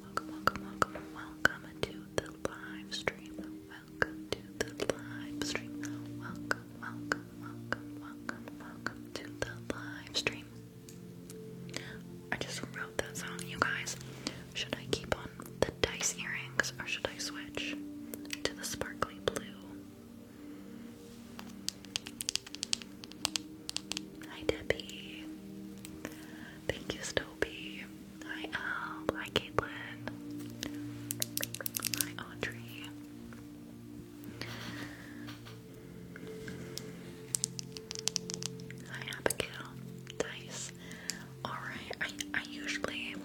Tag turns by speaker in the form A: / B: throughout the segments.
A: Welcome, welcome, welcome, welcome to the live Welcome to the live Welcome, welcome, welcome, welcome, welcome to the live I just wrote that song, you guys. Should I keep on the dice earrings or should I switch to the sparkly blue? Hi Debbie. Thank you, Stopey. Hi Al. Hi Caitlin. Hi Audrey. Hi Abigail. Dice. Alright, I I usually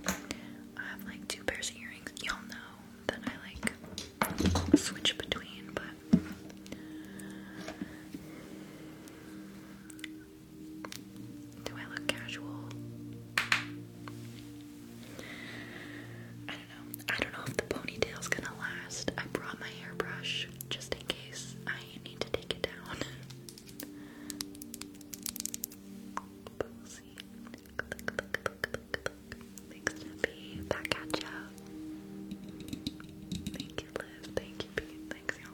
A: have like two pairs of earrings. Y'all know that I like switch between, but do I look casual? I don't know. I don't know if the ponytail's gonna last. I brought my hairbrush just in case I need to take it down. Boozy. Look, look, look, look, look, look. Thank you, Liv. Thank you, Pete. Thanks, you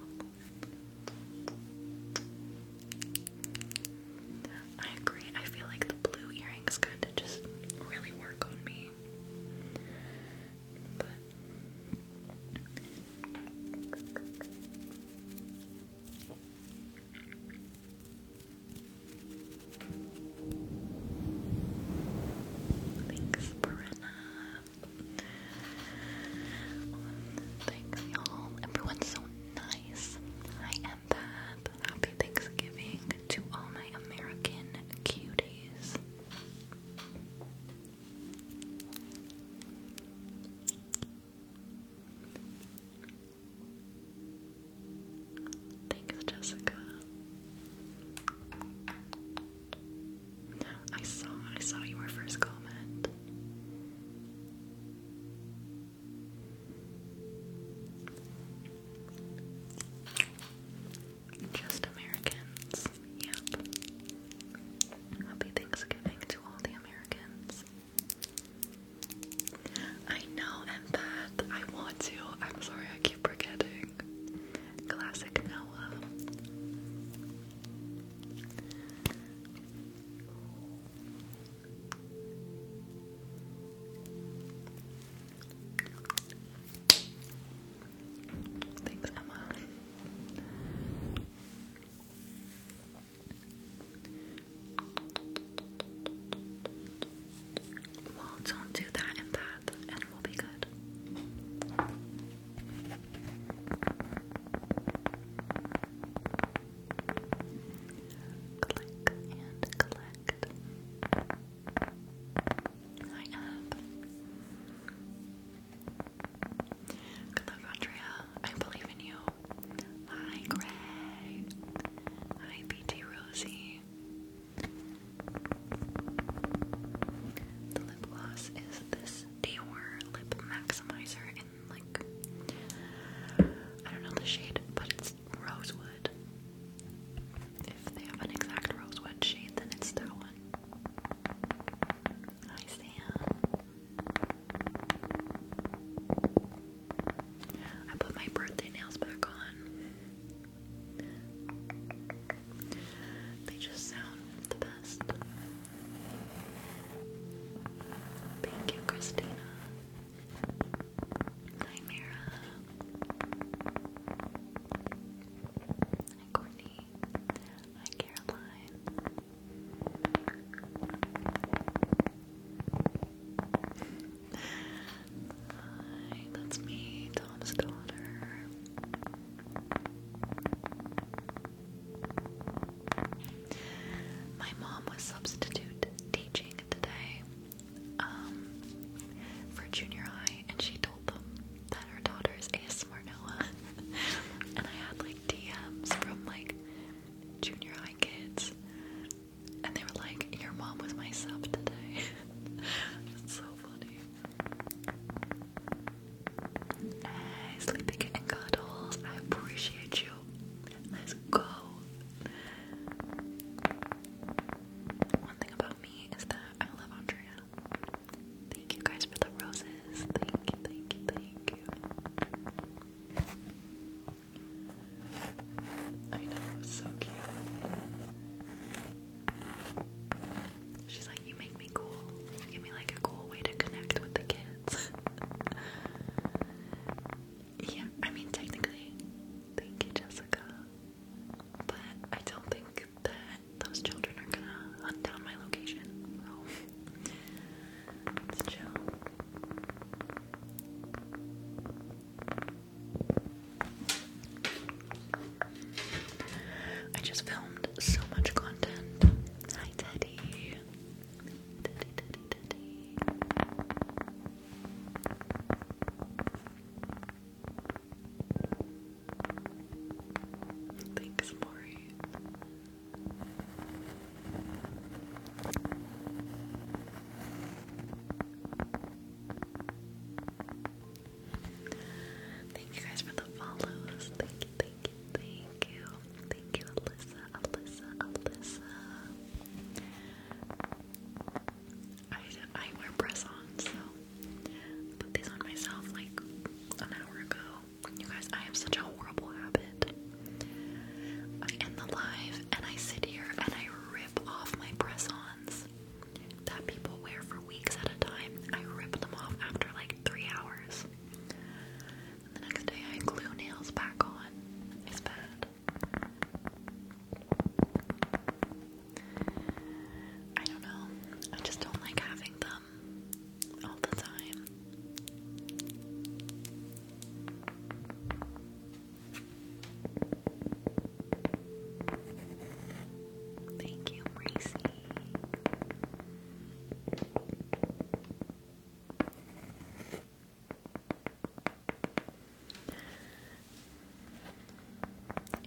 A: I agree. I feel like the blue earrings kind just really work on me. Thanks, Brenna. Thank y'all. Everyone's so nice. I am Pat. Happy Thanksgiving to all my American cuties. Thanks, Jessica. I saw, I saw your first comment. Just Americans. Yep. Happy Thanksgiving to all the Americans. I know, empath. I want to. I'm sorry, I keep forgetting. Classic Noah. Thanks, Emma. Well, don't do that and that, and we'll be good. Click and collect. Hi, Ab. Good luck, Andrea. I believe in you. Hi, Greg. Hi, BT Rosie. The lip gloss is this Dior Lip Maximizer in like I don't know the shade, but it's rosewood. If they have an exact rosewood shade, then it's that one. Hi Sam. I put my birthday nails back
B: on. They just sound the best. Thank you, Christina. Hi, Mira. Hi, Courtney. Hi, Caroline. Hi, that's me, Tom's daughter.
A: My mom was substitute teaching today um, for junior high, and she told them that her daughter is ASMR Noah. and I had like DMs from like junior high kids, and they were like, Your mom was my sub today. That's so funny. Sleeping in cuddles. I appreciate you. Let's go. One thing about me is that I love Andrea. Thank you guys for the roses. Thank you, thank you, thank you. I know, it so cute. She's like, you make me cool. You give me like a cool way to connect with the kids. yeah, I mean technically, thank you, Jessica. But I don't think that those children are gonna hunt down my location. let's chill. I just filmed so much content Hi, Teddy. Teddy, Teddy, Teddy. Thanks, Maury. Thank you guys for the follows. Thank you, thank you, thank you, thank you, Alyssa, Alyssa, Alyssa. I I wear press-ons, so put these on myself like an hour ago. You guys, I have such a horrible habit. I end the live and I sit here and I rip off my press-ons that people wear for weeks at a time. I rip them off after like three hours the next day I glue nails back on. It's bad. I don't know. I just don't like having them all the time. Thank you, Macy.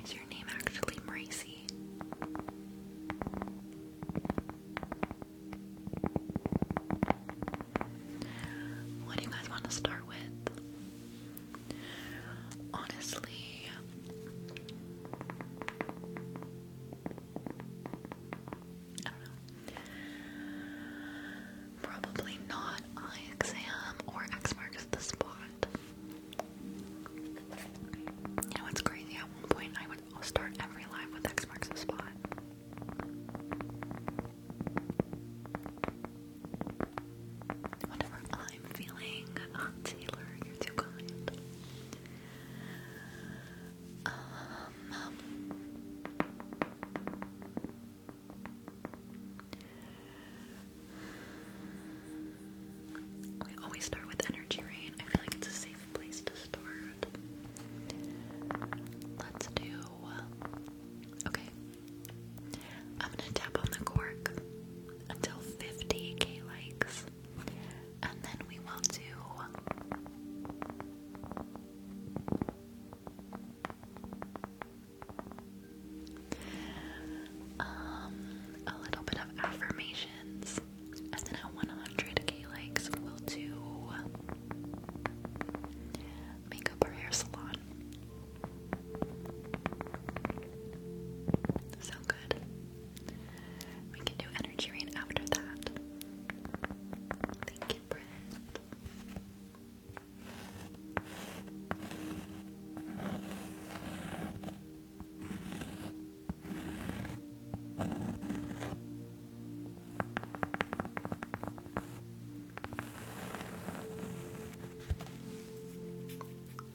A: Is your name actually Marcy? What do you guys want to start with? Honestly, I Probably not eye exam or X marks the spot. You know what's crazy? At one point, I would start every live with X marks the spot. Whatever I'm feeling, Taylor, you're too kind we always start with energy rain. I feel like it's a safe place to start. Let's do. Okay. I'm gonna tap on the cork until 50k likes and then we will do um, a little bit of affirmations, and then at 100k likes we'll do makeup or hair salon. Sound good? We can do energy rain after that. Thank you, Brent.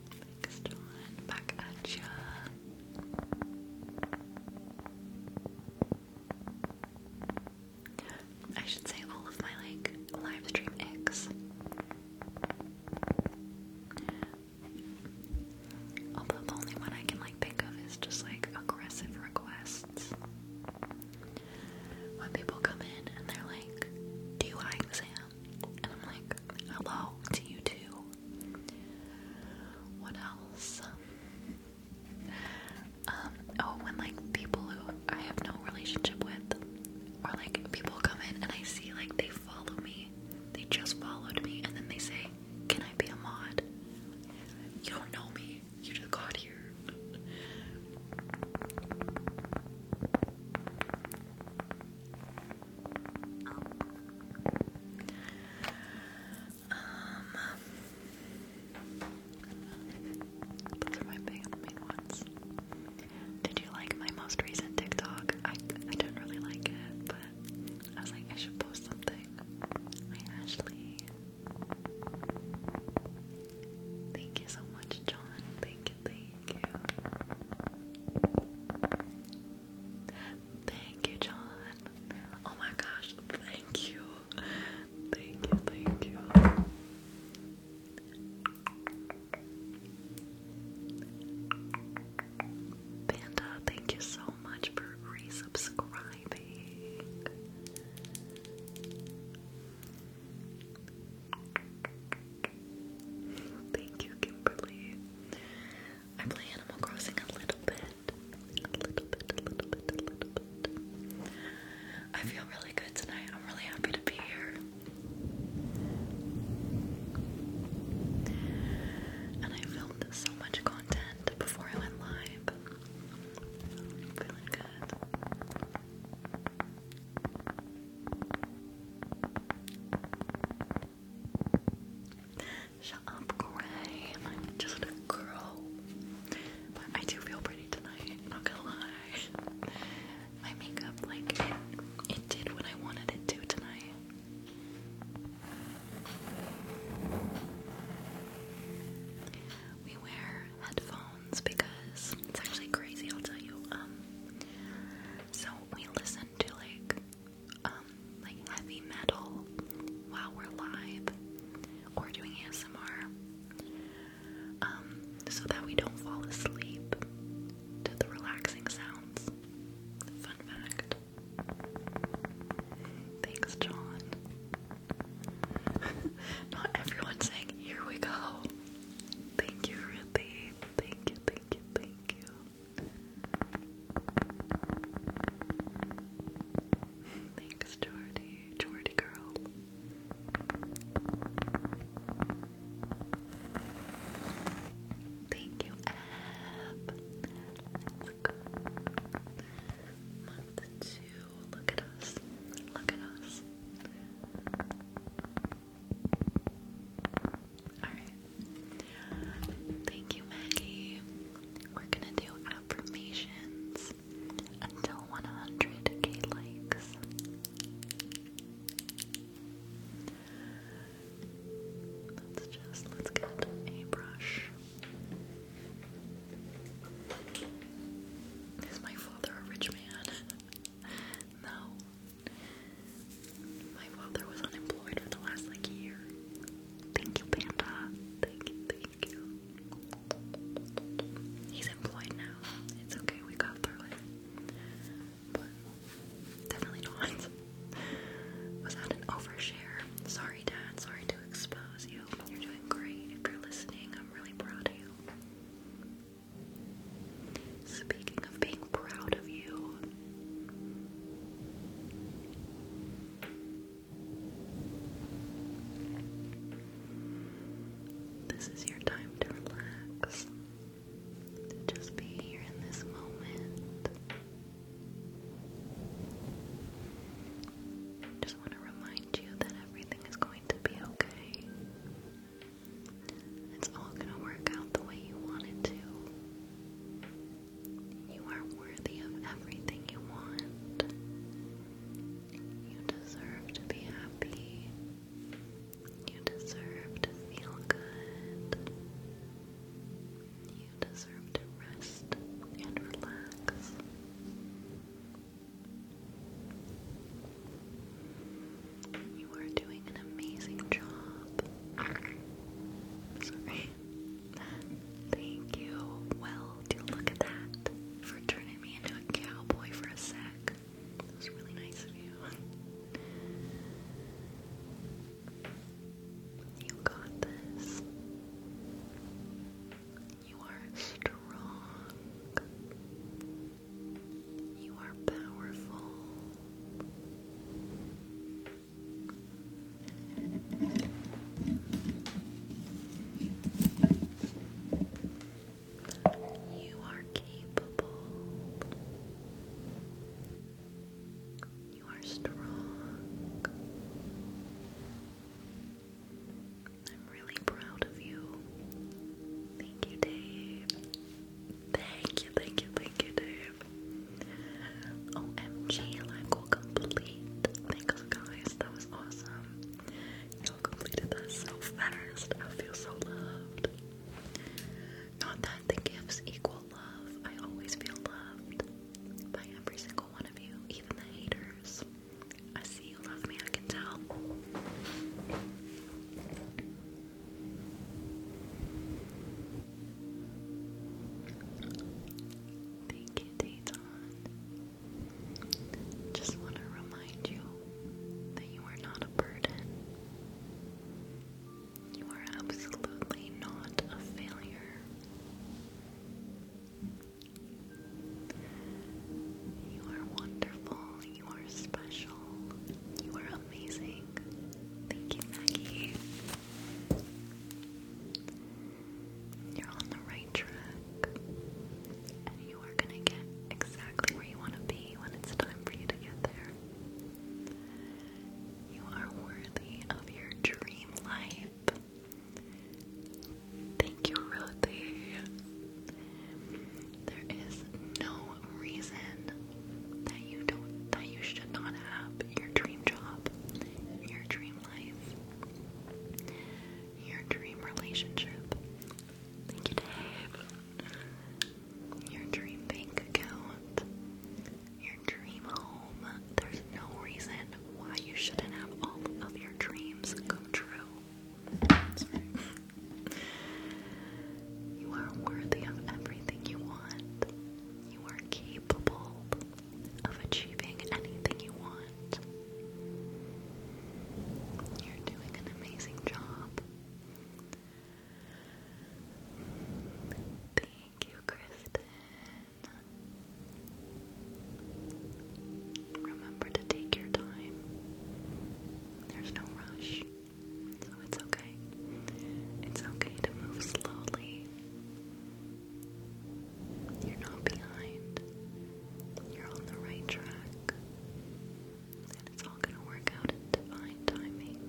A: Thanks, John. Back at ya. I should say all of my like live stream eggs. Although the only one I can like think of is just like aggressive requests. When people come in and they're like, Do you eye And I'm like, Hello to you too. What else? Um, oh, when like people who I have no relationship with, or like people come in and I see like they follow me, they just followed me, and then they say, Can I be a mod? You don't know me, you just got here
B: those are my main ones. Did you like my most recent TikTok? I I didn't really like it, but I was like I should post something. Hi Ashley. Thank you so much, John. Thank you, thank you. Thank you, John.
A: Oh my gosh, thank you. Thank you, thank you. Panda, thank you so much for resubscribing. Thank you, Kimberly. I play Animal Crossing a little bit a little bit, a little bit, a little bit. I feel really good tonight. I'm really happy to be here. And I filmed so much content before I went live. feeling good. Shut up, Gray. I'm just a girl. But I do feel pretty tonight, not gonna lie. My makeup, like, it, did what I wanted it to tonight. We wear headphones because it's actually crazy, I'll tell you. Um, so we listen to like um, like heavy metal while we're live or doing ASMR um, so that we don't fall asleep to the relaxing sounds. Fun fact. Thanks, John. Not everyone saying, Here we go. Thank you, Ruthie. Thank you, thank you, thank you. Thanks, Jordy. Jordy girl. Thank you, Ab. Let's Look at us. Look at us. Alright. Thank you, Maggie we're gonna do affirmations until 100k likes. Let's just let's get a brush. Is my father a rich man? no. My father was unemployed for the last like year. Thank you, Panda. Thank you, thank you. He's employed now. It's okay, we got through it. But definitely not. Was that an overshare? Sorry, Dad. Sorry to expose you. You're doing great. If you're listening, I'm really proud of you. Speaking of being proud of you, this is your time to relax, to just be here in this moment. Just want to remind you that everything is going to be okay. It's all going to work out the way you want it to. You are worthy of everything you want. You deserve to be happy. You deserve to feel good. You deserve to rest and relax. You are doing an amazing job. Sorry. Thank you, Weld. Look at that for turning me into a cowboy for a sec. That was really nice of you. You got this. You are strong. You are powerful. You are capable. You are strong. I'm really proud of you. Thank you, Dave. Thank you, thank you, thank you, Dave. OMG, like will complete. Thanks, guys. That was awesome you completed that so fast. I feel so loved. Not that the gifts equal love. I always feel loved by every single one of you, even the haters. I see you love me, I can tell. Thank you, Dayton. Just want to remind you that you are not a burden. You are absolutely not a failure. You are wonderful. You are special. You are amazing. Thank you, Maggie. You're on the right track. And you are gonna get exactly where you wanna be when it's time for you to get there. You are worthy of your dream life. Thank you, Ruthie. There is no reason that you don't that you should not have your dream job, your dream life your dream relationship. Thank you, Dave. Your dream bank account. Your dream home. There's no reason why you shouldn't have all of your dreams come true. You are worthy of everything you want. You are capable of achieving anything you want. You're doing an amazing job. Thank you, Kristen. Remember to take your time. There's no rush. So it's okay. It's okay to move slowly. You're not behind. You're on the right track. And it's all going to work out in divine timing.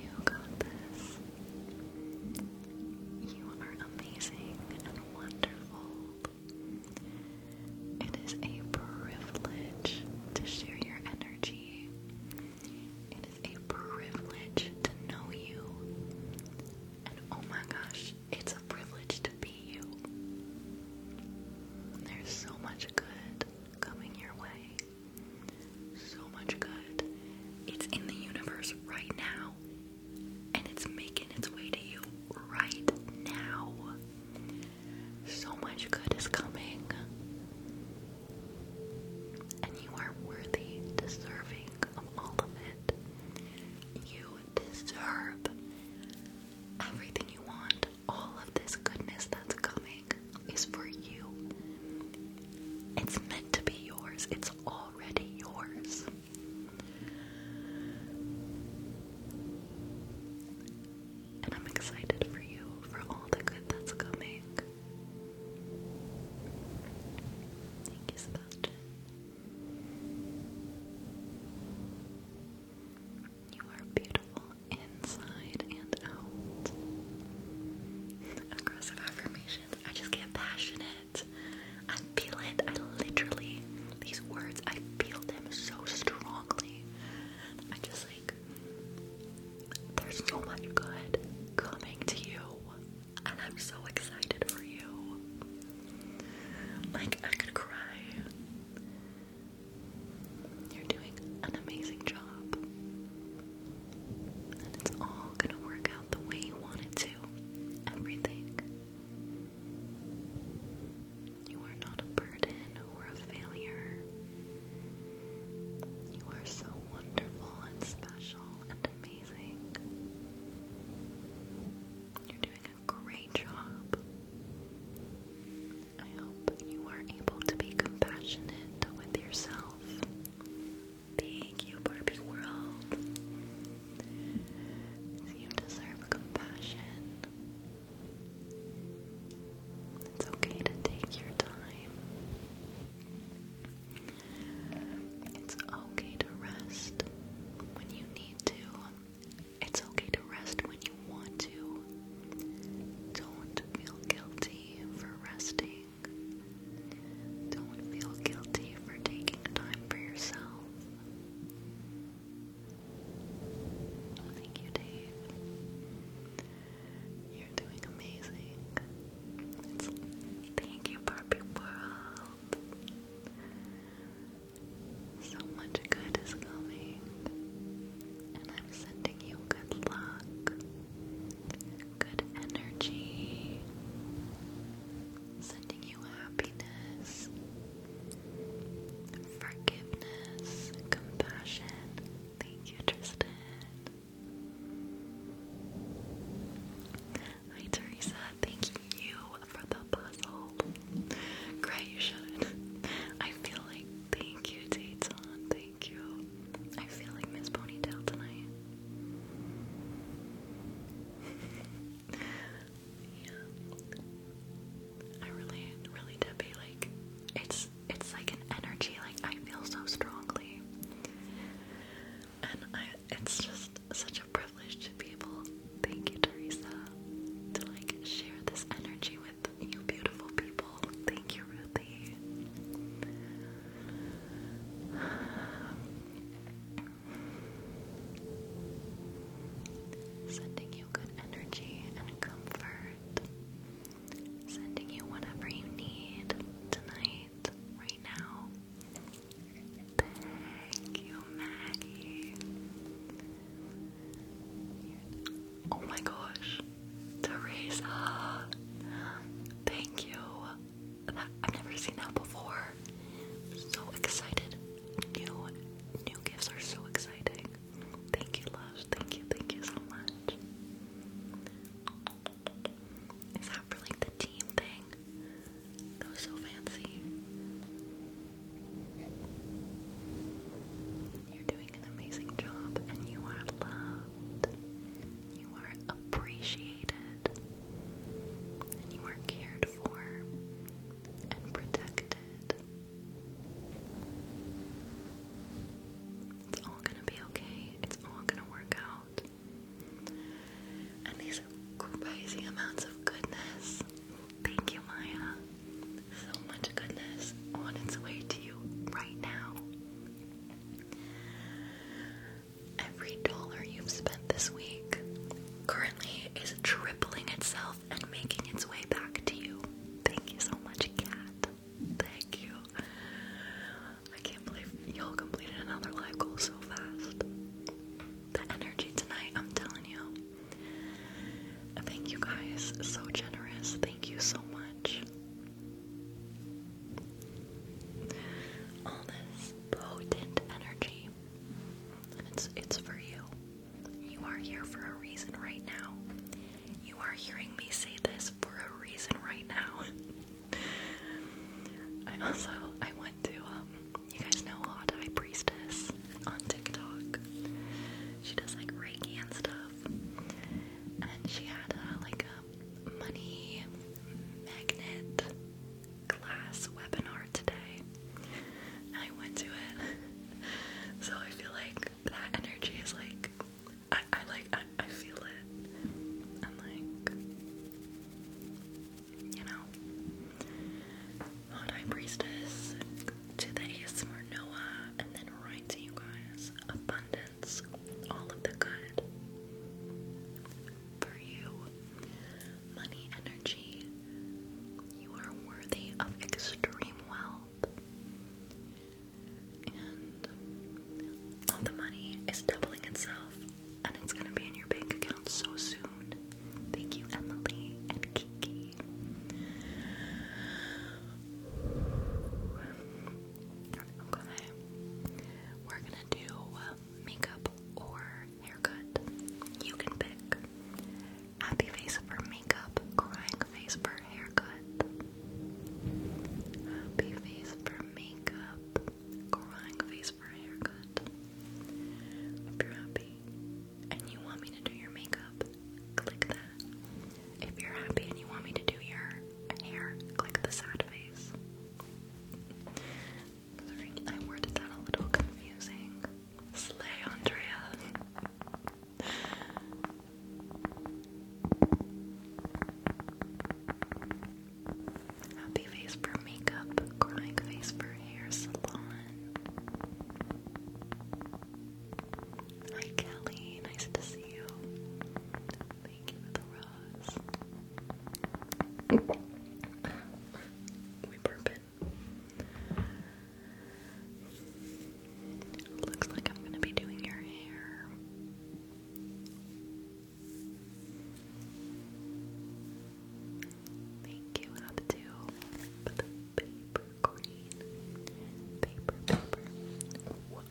A: You got this. You are amazing and wonderful. It is a privilege to share your energy. It is a privilege to know you and oh my gosh, it's a privilege to be you. There's so much good coming your way. So much good. It's in the universe right now. And it's making its way to you right now. So much good is coming. And you are worthy, deserving of all of it. You deserve everything you want. All of this goodness that's coming is for you. It's meant to be yours, it's already yours. And I'm excited for you for all the good that's coming. Thank you, Sebastian. You are beautiful inside and out. Aggressive affirmations. I just get passionate. I feel it. I literally, these words, I feel them so strongly. I just like, there's so much good coming to you and I'm so excited for you. Like, I could cry. You're doing an amazing job, and it's all gonna work out the way you want to. Everything. You are not a burden or a failure. You are so wonderful and special amazing. You're doing a great job.
B: I hope you are able to be compassionate with yourself. Thank you, Barbie World. You deserve compassion. It's okay to take your time. It's okay to rest when you need to. It's okay to rest when you want to. Don't feel guilty for resting. Don't feel guilty for taking
A: time for yourself. Thank you, Dave. You're doing amazing. thank you, Barbie World. So much good is coming, and I'm sending you good luck, good energy, sending you happiness, forgiveness, compassion. Thank you, Tristan. Hi Teresa, thank you for the puzzle. Great, you should. I feel like thank you, Dayton.
B: Thank you. I feel like Miss Ponytail tonight. yeah. I really, really Debbie, like it's it's
A: like an energy, like I feel so strongly and I, it's just such a privilege to be able. Thank you, Teresa, to like share this energy with you, beautiful people. Thank you, Ruthie. Sending you good energy and comfort. Sending you whatever you need tonight, right now. Thank you, Maggie. Oh my gosh, Teresa. Thank you. I've never seen that before. So excited. New, new gifts are so exciting. Thank you, love. Thank you, thank you so much that for like the team thing. That was so fancy. You're doing an amazing job and you are loved. You are appreciated. And you are cared for and protected. It's all gonna be okay. It's all gonna work out. And these crazy amounts of goodness. Thank you, Maya. So much goodness on its way to you right now. Every dollar you've spent this week currently is tripling itself and making its way back to you. Thank you so much, Kat. Thank you. I can't believe y'all completed another live goal so
B: fast the energy tonight, I'm telling you. Thank you guys,
A: so generous. Thank you so much. All this potent energy. it's it's for you. You are here for a reason right now. You are hearing me say this for a reason right now. also I went to um, you guys know Hot High Priestess on TikTok. She does like Reiki and stuff. And she had like a money magnet class webinar today. I went to it. so I feel like that energy is like I, like I feel it. I'm like you know, Hot Priestess, to the ASMR Noah, and then right to you guys. Abundance, all of the good for you. Money energy, you are worthy of extreme wealth. And the money is doubling itself
B: and it's gonna be in your bank account so soon. Thank you, Emily and Kiki. Okay, we're gonna do makeup or haircut. You can pick. Happy face for makeup, crying face for haircut. Happy face for makeup, crying face for haircut. Hope you're happy and you want me to do your makeup, click that. If you're happy and you want me to do your hair, click the sad face. Sorry, I worded that a little confusing. Slay, Andrea. Happy face for makeup, crying face for hair salon.
A: Hi Kelly, nice to see you. Thank you for the rose. we burping. Looks like I'm gonna be doing your hair. Thank you, how to the paper green. Paper, paper. Wow.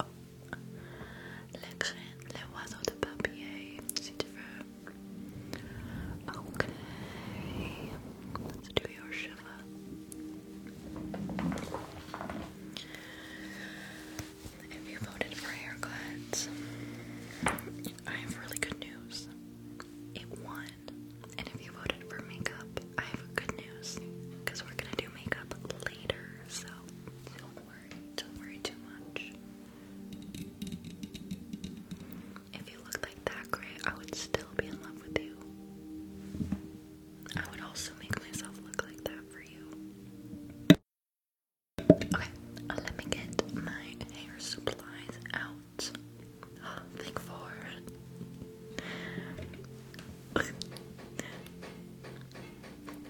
A: Let's do your shiver. If you voted for haircuts, I have really good news. It won. And if you voted for makeup, I have good news because we're gonna do makeup later, so don't worry, don't worry too much. If you look like that, Gray, I would still be in love with you. I would also make myself look like that for you. Okay, uh, let me get my hair supplies out. Oh, think four.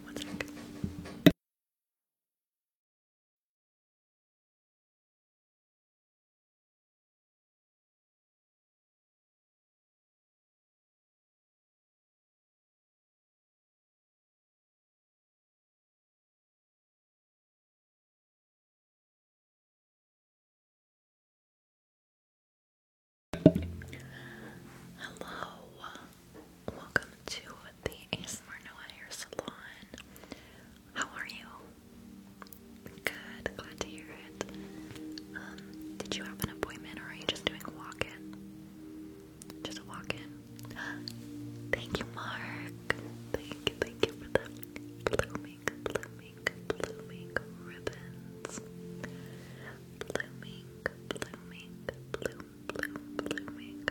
A: One sec. Hello, welcome to the ASMR Noah Hair Salon. How are you? Good, glad to hear it. Um, did you have an appointment or are you just doing a walk in? Just a walk in? Thank you, Mark. Black. Thank you, thank you for the blooming, blooming, blooming ribbons. Blooming, blooming, bloom,
B: blooming.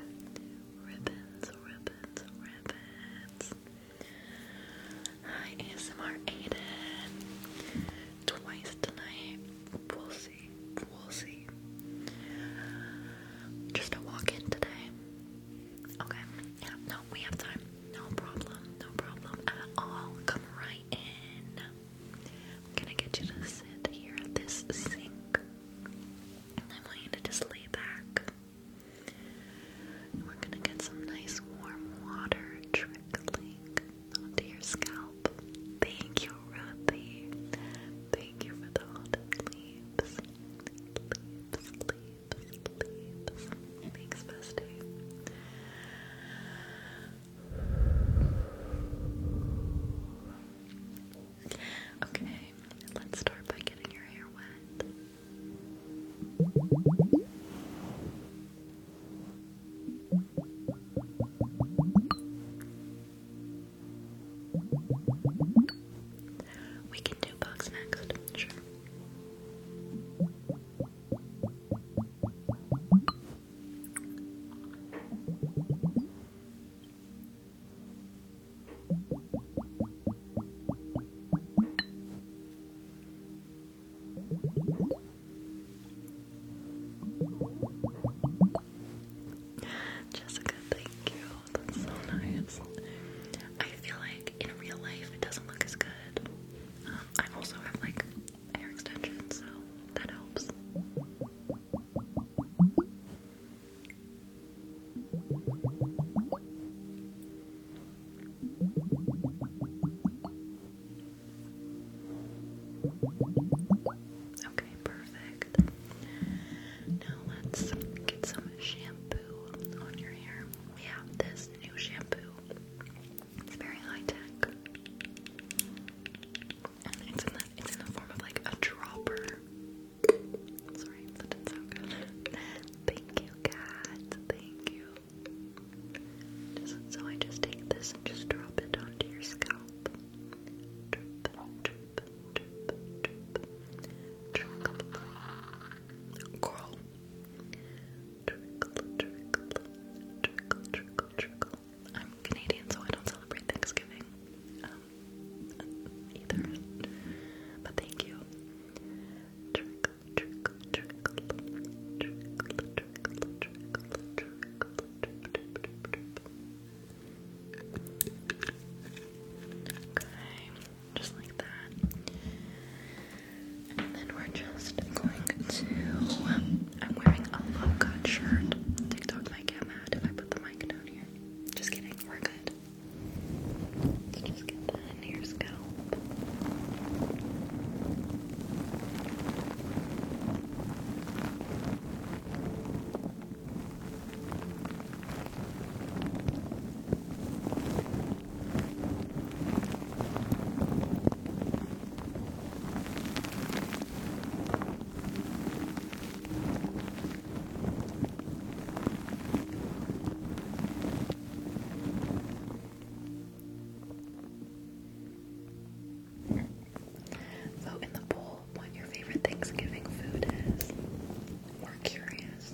B: Ribbons, ribbons, ribbons. Hi ASMR Aiden. Twice tonight. We'll see. We'll see. Just a walk in today. Okay. No, we have time. No problem. No problem at all. Come right in. gonna get you to sit here at this sink. And I want you to just lay back. we're gonna get some nice warm water trickling onto your scalp. Thank you, Ruthie. Thank you for the autumn leaves. Leaves, leaves sleeps, makes Okay, let's start by getting your hair wet. We can do bugs next, sure. Jessica, thank you that's so nice. I feel like in real life it doesn't look as good. Um, I also have like hair extensions, so that helps.
A: Okay, perfect. Now let's get some shampoo on your hair we have this new shampoo. It's very high tech. And it's in the form of like a dropper. Sorry, that didn't good. Thank you, cat. Thank you. so I just take this and just drop it onto your scalp. Drip, I'm Canadian, so I don't celebrate Thanksgiving um, either. But thank you. Okay just like that. And then we're just going to. Um, I'm wearing a low shirt. TikTok might get if I put the mic down here. Just kidding, we're good. Let's just Vote in the poll what your favorite Thanksgiving food is. We're curious.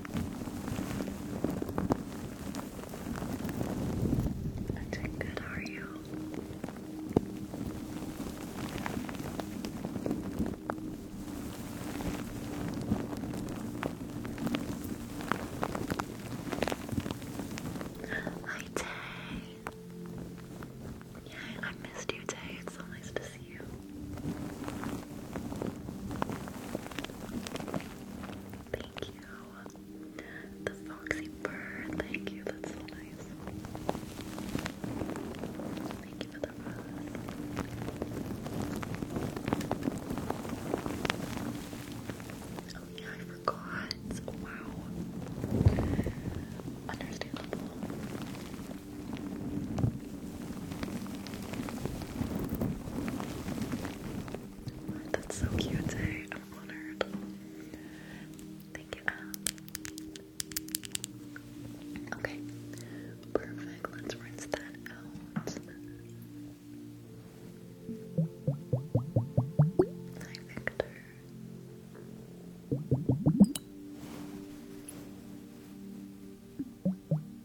A: i good, are you? Hi Tay! Yeah, I missed you Tay, it's so nice to see you. Thank you. The foxy bird. Thank you. That's so nice. Thank you for the rose. Oh I forgot. Wow. Understandable. That's so cute, I'm honored. Thank you, Al. Um, okay, perfect. Let's rinse that out. Hi, Victor.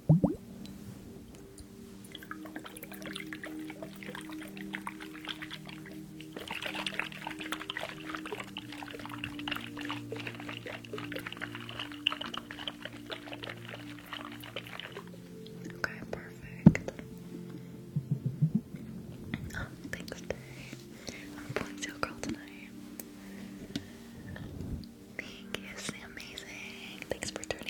A: Okay, perfect. thanks, Day. I'm pulling to girl tonight. Thank you, amazing. Thanks for turning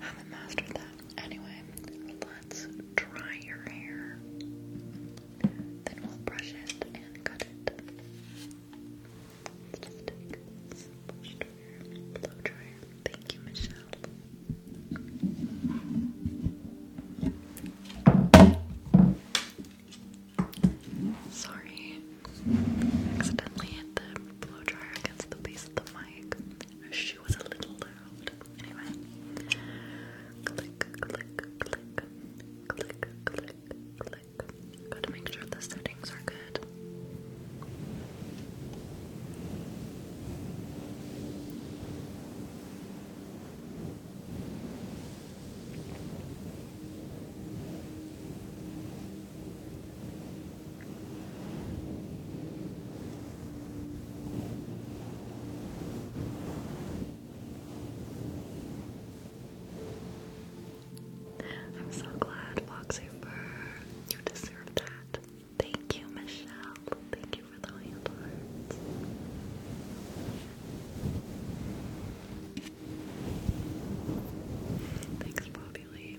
A: I haven't mastered that. Anyway, let's dry your hair. Then we'll brush it and cut it. Thank you, Michelle. Sorry, accidentally hit the blow dryer against the base of the mic she was a little old, Anyway, Gotta make sure the settings are good. I'm so glad, Foxhooper. You deserve that. Thank you, Michelle. Thank you for the hand Thanks, Bobby Lee.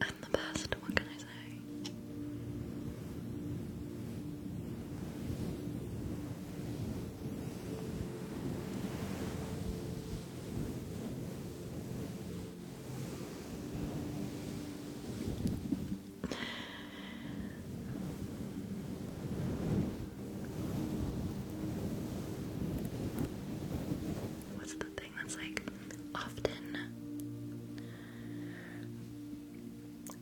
A: I'm the best. What can I say? What's the that's like often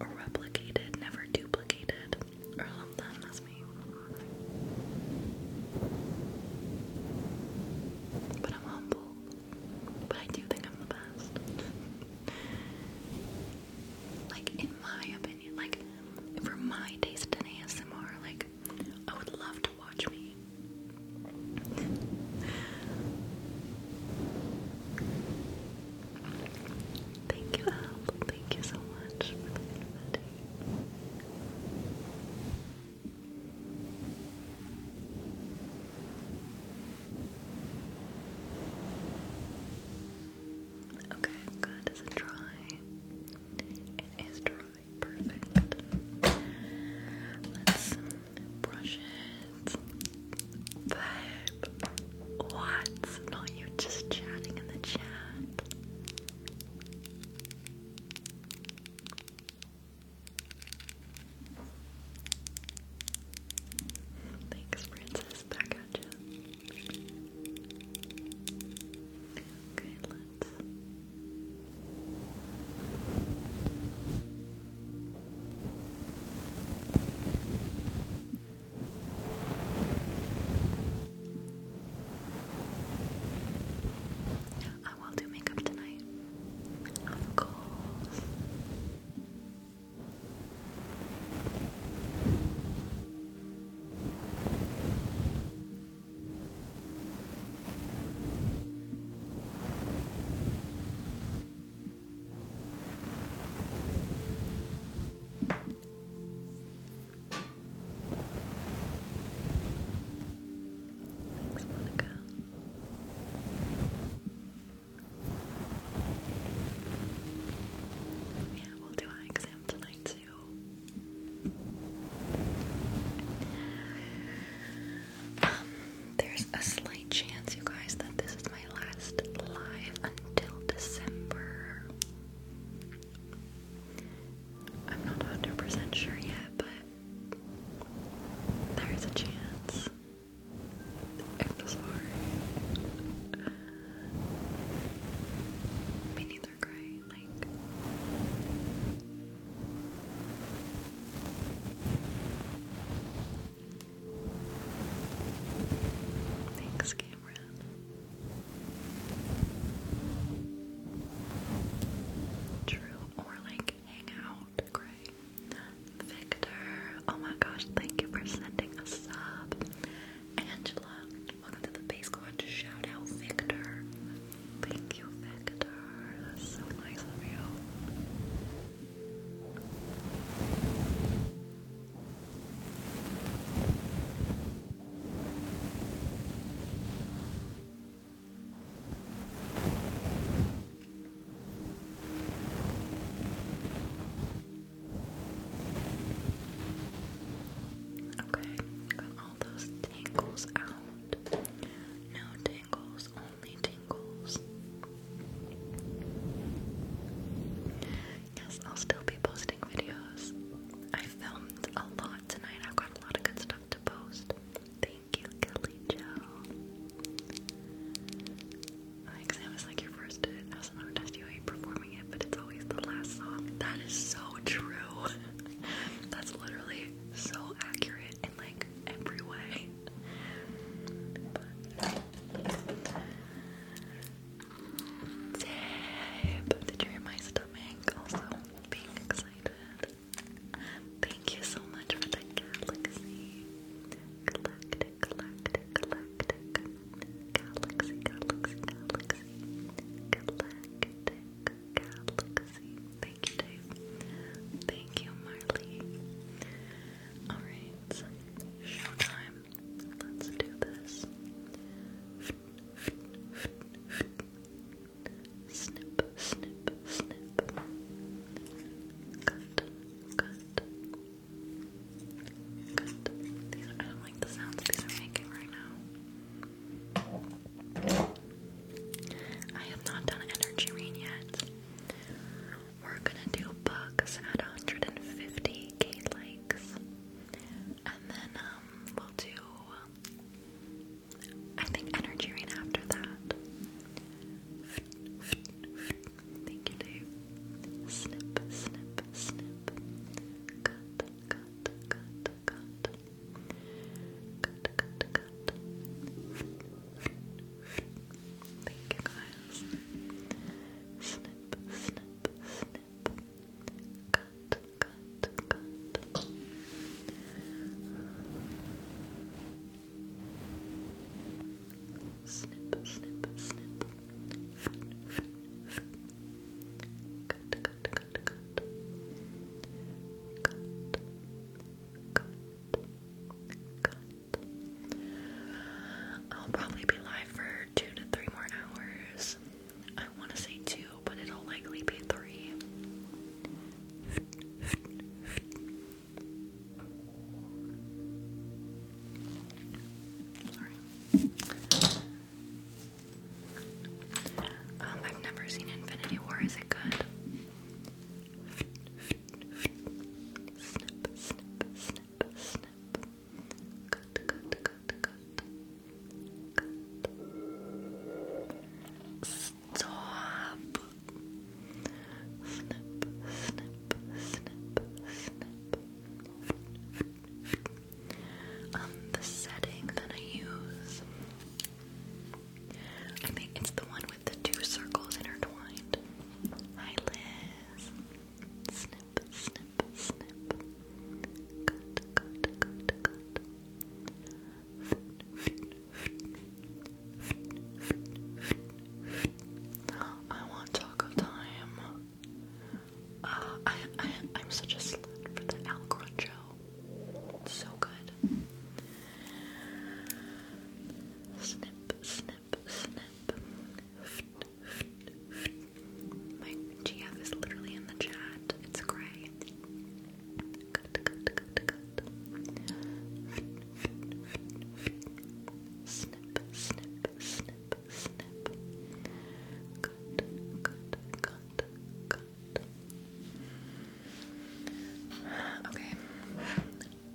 B: replicated, never duplicated, But I'm humble.
A: But I do think I'm the best. like in my opinion, like for my taste in ASMR, like I would love to watch me.
B: Thank you, Al. Thank you so much for the invite. Okay, good. Is it dry? It is dry. Perfect. Let's brushes, babe. What? Not you just chatting in the chat. Thanks, Princess. Back Okay, let's
A: I will do makeup tonight. Of course. Thanks, Monica. Yeah, we'll do eye exam tonight too. Um, there's a slight chance, you guys, that this is my last live until December. I'm not 100% sure yet, but there's a chance. I'm sorry. Me neither, Gray. Like, Thanks, Cameron. True, or like hang out, Gray. Victor, oh my gosh, thank you for sending us up, Angela, welcome to the base going shout out Victor. Thank you, Victor. so nice of you. Okay, got all those tangles out. No tangles, Yes, I'll still be posting videos. I filmed a lot tonight. I've got a lot of good stuff to post. Thank you, Kelly Joe. Exam is like your first uh, SMO test. You hate performing it, but it's always the last song. That is so true. That's literally so accurate it in you're my stomach. Also, being excited. Thank you so much for the galaxy. Galactic, galactic, galactic. Galaxy, galaxy, galaxy. Galactic, galaxy. Thank you, Dave. Thank you, Marley. Alright, showtime. Let's do this. Snip, snip, snip. Cut, cut, cut. I don't like the sounds these are making right now. I have not done energy rain yet we're gonna do bugs at 150 k likes, and then um, we'll do I think energy rain after that. Thank you, Dave. Snip, snip, snip.
B: Thank you guys. Snip, snip, snip. Cut, cut, cut. Snip, snip, snip. Cut, cut, cut, cut. Cut, cut,
A: cut. I'll probably be live for two to three more hours. I want to say two, but it'll likely be three. Sorry.
B: Um, I've never seen Infinity War. Is it good? Stop. Snip, snip, snip, snip.
A: the setting that I use. I think it's the one with the two circles intertwined. Hi,
B: Liz. Snip, snip, snip. Good, good, good, good. I want taco time. Uh, I, I, I'm such a slut for the Al Grancho.
A: so good. Snip, snip snip, snip. My GF is literally in the chat. It's
B: gray. Snip, Okay.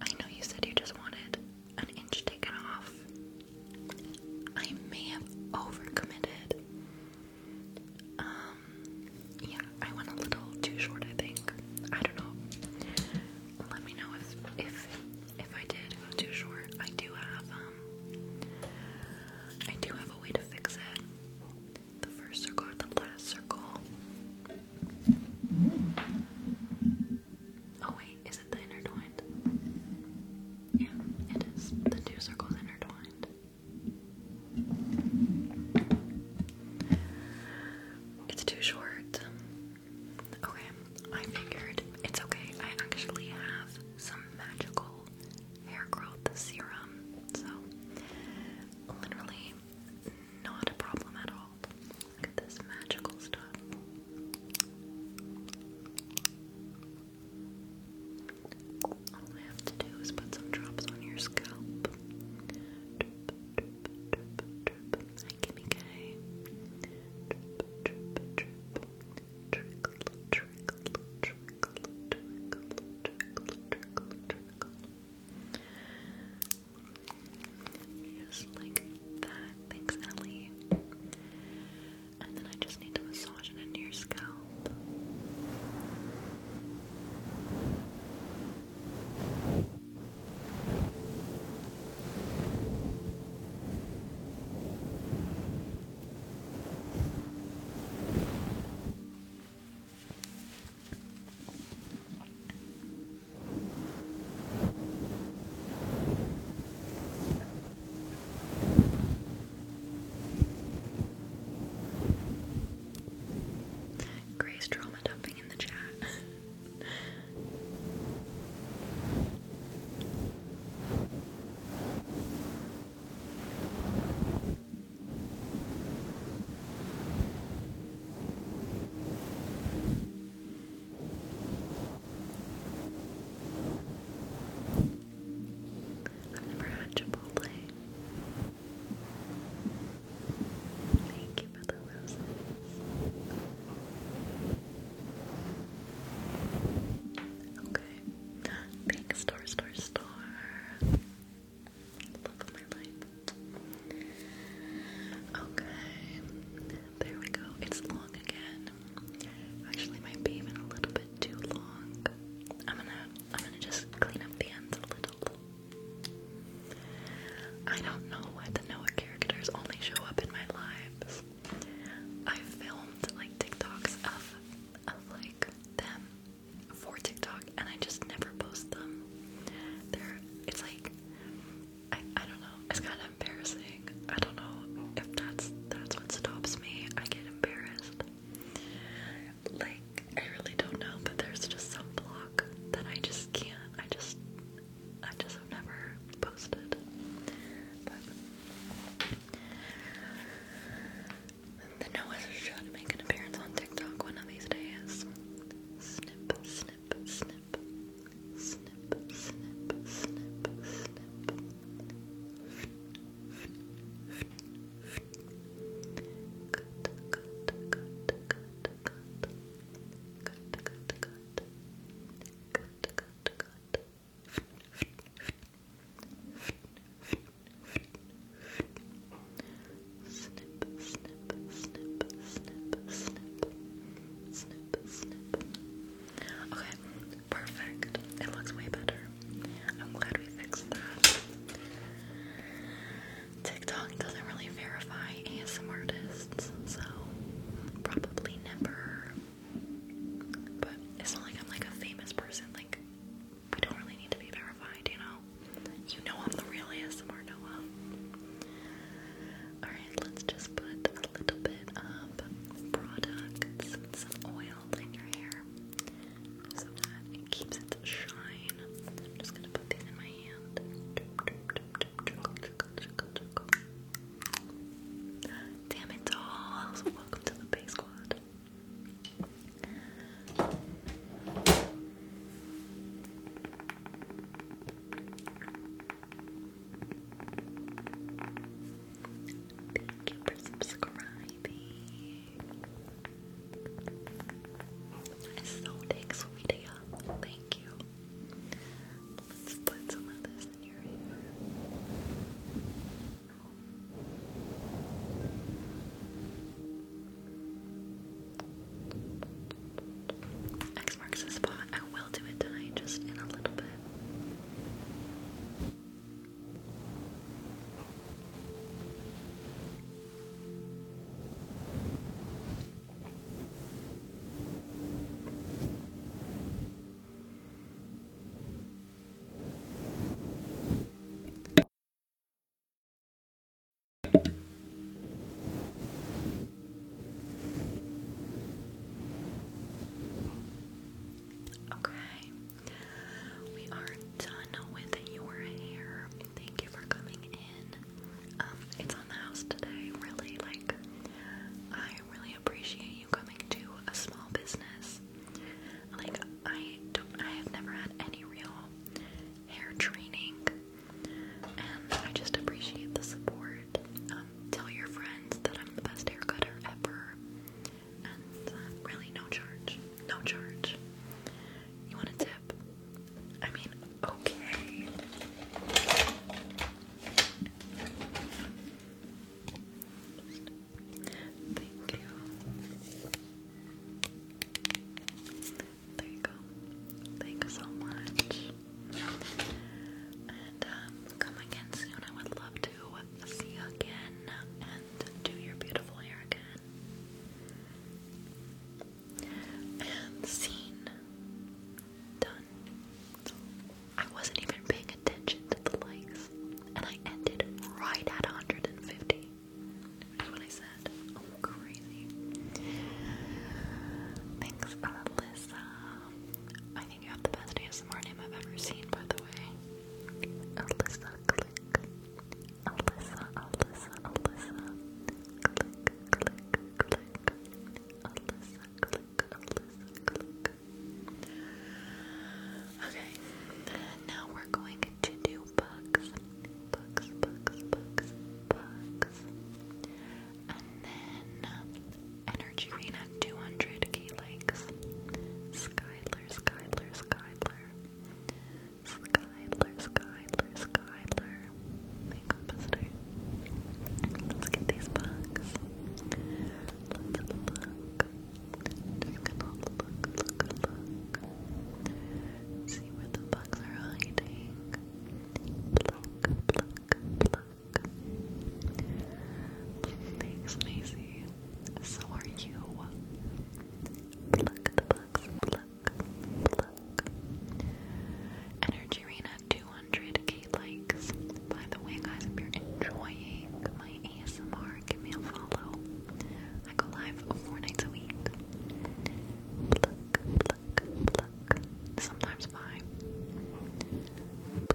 B: I know you said you just wanted an inch taken off. I may have overcommitted. Um, yeah, I went a little
A: too short, I think. I don't know. Let me know if if if I did go too short. I do have um, I do have a way to fix it. The first circle the last circle. Oh wait, is it the intertwined? Yeah, it is. The two circles intertwined. It's too short. Okay, I figured it's okay. I actually have some magical hair growth serum, so literally not a problem at all. Look at this magical stuff. All I have to do is put some drops on your scalp. Hi, Kimmy K. Just like that. Thanks, Ellie. And then I just need to massage into your scalp.
B: Grace trauma dumping in the chat. I've never had Chipotle. Thank you for the roses. Okay. Big star, star, star. Love of my life.
A: Okay. There we go. It's long again. Actually, might be even a little bit too long. I'm gonna, I'm gonna just clean up the ends a little. I don't know why the Noah characters only show up in my lives. I filmed like TikToks of, of like them for TikTok, and I just never post them. They're, it's like I, I don't know. It's kind of embarrassing. I don't know if that's that's what stops me. I get embarrassed. Like I really don't know, but there's just some block that I just can't. I just
B: I just have never posted. But
A: the should make an appearance on TikTok one of
B: these days. Snip, snip, snip, snip, snip, snip, snip, snip. Good, good, good, good, good. Good, good, good. Good, good, good.
A: Snip, snip, snip, snip, snip, snip, snip, Okay, perfect. It looks way better. I'm glad we fixed that. TikTok doesn't really verify ASM artists, so probably never. But it's not like I'm like a famous person. Like we don't really need to be verified, you know. You know I'm the real ASMR Noah. Alright. Alright, let's just put a little bit of products and some oil in your hair so that it keeps it shine. I'm just gonna put these in my hand. Damn it all! Welcome to the Bay Squad. Thank you for subscribing. So take sweetie Thank you. Let's put some of this in your hair. X marks the spot. I'll do it tonight, just in a little bit. Okay, we are done with your hair. Thank you for coming in. Um, it's on the house today, really. Like, I really appreciate you coming to a small business. Like, I don't, I have never had any real hair training, and I just appreciate the support. Um, tell your friends that I'm the best hair cutter ever. And uh, really, no charge. No charge. You want a tip? I mean, okay. Thank you. There you go. Thank you so much. Um, come again soon. I would love to see again and do your beautiful hair again. And scene done. I wasn't even paying attention to the likes, and I ended right at 150. That's what I said. Oh, crazy. Thanks, Alyssa you have the best name I've ever seen, by the way. Alyssa Alyssa, Alyssa, Alyssa. Alyssa, Alyssa, Okay, now we're going to do books, Bugs, bugs, bugs, bugs. And then Energy Rain at 200k likes. Skyler, Skyler, Skyler. Skyler, Skyler, Skyler. Makeup visitor. Let's get these bugs. Let's look. Just gonna look, look, look. See where the bugs are hiding. Pluck, pluck, pluck. Thanks, Maisie. So are you. Pluck the bugs, pluck, pluck. Energy 200k likes. By the way, guys, if you're enjoying my ASMR, give me a follow. I go live four nights a week. Pluck, pluck, pluck. Sometimes five.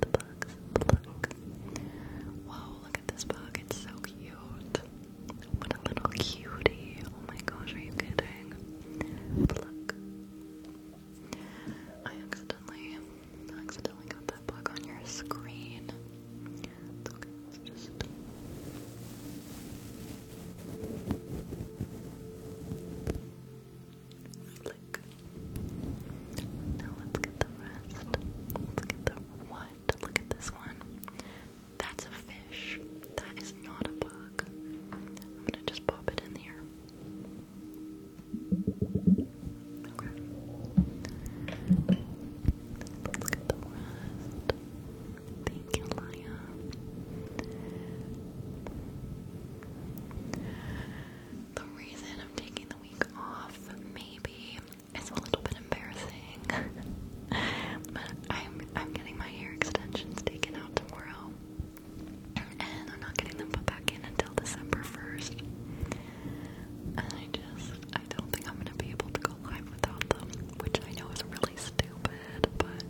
B: book, look at this book. It's so cute. What a little cutie. Oh my gosh, are you kidding? Look. I accidentally, accidentally got that book on your screen. It's okay, let just... Now let's get the rest. Let's get the what? Look at this one. That's a fish. That is not a bug. I'm gonna just pop it in here. Let's get the rest. Thank you, Laya the reason I'm taking the week off maybe is a little bit embarrassing. but I'm I'm getting my hair extensions taken out tomorrow. And I'm not getting them put back in until December first. I just I don't think I'm gonna be able to go live without them, which I know is really stupid, but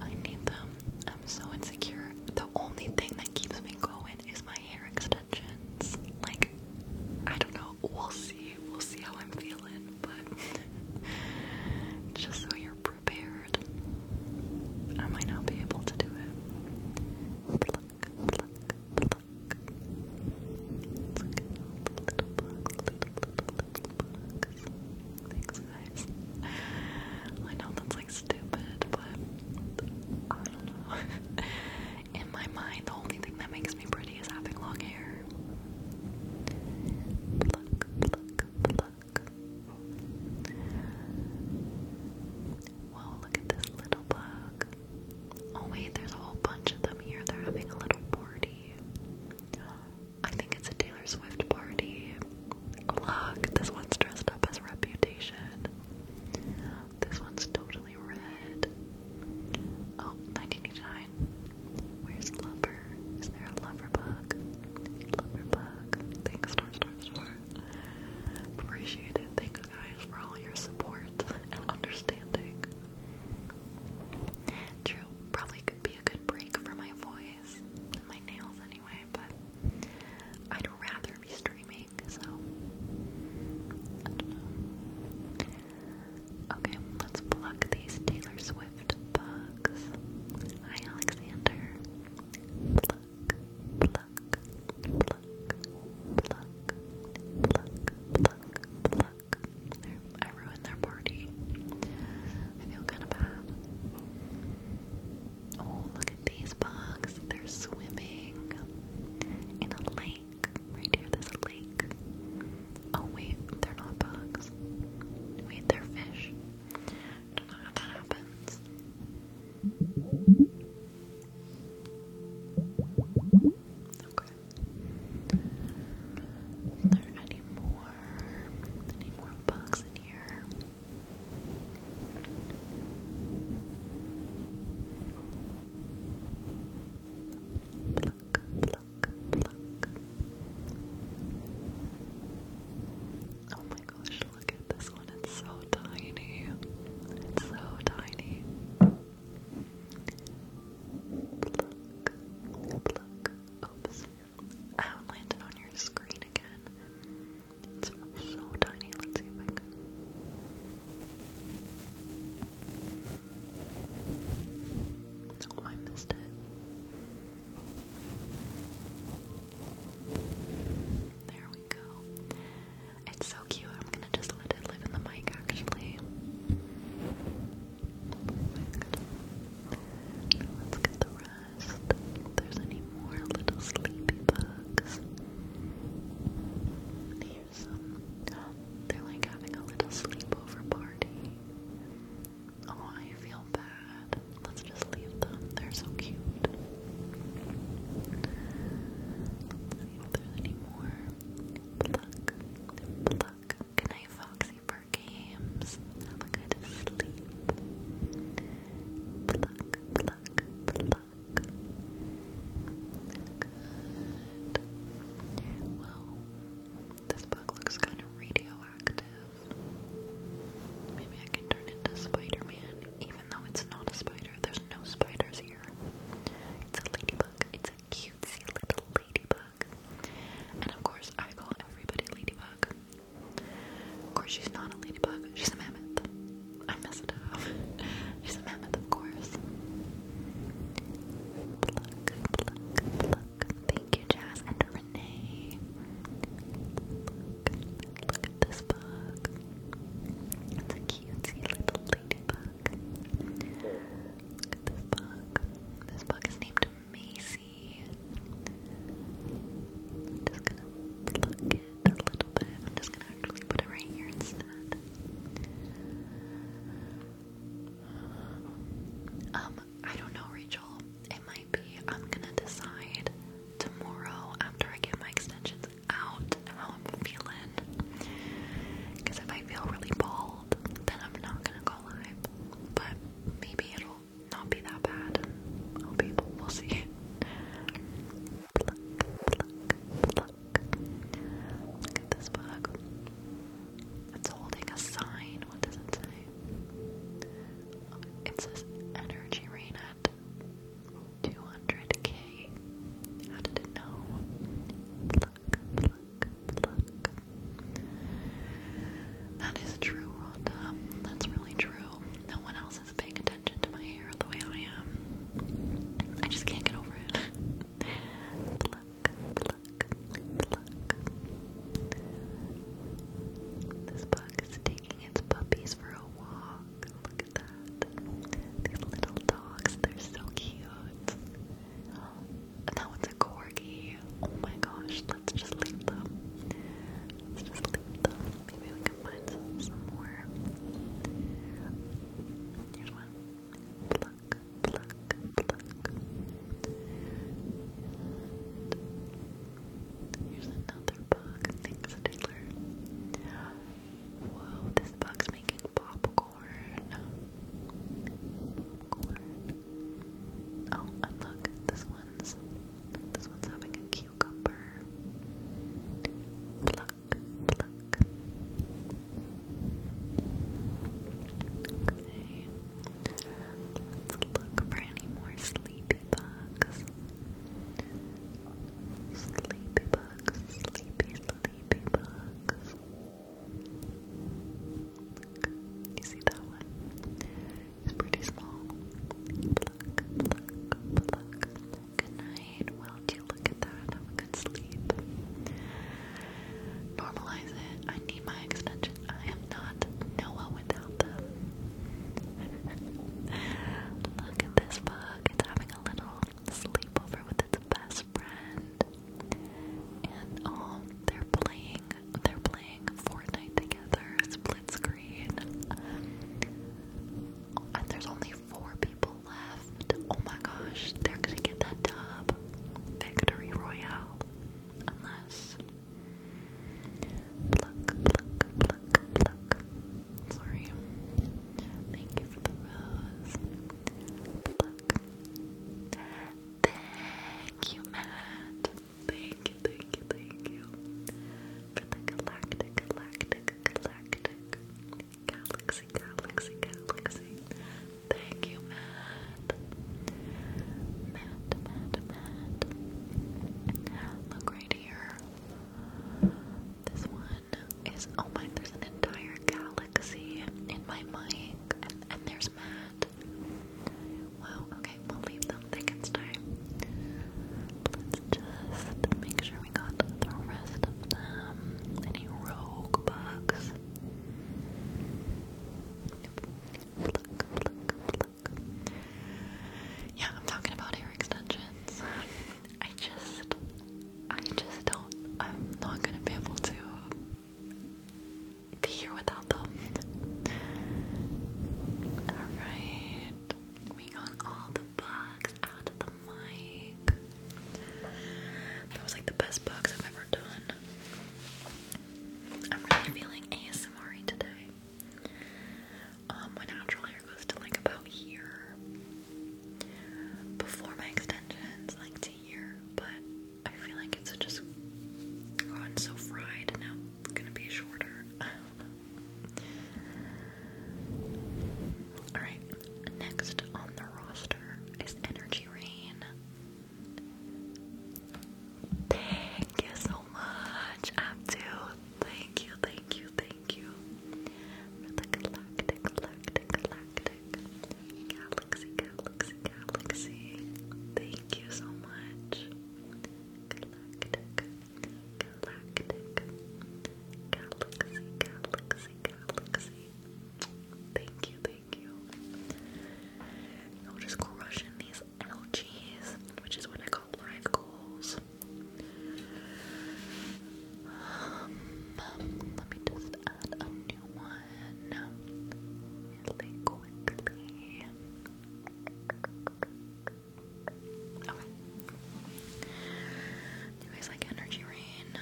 A: I need them. I'm so insecure. The only thing that keeps me going is my hair extensions. Like, I don't know. We'll see. We'll see how I'm feeling, but just so you're prepared, I might not be able to do it guys. I know that's like stupid, but I don't know. In my mind, the only thing that makes me pretty is having long hair. Pluck, pluck, pluck. Whoa, look at this little bug. Oh, wait, there's a whole bunch of them here. They're having a little party. I think it's a Taylor Swift party. Look, this one's dressed up as Reputation. This one's totally red. Oh, Where's Lover? Is there a Lover bug? Lover bug. Thanks, star, star, star. Appreciate it. Thanks, guys, for all your support and understanding. True, probably could be a good break for my voice my nails anyway, but I'd rather be streaming, so Okay, let's pluck these Taylor Swift bugs. Hi, Alexander. Pluck, pluck, pluck, pluck, pluck, pluck, pluck. There, I ruined their party.
B: I feel kind of bad. Oh, look these bugs. They're swimming in a lake. Right here, there's lake. Oh, wait, they're not bugs. Wait, they're fish. don't know how that happens. Okay. Are there any more, any more bugs in here? Oh my gosh, look at this one. It's so tiny. It's so tiny. Oops. I outlined on your screen again.
A: It's so tiny. Let's see if I can. Oh, I missed it. There we go. It's so cute. I'm gonna just let it live in the mic actually. let's get the rest if there's any more little sleepy bugs. Here's some. Um, they're like having a little sleepover party. Oh, I feel bad. Let's just leave them. They're so cute. if there's any more. Pluck. Foxy Bird Have a good sleep pluck, pluck. Good. Well, this bug looks kind of radioactive. Maybe I can turn into Spider-Man, even though it's not a spider. There's no spiders here. It's a ladybug. It's a cutesy little ladybug. And of course, I call everybody ladybug. Of course, she's not a ladybug, she's a mammoth. I messed it up. she's a mammoth, of course. Pluck, pluck, pluck. Thank you, Jazz and Renee. Look, at this bug. It's a cutesy little ladybug. Look at this bug. This bug is named Macy. just gonna pluck a little bit. I'm just gonna actually put it right here instead. Um, I don't know, Rachel. It might be I'm gonna decide tomorrow after I get my extensions out how I'm feeling. Because if I feel really bald, then I'm not gonna go live. But maybe it'll not be that bad. we'll see pluck, pluck. Look at this bug. It's holding a sign. What does it say? It says energy rain at 200k. How did it know? Pluck, pluck, pluck. That is true, Rhonda. That's really true. No one else is paying attention. I just can't get over it. pluck, pluck, pluck. This bug is taking its puppies for a walk. Look at that. These little dogs, they're so cute. That one's a corgi. Oh my gosh, let's just leave them. Let's just leave them. Maybe we can find some, some more. Here's one. Pluck, pluck, pluck. here's another bug. Thanks, Taylor. Whoa, this bug's making popcorn. Oh, look, this one's this one's having a cucumber. Pluck, Let's look for any more sleepy bugs. Sleepy bugs, sleepy, sleepy bugs. You see that one? It's pretty small. Pluck, pluck, pluck. Good night. Well, do you look at that? Have a good sleep. Normalize it. I need my extension. I am not Noah without them. look at this bug. It's having a little sleepover with its best friend. And oh, they're playing. They're playing Fortnite together. Split screen. And there's only four people left. Oh my gosh, they're gonna get that dub. Victory Royale. Unless.
B: Pluck, pluck, pluck, pluck. Sorry. Thank you for the rose. Pluck. Thank you, Matt. Thank you, thank you, thank you. For the galactic, galactic, Galactic Galaxy Galaxy Galaxy. Thank you, Matt. Matt, Matt, Matt. Look
A: right here. This one is oh my there's an entire galaxy in my mic and there's Matt. Wow, okay, we'll leave them. They can stay. Let's just make sure we got the rest of them. Any rogue bugs? Yeah, I'm talking about hair extensions. I just, I just don't, I'm not gonna be able to be here without them. Alright, we got all the bugs. That was like the best box I've ever done. I'm really feeling ASMR today. Um, my natural hair goes to like about here. Before my extensions, like to here, but I feel like it's just gone so fried now gonna be shorter. Alright, next on the roster is Energy Rain. Thank you so much, Abdu. Thank you, thank you, thank you. galactic, galactic, galactic. Galaxy, galaxy, galaxy. Thank you so much. Galactic,
B: Galactic Galaxy Galaxy Galaxy. Thank you, thank you. I'm just crushing these LGs, which is what
A: I call life goals. let me just add a new one quickly you guys like energy rain?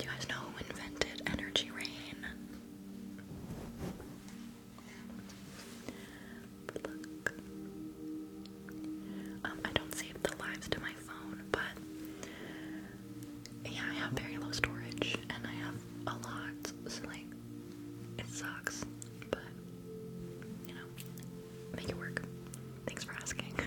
A: you guys know who invented energy rain? Look. Um, I don't save the lives to my phone, but yeah, I have very low storage and I have a lot, so like it sucks, but you know, make it work. Thanks for asking.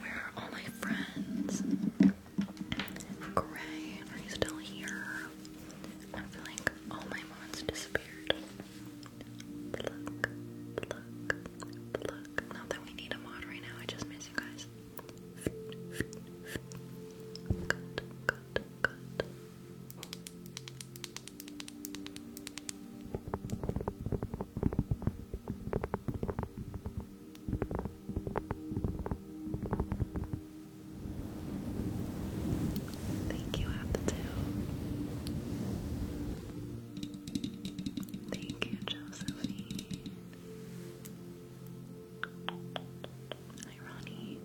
A: we are all my friends? Gray, are you still here? I feel like all my mods disappeared. Pluck, pluck, pluck. Not we need a mod right now, I just miss you guys. Good, good, good. Thank you, Apatu. Thank you, Josephine. Hi, Ronnie.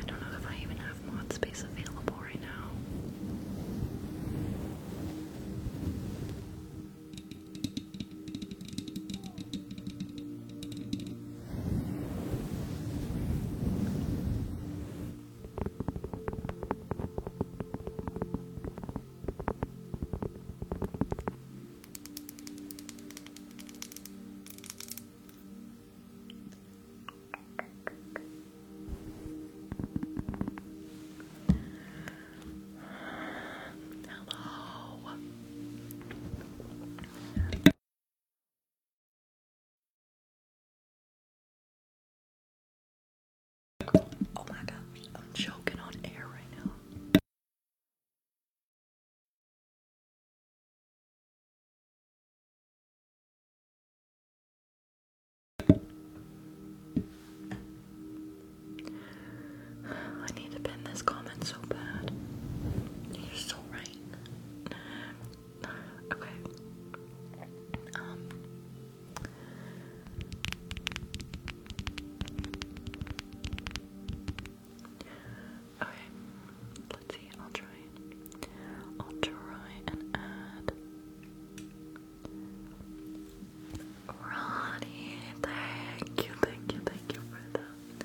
A: I don't know if I even have mod space available right now. Hello. Oh my gosh, I'm choking on air right now. I need to pin this comment so bad. You're so right. Okay. Um, Okay, let's see. I'll try. I'll try and add Ronnie. Thank you, thank you, thank you for that.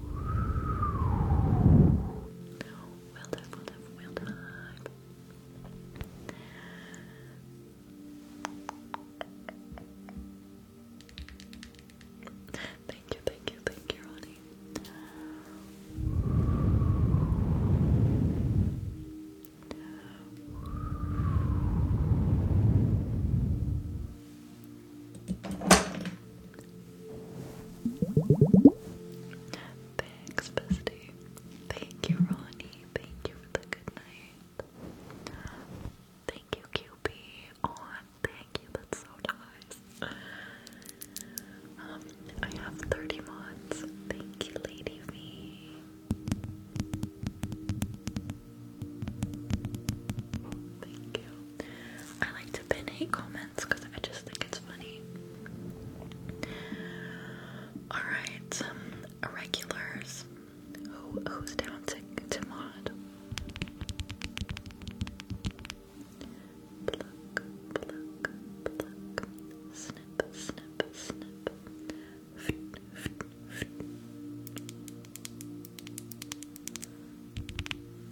A: Well done, well done, well done. Thank you, thank you, thank you, Ronnie. Thanks, bestie. Thank you, Ronnie. Thank you for the good night. Thank you, QB, Thank you, that's so nice. Um, I have 30 mods. Thank you, Lady V. Thank you. I like to pin hate comments because I just think it's funny. Alright, um, Who, who's down to, to Pluck, pluck, pluck. Snip, snip, snip.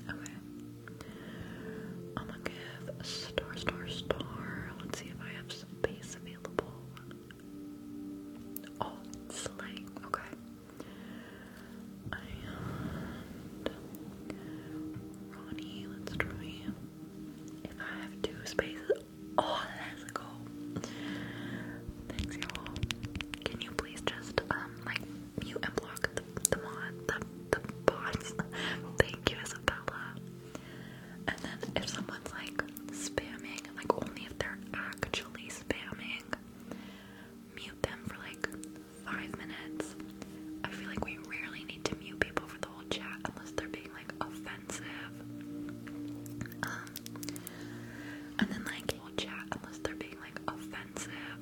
A: Okay. I'm gonna give star, star, star. Let's see if I have some space available. Oh, slang. Okay. Ronnie, let's try if I have two spaces. Oh, that's cool. Thanks, y'all. Can you please just um like mute and block the mod the the bots? Thank you, Isabella. And then if someone's like spamming, like only if they're actually spamming, mute them for like five minutes. I feel like we rarely need to mute people for the whole chat unless they're being like offensive. Um, and then like whole chat unless they're being like offensive.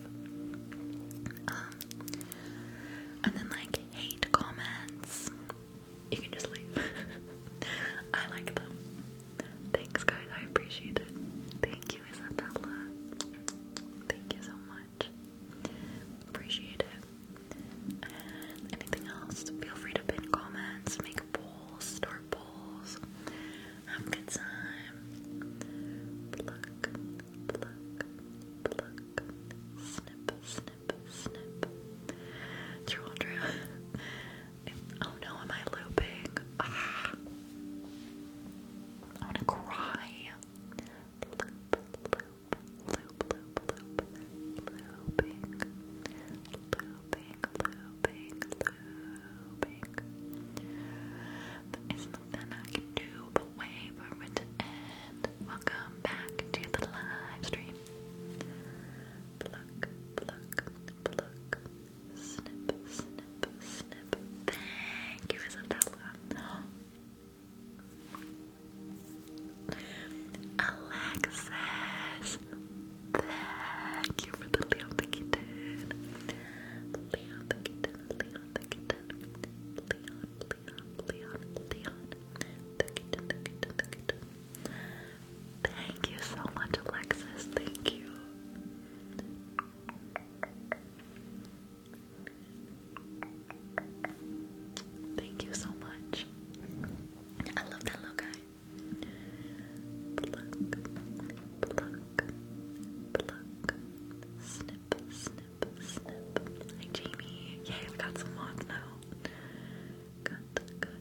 A: Um, and then like hate comments. You can just leave. I like them. Thanks guys, I appreciate it. Thank you, Isabella. Thank you so much much. Appreciate it. anything else, feel free to pin comments, make polls, start polls. Have a good time. Pluck, pluck, pluck. Snip, snip, snip. True Andrea. oh no, am I looping? Ah. I wanna cry. There is nothing I can do but wait for to end. Welcome back to the live stream. Snip, snip, snip. Thank you, Isabella. Alexis, thank you for the Leon the kitten. Leon Leon
B: Leon, Leon, Leon, Leon, Thank you so much, Alexis. Thank you. Thank you so much. I love that little guy. Pluck, pluck, pluck, snip, snip, snip. Hi Jamie. Yay, we got some mods now. Good, good, good.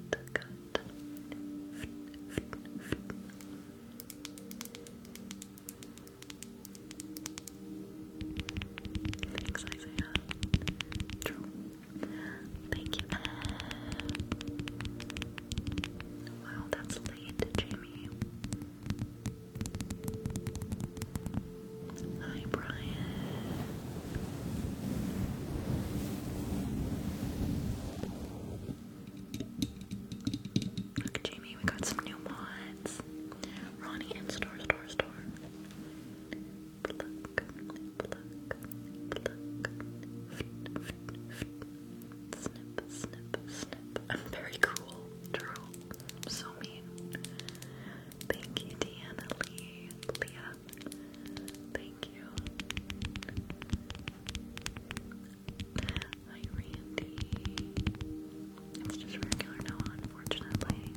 B: Thanks, Isaiah. True. Thank you. Wow, that's late, Jamie. Hi, Brian. Look, Jamie, we got some new mods. Ronnie and Star Star Star. I'm very cool, Drew. so mean. Thank you, Deanna Lee. Leah. Thank you.
A: Hi, it's just regular now, unfortunately.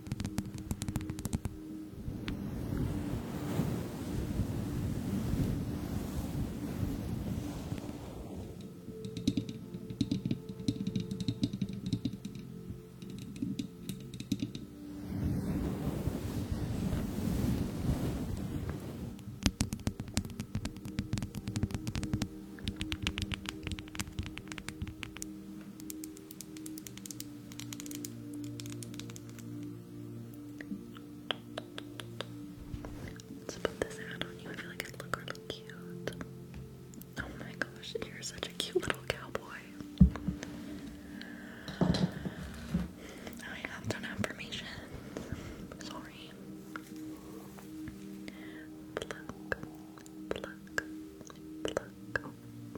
A: Let's put this hat on you. I feel like i look really cute. Oh my gosh, you're such a cute little cowboy. I have done affirmations. Sorry. Pluck,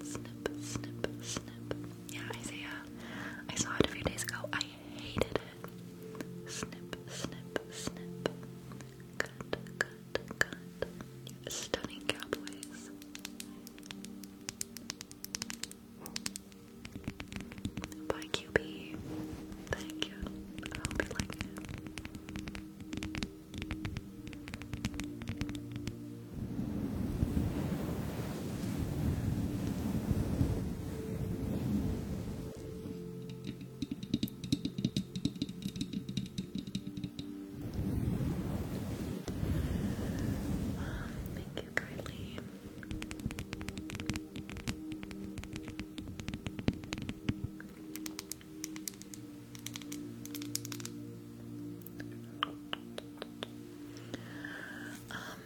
A: snip, snip, snip. Yeah, Isaiah, uh, I saw it a few days ago.
B: I hated it. Snip, snip, snip. Cut, cut, cut. Stunning cowboys. By QB. Thank you. I hope you like it.
A: Thank you, Carly. Um,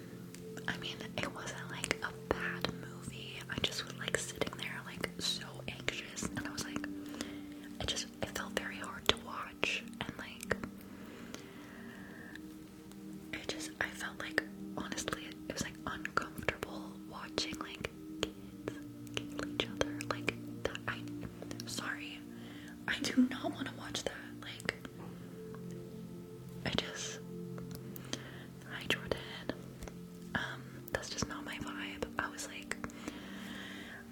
A: I mean, it wasn't like a bad movie. I just was like sitting there, like so anxious, and I was like, it just it felt very hard to watch, and like, it just I felt like honestly, it was like uncomfortable watching like kids kill each other. Like, sorry, I do not want to watch that. Like, I just, hi Jordan. Um, that's just not my vibe. I was like,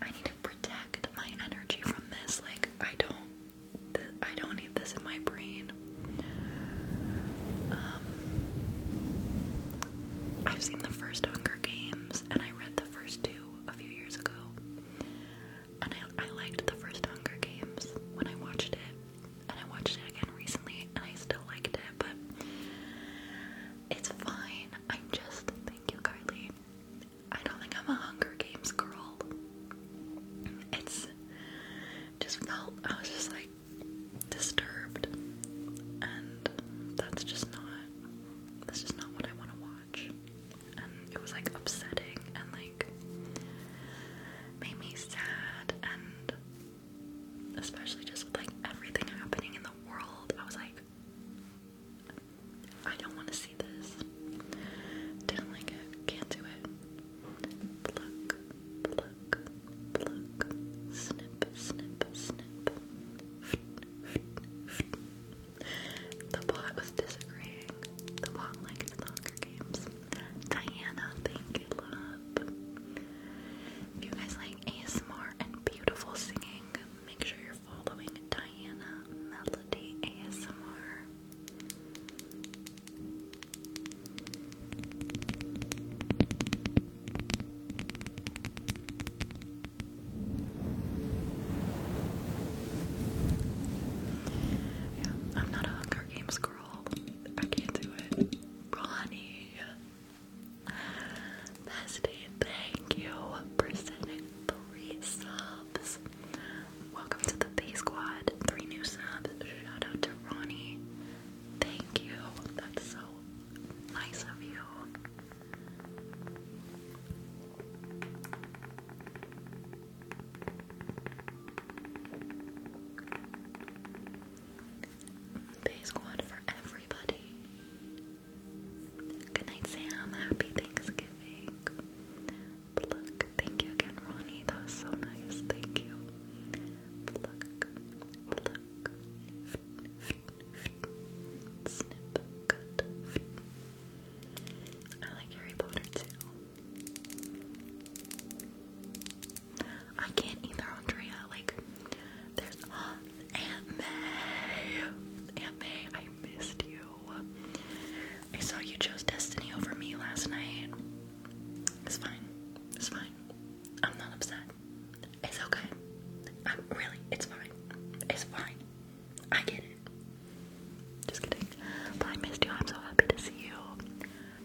A: I need to protect my energy from this. Like, I don't, I don't need this in my brain. Um, I've seen the first Hunger Games and I read the first two a few years ago. And I, I liked the first Hunger Games when I watched it, and I watched it again recently, and I still liked it, but it's fine. I'm just, thank you, Kylie. I don't think I'm a Hunger Games girl. It's just felt, I was just like disturbed, and that's just not this is not what I want to watch. And it was like upsetting and like made me sad and especially just with like everything happening in the world, I was like, I don't want to see this. Didn't like it. Can't do it.
B: Pluck, pluck, pluck. Snip, snip, snip. The bot was disagreeing. The bot likes longer games. Diana,
A: thank you, love. If you guys like ASMR and beautiful singing, make sure you're following Diana Melody ASMR. Yeah, I'm not a Hunger Games girl. I can't do it. Ronnie. Bestie, thank you for sending three subs. Welcome to the Bay Squad. Three new subs. Shout out to Ronnie. Thank you. That's so nice of you. Day squad for everybody. Good night, Sam. Happy Thanksgiving. Pluck. Thank you again, Ronnie. That was so nice. Thank you. Pluck. Pluck. I like Harry Potter too. I can't either, Andrea. Like, there's uh, Aunt May. Aunt May, I missed you. I saw you chose Destiny over me last night. It's fine. It's fine. I'm not upset. It's okay. I'm really, it's fine. It's fine. I get it. Just kidding. But I missed you. I'm so happy to see you.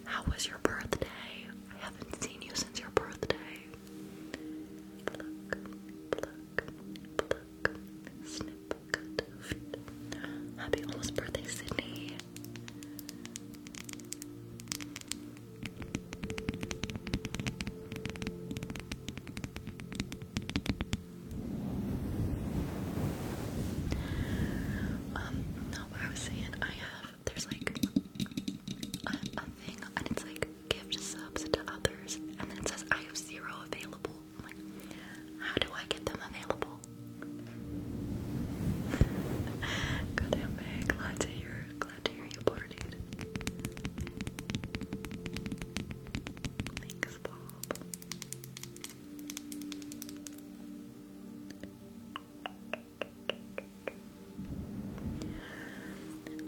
A: How was your birthday? I haven't seen you since your birthday. Pluck, pluck, pluck, snip, Happy almost birthday, Sydney. Um, no, but I was saying I have there's like a, thing and it's like gift subs to others and then it says I have zero available. like, how do I get them available? God damn it, glad to hear glad to hear you boarded.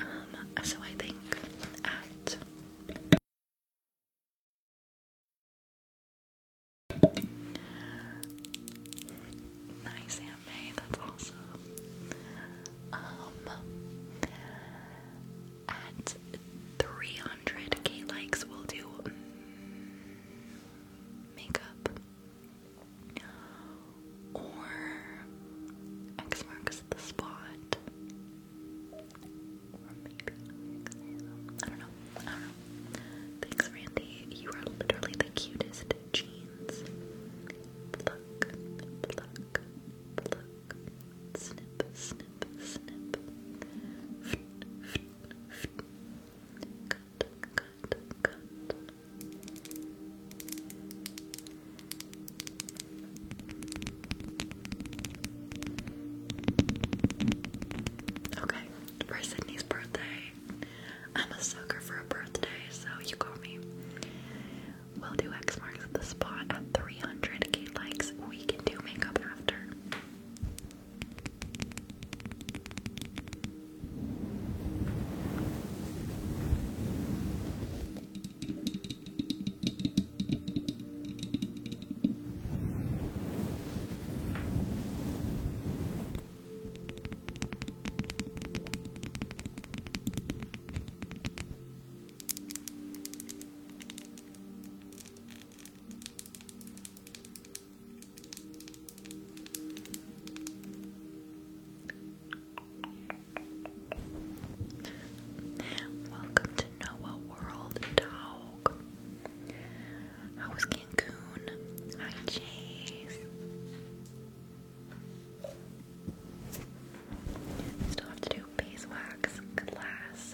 A: Um, so I think at Nice Aunt that's awesome. Um, at 300k likes, we'll do makeup or X marks the spot. Or maybe
B: I don't know. I don't know. Thanks, Randy. You are literally the cutest jeans. Pluck, pluck, pluck. Snip, snip, snip.
A: Okay, for Sydney's birthday. I'm a sucker for a birthday, so you call me. We'll do X marks the spot at 300k likes. We can do makeup after. Welcome to Noah World Dog. How was Cancun? Hi, Chase. Still have to do beeswax glass.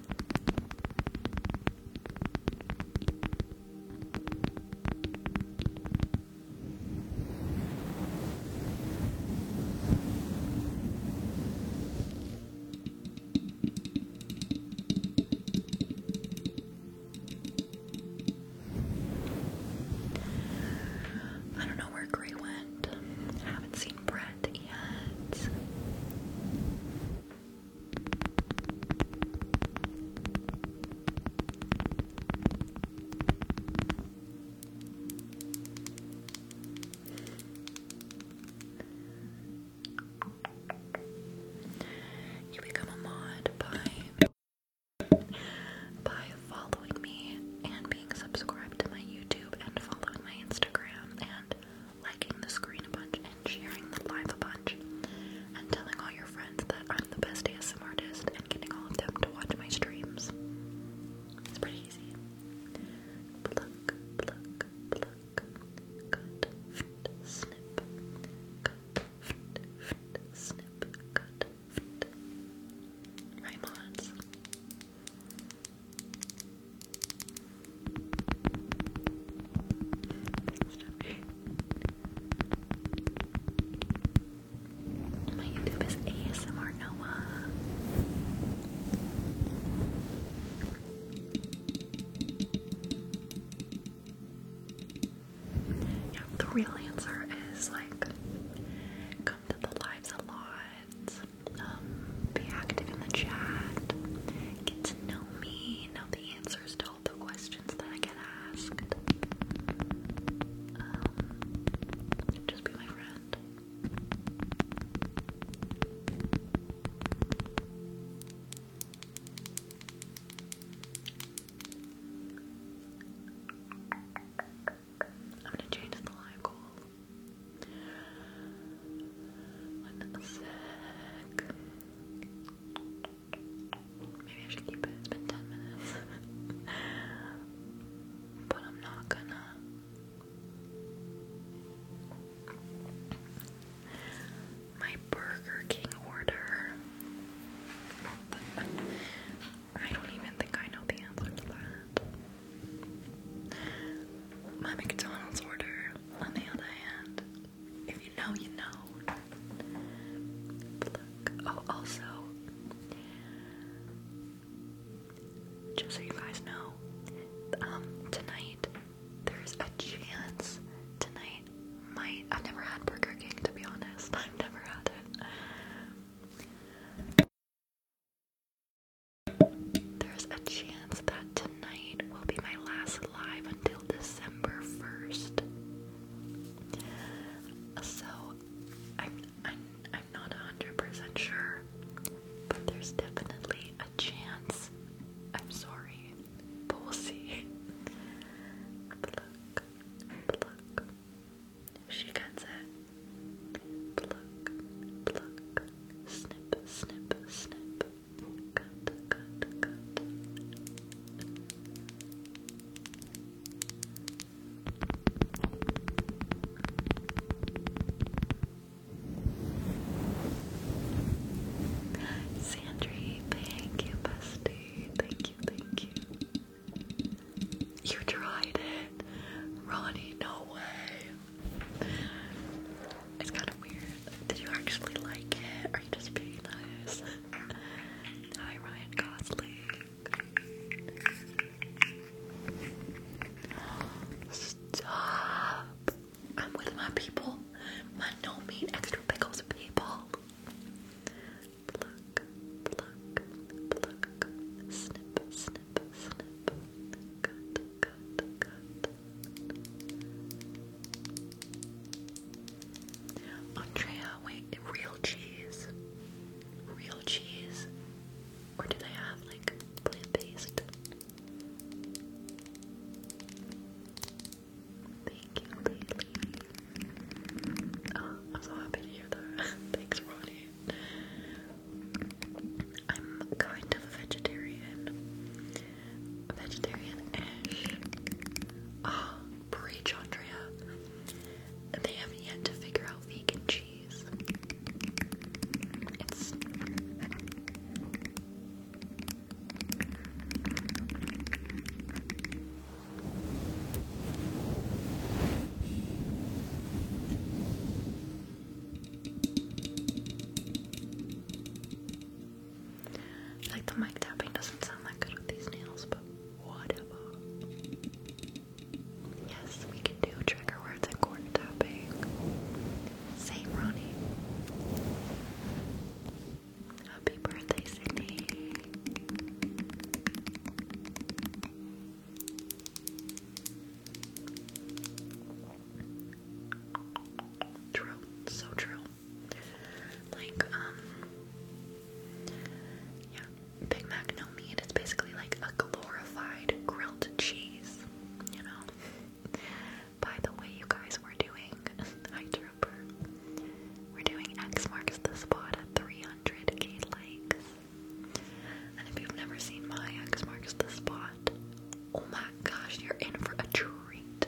A: I don't know where Gray went. haven't seen Brett yet. You become a mod by by following me and being subscribed to my YouTube and following my Instagram and liking the screen a bunch, and sharing the live a bunch, and telling all your friends that I'm the best ASMR artist, and getting all of them to watch my streams. It's pretty easy. Pluck, pluck,
B: pluck. Cut, snip. Cut, fit, fit, snip. Cut, fit.
A: My YouTube is ASMR Noah. the real answer is like come to the lives a lot. Um, be active in the chat, get to know me, know the answers to all the questions that I get asked. Um, just be my friend. I'm gonna change the live goal. Maybe I should keep it. It's been 10 minutes. but I'm not gonna. My Burger King order. I don't even think I know the answer to that. My McDonald's order on the other hand, if you know, you know. Oh, also, just so you guys know, um, tonight there's a chance. Tonight might. I've never had Burger King, to be honest. I've never had it. There's a chance that tonight will be my last live until December 1st. So I'm I'm I'm hundred percent sure, but there's definitely a chance. I'm sorry, but we'll see. Pluck, pluck. She gets it. Pluck, pluck. Snip, snip, snip. Good, thank you, bestie. Thank you, thank you. You tried it. Ronnie, no way. It's kind of weird. Did you actually like it? Or just being nice? Hi, Ryan Gosling. Stop. I'm with my people. My no mean extra pickles people. Pluck, pluck, pluck. Snip, snip, snip. Andrea, wait, real cheese? Real cheese? Or did I have like plant based? Thank you, Bailey. Oh, I'm so happy to hear that. Thanks, Ronnie. I'm kind of a vegetarian vegetarian-ish. Uh, ah, preach, Andrea. They haven't yet to figure out vegan cheese. It's like the mic tapping doesn't sound that good with these nails, but whatever. Yes, we can do trigger words and corner tapping. Same, Ronnie. Happy birthday, Sydney. True, so true. Like, um, yeah, Big Mac no meat. It's basically like a glorified grilled cheese, you know. By the way, you guys, we're doing Hi We're doing X marks the spot at 300k likes. And if you've never seen my X marks the spot, oh my gosh, you're in for a treat.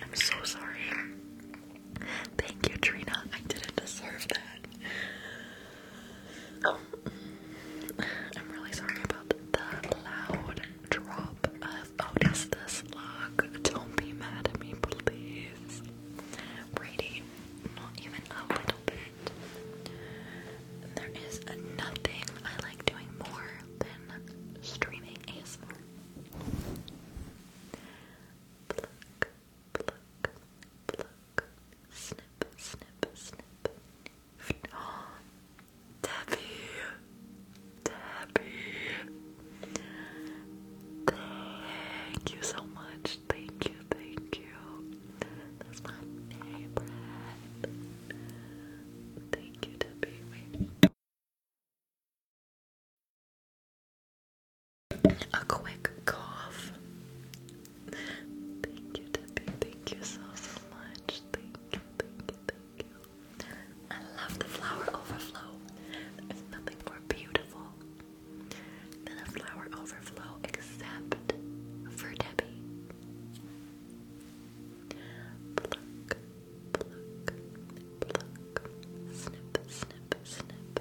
A: I'm so sorry. Thank you, Trina.
B: I didn't deserve that. Oh. I'm really sorry about the loud drop of Otis oh, this Don't be mad at me,
A: please. Brady, not even a little bit. There is nothing I like doing more than streaming ASMR.
B: snip, snip, snip. Debbie,
A: Debbie, thank you so much. Thank you, thank you. That's my favorite. Thank you, Debbie. A quick cough. Thank you, Debbie. Thank you so, so much. Thank you, thank you, thank you. I love the flower overflow. There's nothing more beautiful than a flower overflow except for Debbie. Pluck,
B: pluck, pluck. Snip, snip, snip.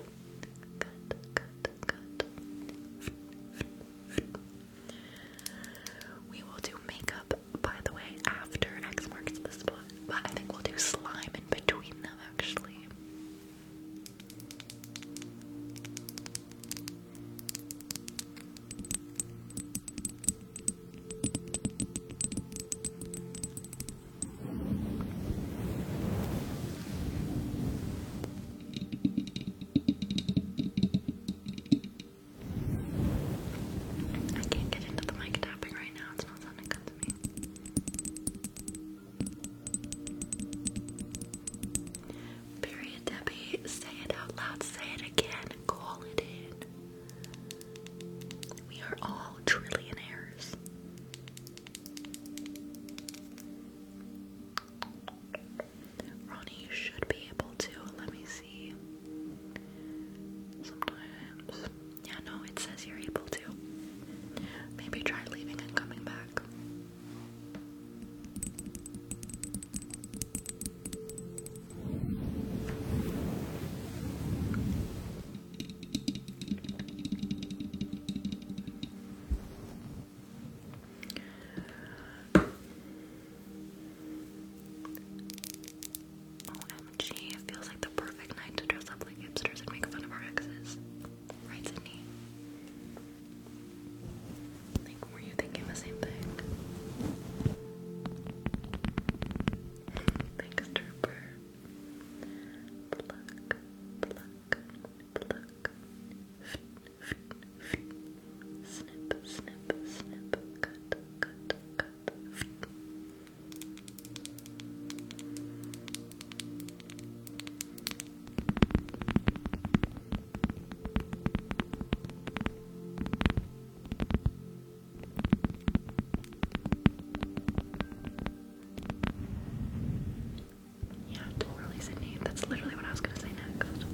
B: Cut, cut, cut.
A: We will do makeup, by the way, after X marks the spot. But I think we'll do slime in between them, actually. I can't get into the mic tapping right now, it's not sounding good to me. Period, Debbie. Say it out loud. Say it again. Call it in. We are all trillionaires. Ronnie, should be able to. Let me see. Sometimes. Yeah, no, it says you're able to. Maybe try leaving and coming back. OMG, it feels like the perfect night to dress up like hipsters and make fun of our exes. Right, Sydney? Like, were you thinking the same thing? Thanks, Trooper. Pluck, pluck, pluck. Snip, snip, snip. Cut, cut, cut. Yeah, totally Sydney. That's literally what I was gonna say next.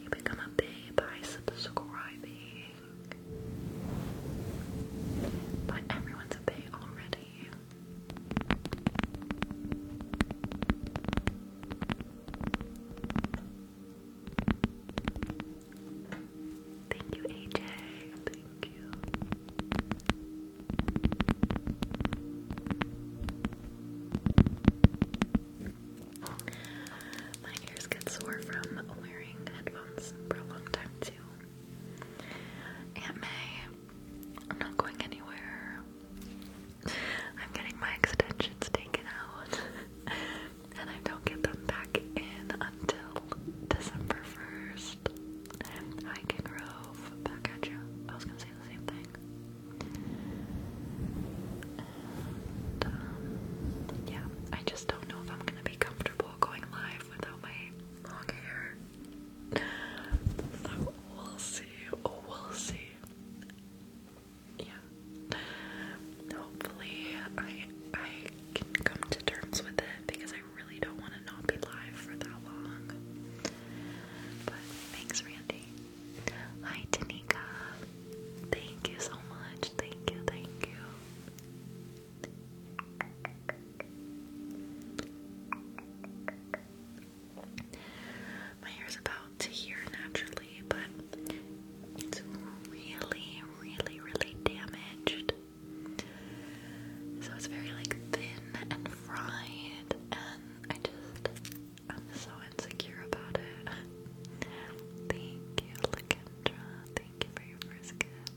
A: You become a babe by subscribing. But everyone's a already. Thank you, AJ. Thank you. My ears get sore from wearing headphones for a long time, too. May, I'm not going anywhere. I'm getting my extensions taken out, and I don't get them back in until December 1st. I can Grove, back at you. I was gonna say the same thing. Um, yeah, I just don't know if I'm gonna be comfortable going live without my long hair. So we'll see. We'll see. Yeah. Hopefully, I I can come to terms with it because I really don't want to not be live for that long. But thanks, Randy. Hi, Tanika. Thank you so much. Thank you. Thank you. My hair's about to hear naturally, but it's really, really, really damaged. So it's very like thin and fried, and I just I'm so insecure about it. Thank you, Lakendra. Thank you for your first gift.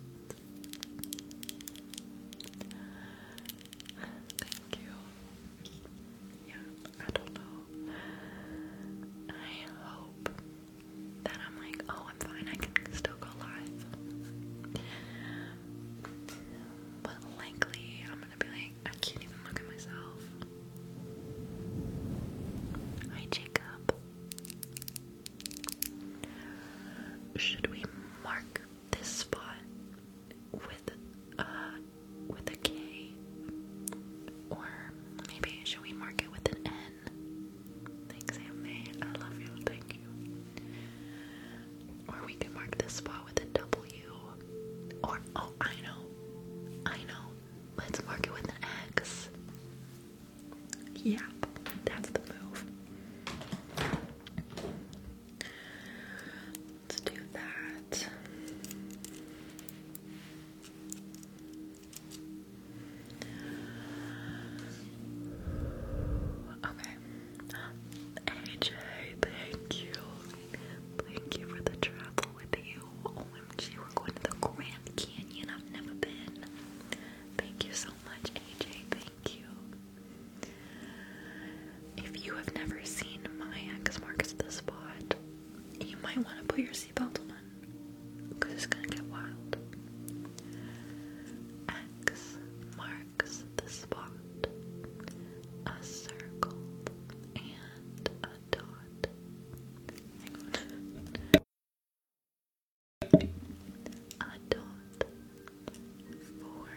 A: Thank you. Yeah, I don't know. I hope that I'm like, oh, I'm fine. I can still go live. But likely, I'm gonna be like, I can't even look at myself. Hi, Jacob. Should we mark this spot with uh with a K? Or maybe should we mark it with an N? Thanks, Amy. I love you, thank you. Or we can mark this spot with a W. Or oh I know. I know. Let's mark it with an X. Yeah, that's the move. Let's do that. Okay. AJ, thank you. Thank you for the travel with you. OMG, we're going to the Grand Canyon. I've never been. Thank you so much, AJ you. If you have never seen my X marks the spot, you might want to put your seatbelt on because it's gonna get wild. X marks the spot. A circle and a dot. A dot. Four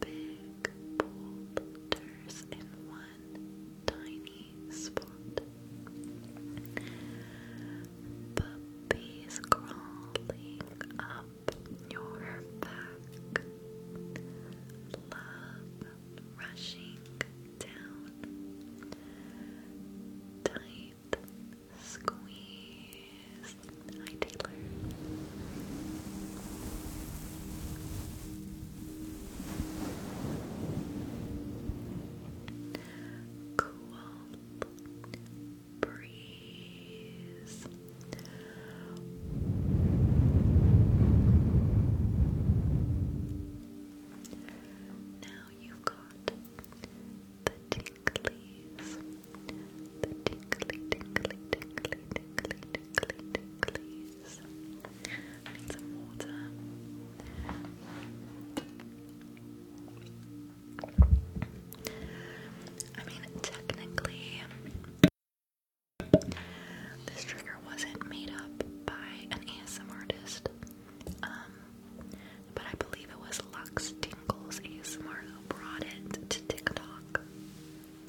A: big boulders in one tiny spot. Puppies crawling up your back. Love rushing down. Tight Squeeze. Hi, Taylor. Cool. Breeze. Now you've got the tea ticklies. need some water. I mean, technically, this trigger wasn't made up by an ASM artist, but I believe it was as Lux Tingles ASMR who brought it to TikTok.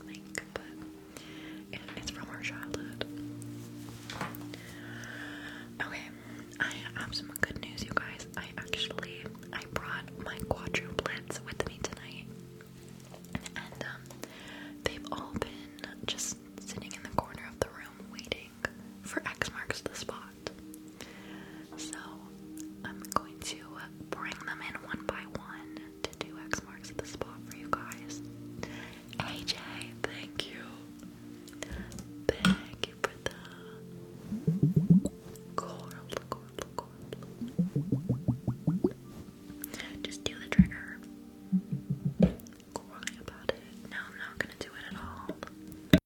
A: Like, but it's from our childhood. Okay, I have some good news, you guys. I actually I brought my quadruplets with me tonight, and um, they've all been just sitting in the corner of the room waiting for X marks the spot. So I'm going to bring them in one by one to do X marks at the spot for you guys. AJ, thank you. Thank you for the coral, coral, coral. Just do the trigger. No, I'm not gonna do it at all.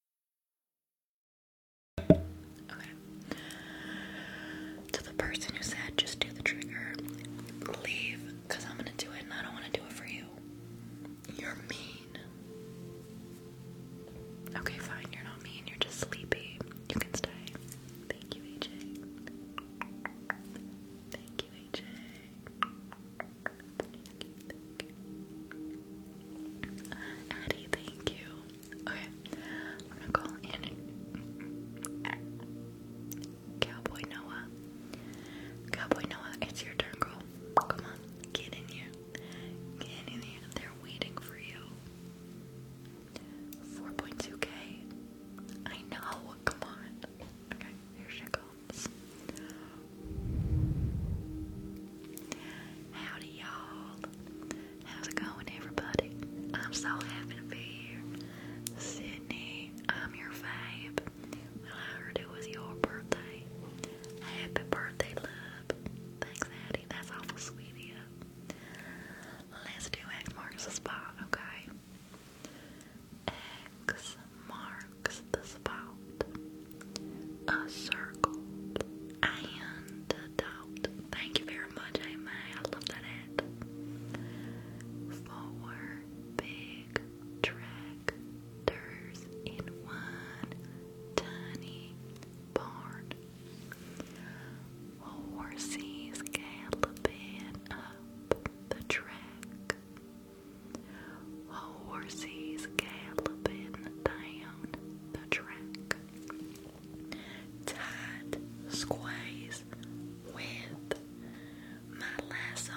A: To the person who said, just do the trigger, leave, because I'm going to do it I don't want to do it for you. You're mean. Okay, fine. You're not mean. You're just sleepy. You can stay. Thank you, AJ. Thank you, AJ. Thank thank you. Okay, I'm gonna call in Cowboy Noah. Cowboy Noah, it's your turn, girl. Come on, get in here. Get in here. They're waiting for you. 4.2k. I know, come on. Okay, here she comes. Howdy, y'all. How's it going, everybody? I'm so happy to be here. Sydney, I'm your fave. I heard it was your birthday. Happy birthday, love. Thanks, Addie. That's awful sweet Let's do X marks the spot, okay? X marks the spot. A circle and a dot. Thank you very very much, Four big tractors in one tiny barn. Horses galloping up the track. Horses galloping down the track tight squeeze with my lasso.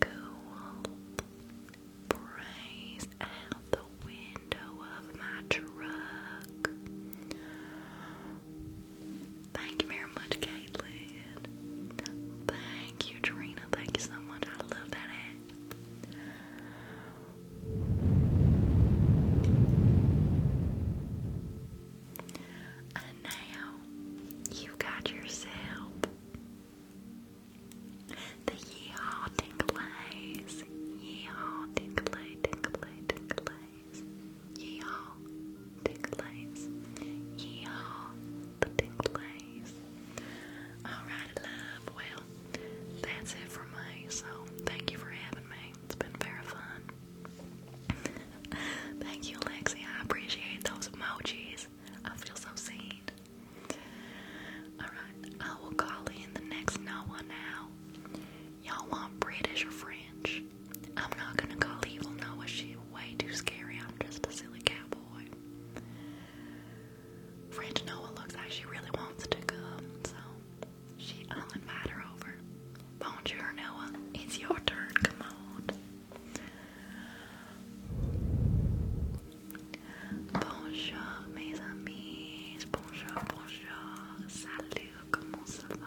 A: Cool breeze out the window of my truck. Thank you very much, Caitlin. Thank you, Trina. Thank you so much. I love that hat. And now you got yourself the yeehaw tinklays. Yeehaw tinklay, tinklay, tinklays. Yeehaw tinklays. Yeehaw Alright, love. Well, that's it for me. So, thank you for having me. It's been very fun. thank you, Lexi. I appreciate those emojis. I feel so seen. Alright, I will call in the next Noah now. Y'all want British or French? I'm not gonna call evil Noah shit way too scary. I'm just a silly cowboy. Friend Noah looks like she really wants to come, so she will invite her over. Bonjour, Noah. It's your turn. Come on. Bonjour, mes amis. Bonjour, bonjour. Salut. Comment ça va?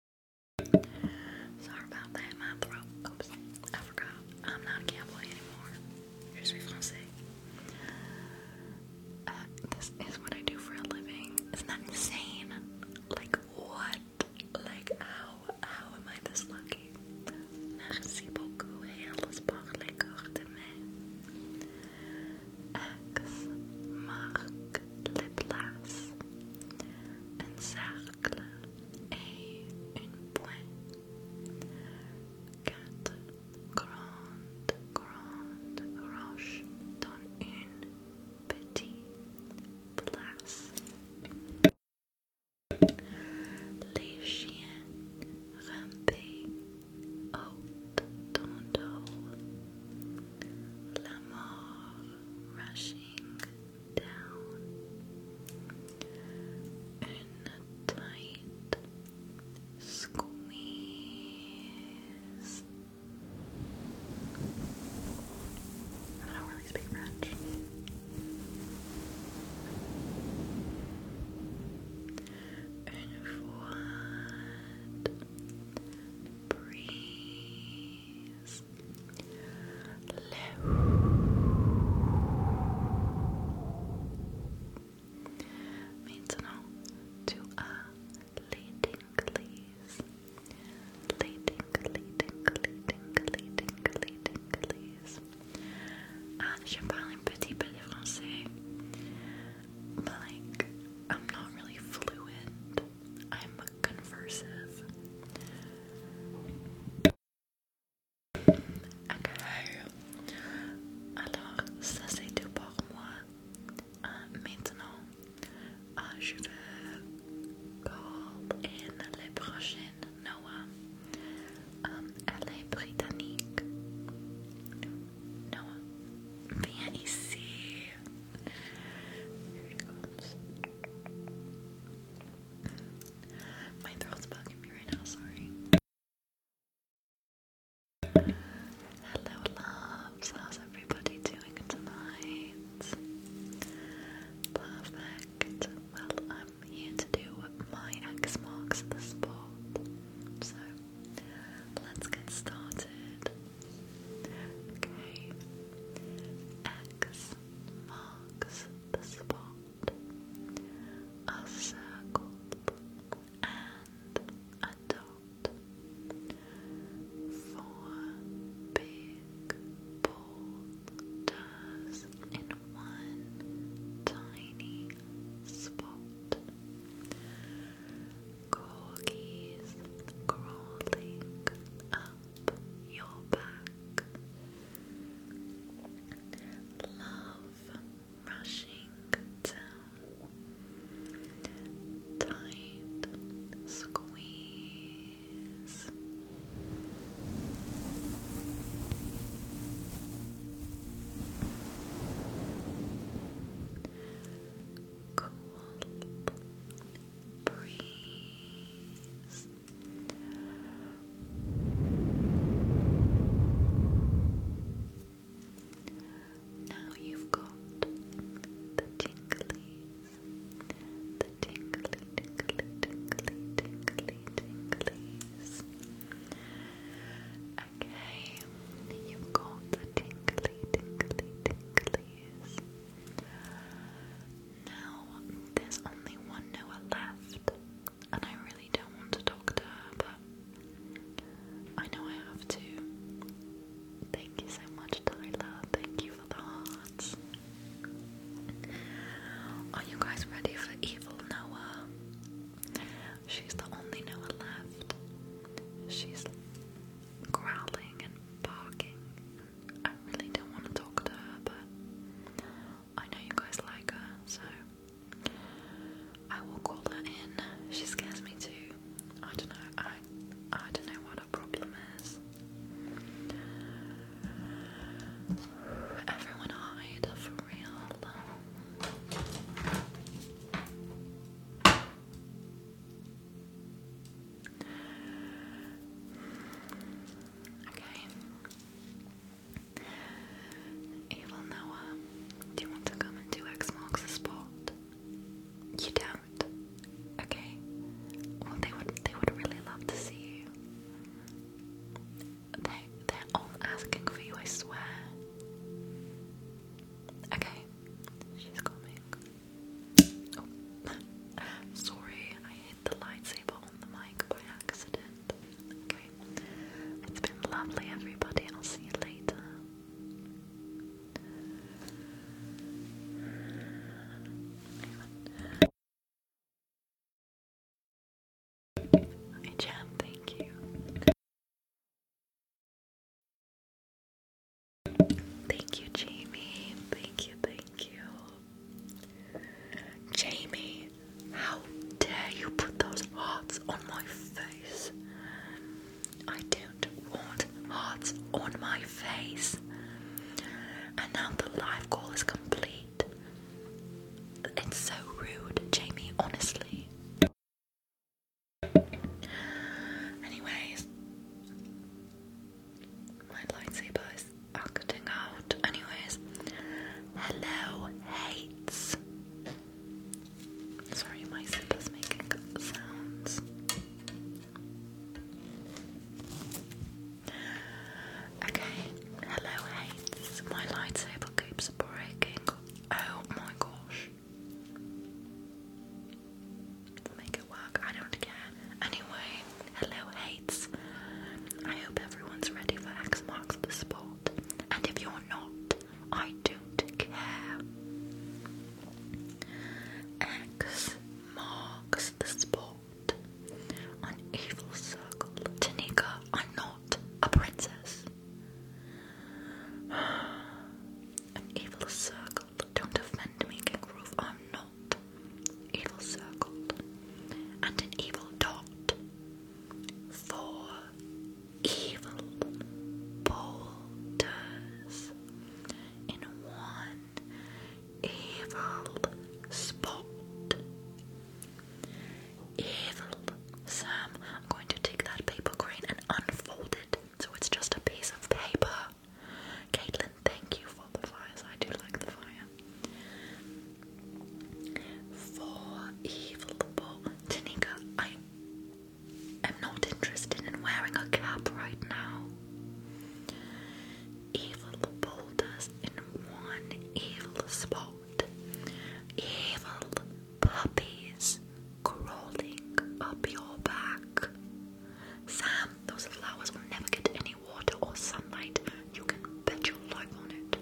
B: Sorry about that, my throat. Oops, I forgot. I'm not a cowboy anymore. Je suis français. Uh, this is what I
A: do for a living. Isn't that insane? Like, what? Like, how? How am I this lucky? Merci beaucoup et alles par les X
B: marque les places. Encercle et une pointe. Quatre grandes, grandes roches dans une petite place. Les chiens rampaient haut dans dos. La mort rushing down and tight squeeze.
A: I don't really speak French. Une fois, breathe. Maintenant, tu as les tingleys. Les tingleys, tingleys, tingleys, tingleys, tingleys. Ah, je parle un petit peu de français. But I'm not really fluent. I'm conversive. Alors, ça c'est tout pour moi. Euh, maintenant, ah, je veux call la les Noah.
B: Um, elle est britannique. Noah, viens ici. My throat's bugging me right now, sorry.
A: Hello, loves. How's everybody doing tonight? Perfect. Well, I'm here to do my X marks the spot. So, let's get started. Okay.
B: X marks the spot a circle, and a dot. Four big boulders in one tiny spot. Corgis crawling your back. Love rushing down. Tight squeeze.
A: Cool breeze now you've got the tinglies, the tingly, tingly, tingly, tingly, tinglies. Okay, you've got the tingly, tingly, tinglies. Now there's only one Noah left, and I really don't want to talk to her, but I know I have to. Thank you so much, Tyler. Thank you for the hearts. Are you guys ready for evil Noah? She's the only Noah left.
B: She's growling and barking. I really don't want to talk to her,
A: but I know you guys like her, so I will call her in. She scares me too. I don't know. I I don't know what a problem is. Everyone hide for real. Okay. Evil Noah, uh, do you want to come and do X spot? You don't. Okay. Well, they would. They would really love to see you. They. They're all asking for you. I swear. Okay. She's coming. Oh. Sorry, I hit the lightsaber on the mic by accident. Okay. It's been lovely, everybody. I'll see you later. Hey, Jam, thank you. Thank you, Jamie. Thank you, thank you. Jamie, how dare you put those hearts on my face? I don't want hearts on my face. And now the live call is complete. It's so rude, Jamie, honestly. Anyways, my lightsaber acting out. Anyways, hello, hates. Sorry, my zipper's making sounds. Okay, hello, hates. My lightsaber keeps breaking. Oh my gosh. Make it work, I don't care. Anyway, hello, hates. I hope everyone's ready for X Marks the Spot, and if you're not, I don't care. X marks the spot. An evil circle. Tanika, I'm not a princess. An evil circle. Don't offend me, King Roof. I'm not. Evil circle. And an evil dot four evil boulders in one evil spot. Evil Sam, I'm going to take that paper crane and unfold it so it's just a piece of paper. Caitlin, thank you for the fires. I do like the fire. For Evil Tanika, I am not interested in wearing a cap right now. Evil boulders in one evil spot. Evil puppies crawling up your back. Sam, those flowers will never get any water or sunlight. You can bet your life on it.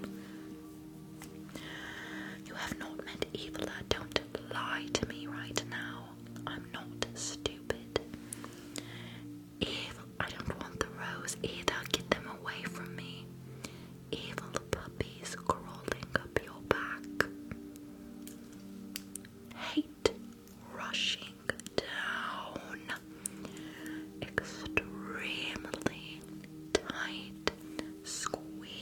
A: You have not meant evil. Don't lie to me right now. I'm not stupid. Evil. I don't want the rose either. Get them away from me. Evil puppies crawling up your back. Hate rushing
B: down. Extremely tight squeeze.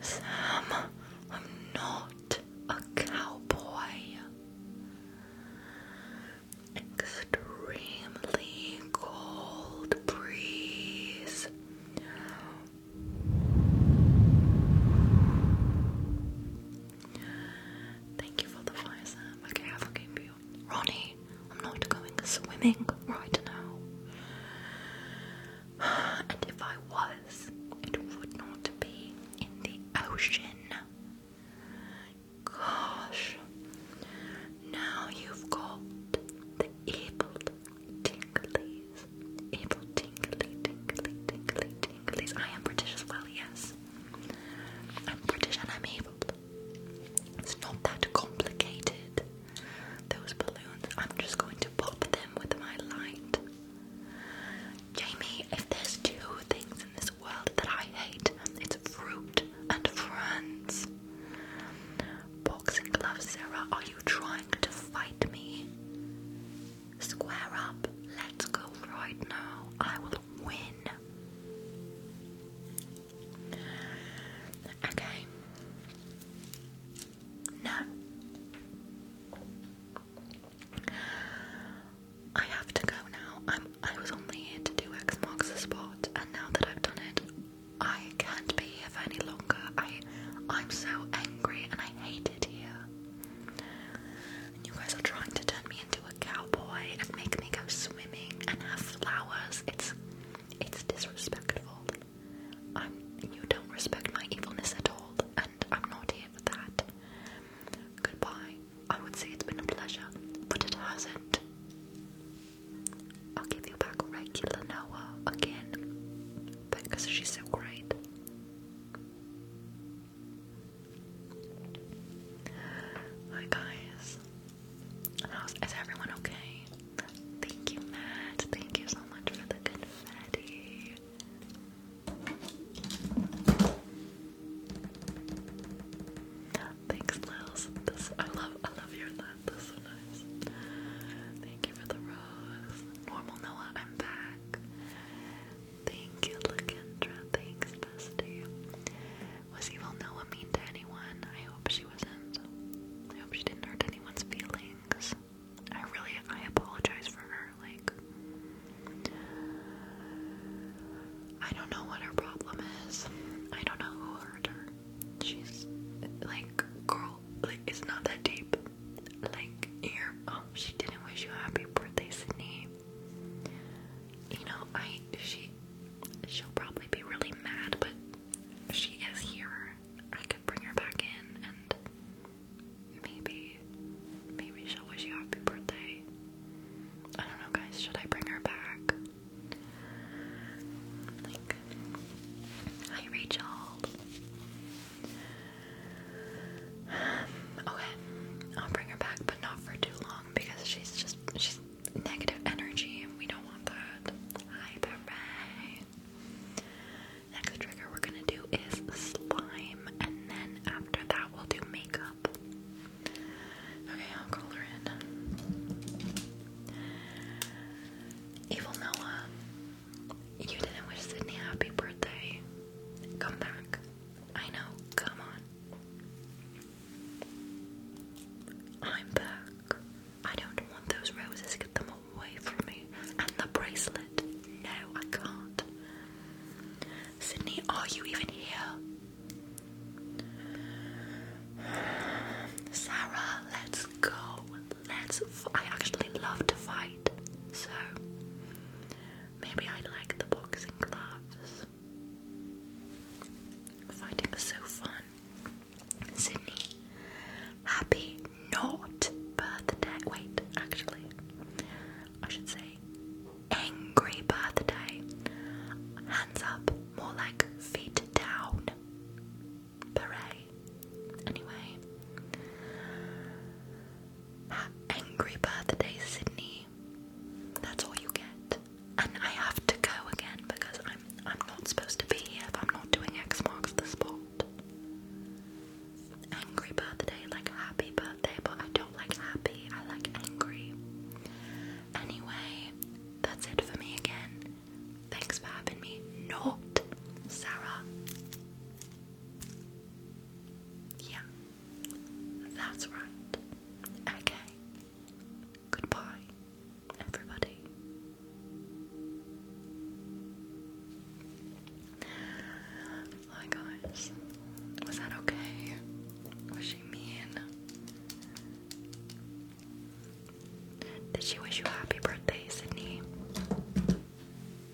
B: Sam,
A: I'm not a cowboy. Extremely cold breeze Thank you for the fire, Okay, I forgive you. Ronnie, I'm not going swimming right now. And if I was, it would not be in the ocean. Gosh, now you've got the evil Tinglies. April tingly, tingly, tingly, tinglies. I am British as well, yes. I'm British and I'm able. It's not that complicated. Those balloons, I'm just going to pop them with my light. Jamie, if there's two things in this world that I hate, it's fruit and friends. Boxing gloves, Sarah, are are you trying to fight me? Square up. Let's go right now. I will win. Okay. No. I have to go now. i was only here to do X marks the spot and now that I've done it I can't be here any longer. I am so angry and I hate it here. you guys are trying to turn me into a cowboy and make me go swimming and have flowers. It's it's disrespectful. you don't respect my evilness at all, and I'm not here for that. Goodbye. I would say it's been a pleasure, but it hasn't. I'll give you back regular Noah again because she's so great. Hi guys, is everyone okay? Thank you, Matt. Thank you so much for the confetti. Thanks, Lils. This I love. I love your lap. That's so nice. Thank Normal Noah, I'm back. Thank you, Lakendra. Thanks, bestie. Was evil Noah mean to anyone? I hope she wasn't. I hope she didn't hurt anyone's feelings. I really, I apologize for her. Like, I don't know what her problem is. I don't know who hurt her. She's like, girl, like it's not that deep like ear. Oh, she didn't wish you happy birthday, Sydney. You know, I she she'll probably be really mad, but she is here. I could bring her back in, and maybe maybe she'll wish you happy birthday. I don't know, guys. Should I bring her back? hi Rachel. Okay, I'll bring her back, but not for too long because she's
B: just she's negative energy and we don't want that. Hi, Beret. Next trigger we're gonna do is slime, and then after that we'll do makeup. Okay, I'll call her in. Evil
A: Noah, you didn't wish Sydney happy birthday. Come back. I know. Come on. I'm back. I don't want those roses. Get them away from me. And the bracelet. No, I can't. Sydney, are you even here? Sarah, let's go let's. F I actually love to fight, so maybe I like the boxing gloves. Fighting is so fun. Sydney, happy not birthday. Wait, actually, I should say angry birthday. Hands up, more like feet down. Hooray. Anyway, Angry birthday, Sydney. That's all you get.
B: And I have to go again because I'm I'm not supposed to be here if I'm not doing X marks the spot. Angry birthday,
A: like happy birthday, but I don't like happy, I like angry. Anyway, that's it for me again. Thanks for having me. Not Sarah. Yeah, that's right. Okay. Goodbye, everybody. Hi, guys. Was that okay? Was she mean? Did she wish you happy birthday, Sydney?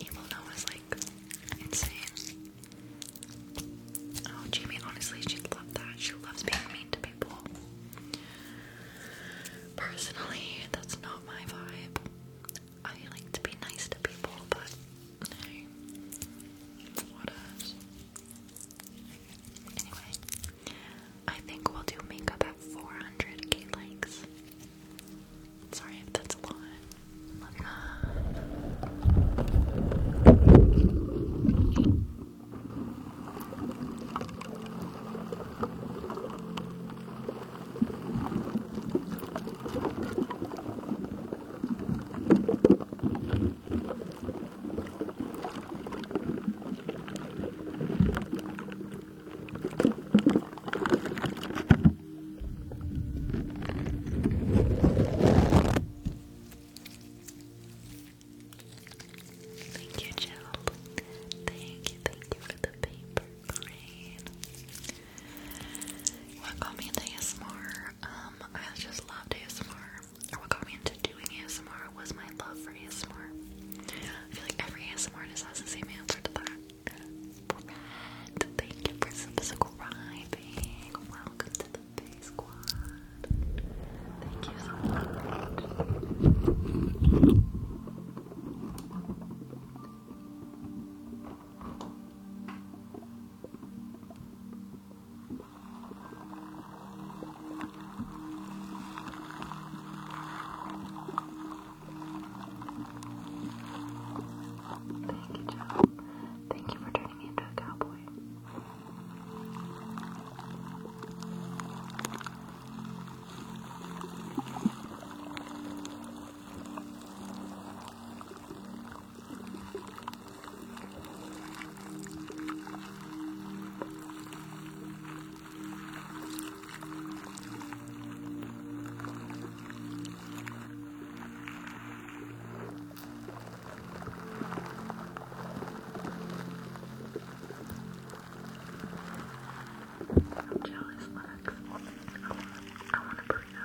A: Evil Noah was like insane. Oh, Jamie, honestly, she loves that. She loves being mean to people. Personally, that's not my vibe. I like to be nice to people, but Anyway, I think we'll do makeup at 400k likes. Sorry if that's a lot. Moving on. Thank you, Jill. Thank you, for the paper crane. Welcome in ASMR. Um, I just loved ASMR. Or what got me into doing ASMR was my love for ASMR. I feel like every ASMR artist has the same answer to that. thank you for subscribing. Welcome to the Bay Squad. Thank you so much. Thank you, Joe. Thank you for turning me into a cowboy. I'm jealous, Lex. I want to burrito.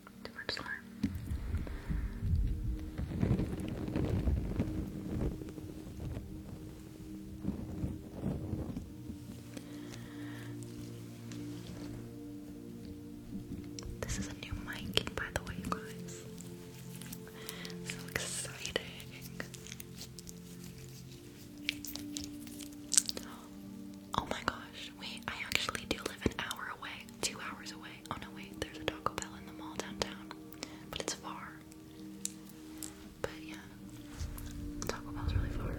A: This is a new mic, by the way, guys. So exciting. Oh my gosh, gosh, wait, I actually do live an hour away, two hours away. Oh no, wait, there's a Taco Bell in the mall downtown, but it's far. But yeah, Taco Bell's really far.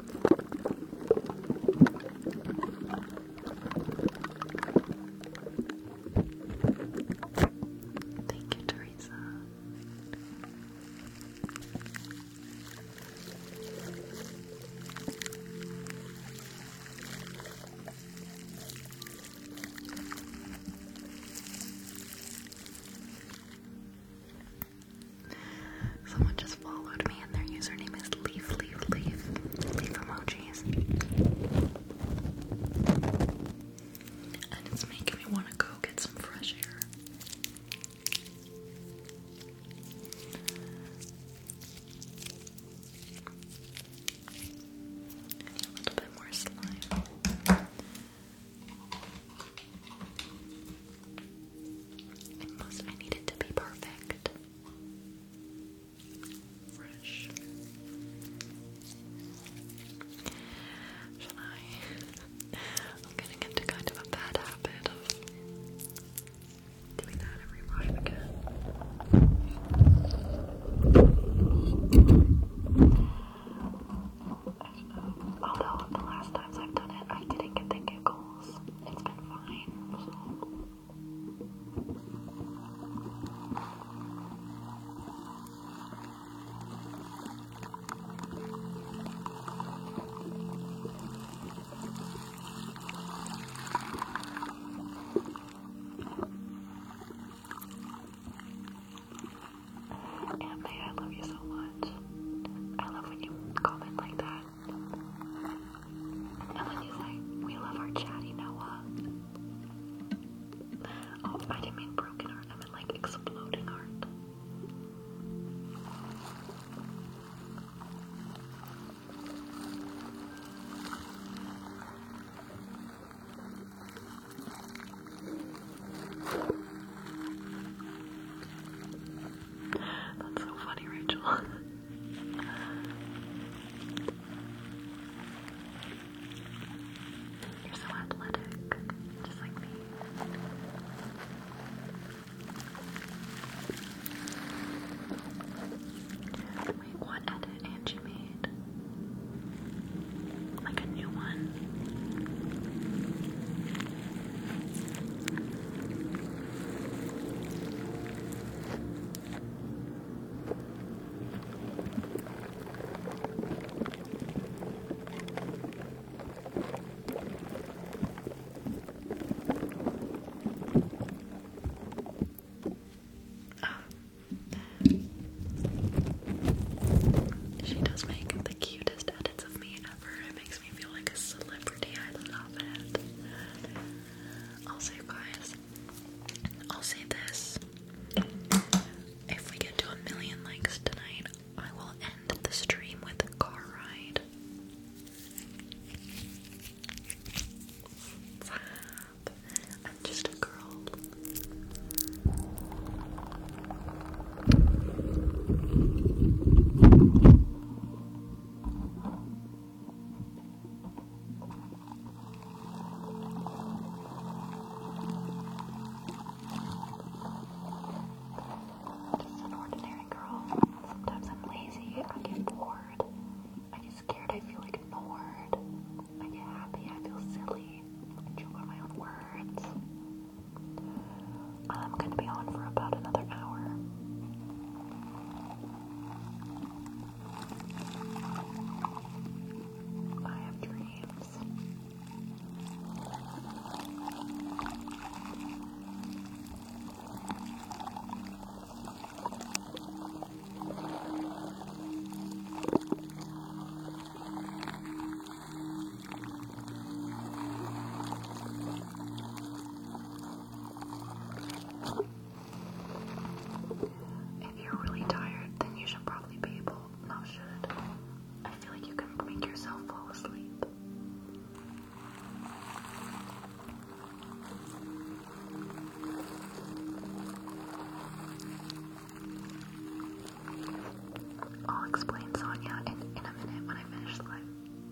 A: Thank you, Teresa. Someone just followed me and their username is leaf leaf leaf leaf emojis. And it's making me want to go get some fresh air. a little bit more slime. And I need to be perfect. Fresh. Shall I? I'm getting into kind of a bad habit of doing that every brush again. Although the last times I've done it, I didn't get the giggles it's it's been fine. I love you so much. I love when you comment like that. And when you say, we love our chatty Noah. Oh, I didn't mean broken heart, I meant like exploding heart. That's so funny, Rachel. You're so athletic, just like me. Wait, what edit had you made? Like a new one? She does make the cutest edits of me ever. It makes me feel like a celebrity. I love it. Also, guys, I'll say this. If we get to a million likes tonight, I will end the stream with a car ride. I'm just a girl. I'm just an ordinary girl. Sometimes I'm lazy, I get bored, I get scared, I feel ignored, I get happy, I feel silly, I joke on my own words. I'm gonna be on for about another hour. I have dreams. If you're really tired, then you should probably be able, not should. I feel like you can make yourself fall asleep. I'll explain Sonya, in, in a minute when I finish the live.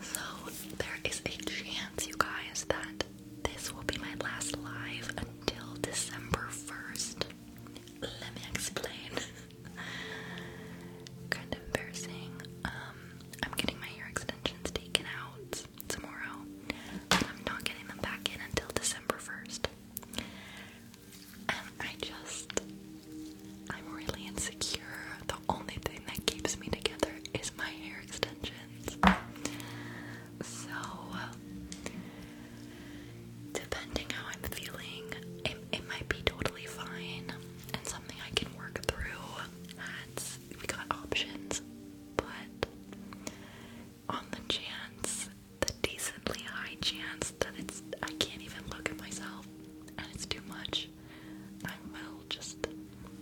A: So, there is a chance, you guys, that this will be my last live until December 1st. Let me explain. kind of embarrassing. Um, I'm getting my hair extensions taken out tomorrow. I'm not getting them back in until December 1st. And I just, I'm really insecure. The only thing that keeps me together is my hair extensions. So, depending how I'm feeling, it, it might be totally fine and something I can work through. we got options, but on the chance, the decently high chance that it's I can't even look at myself and it's too much, I will just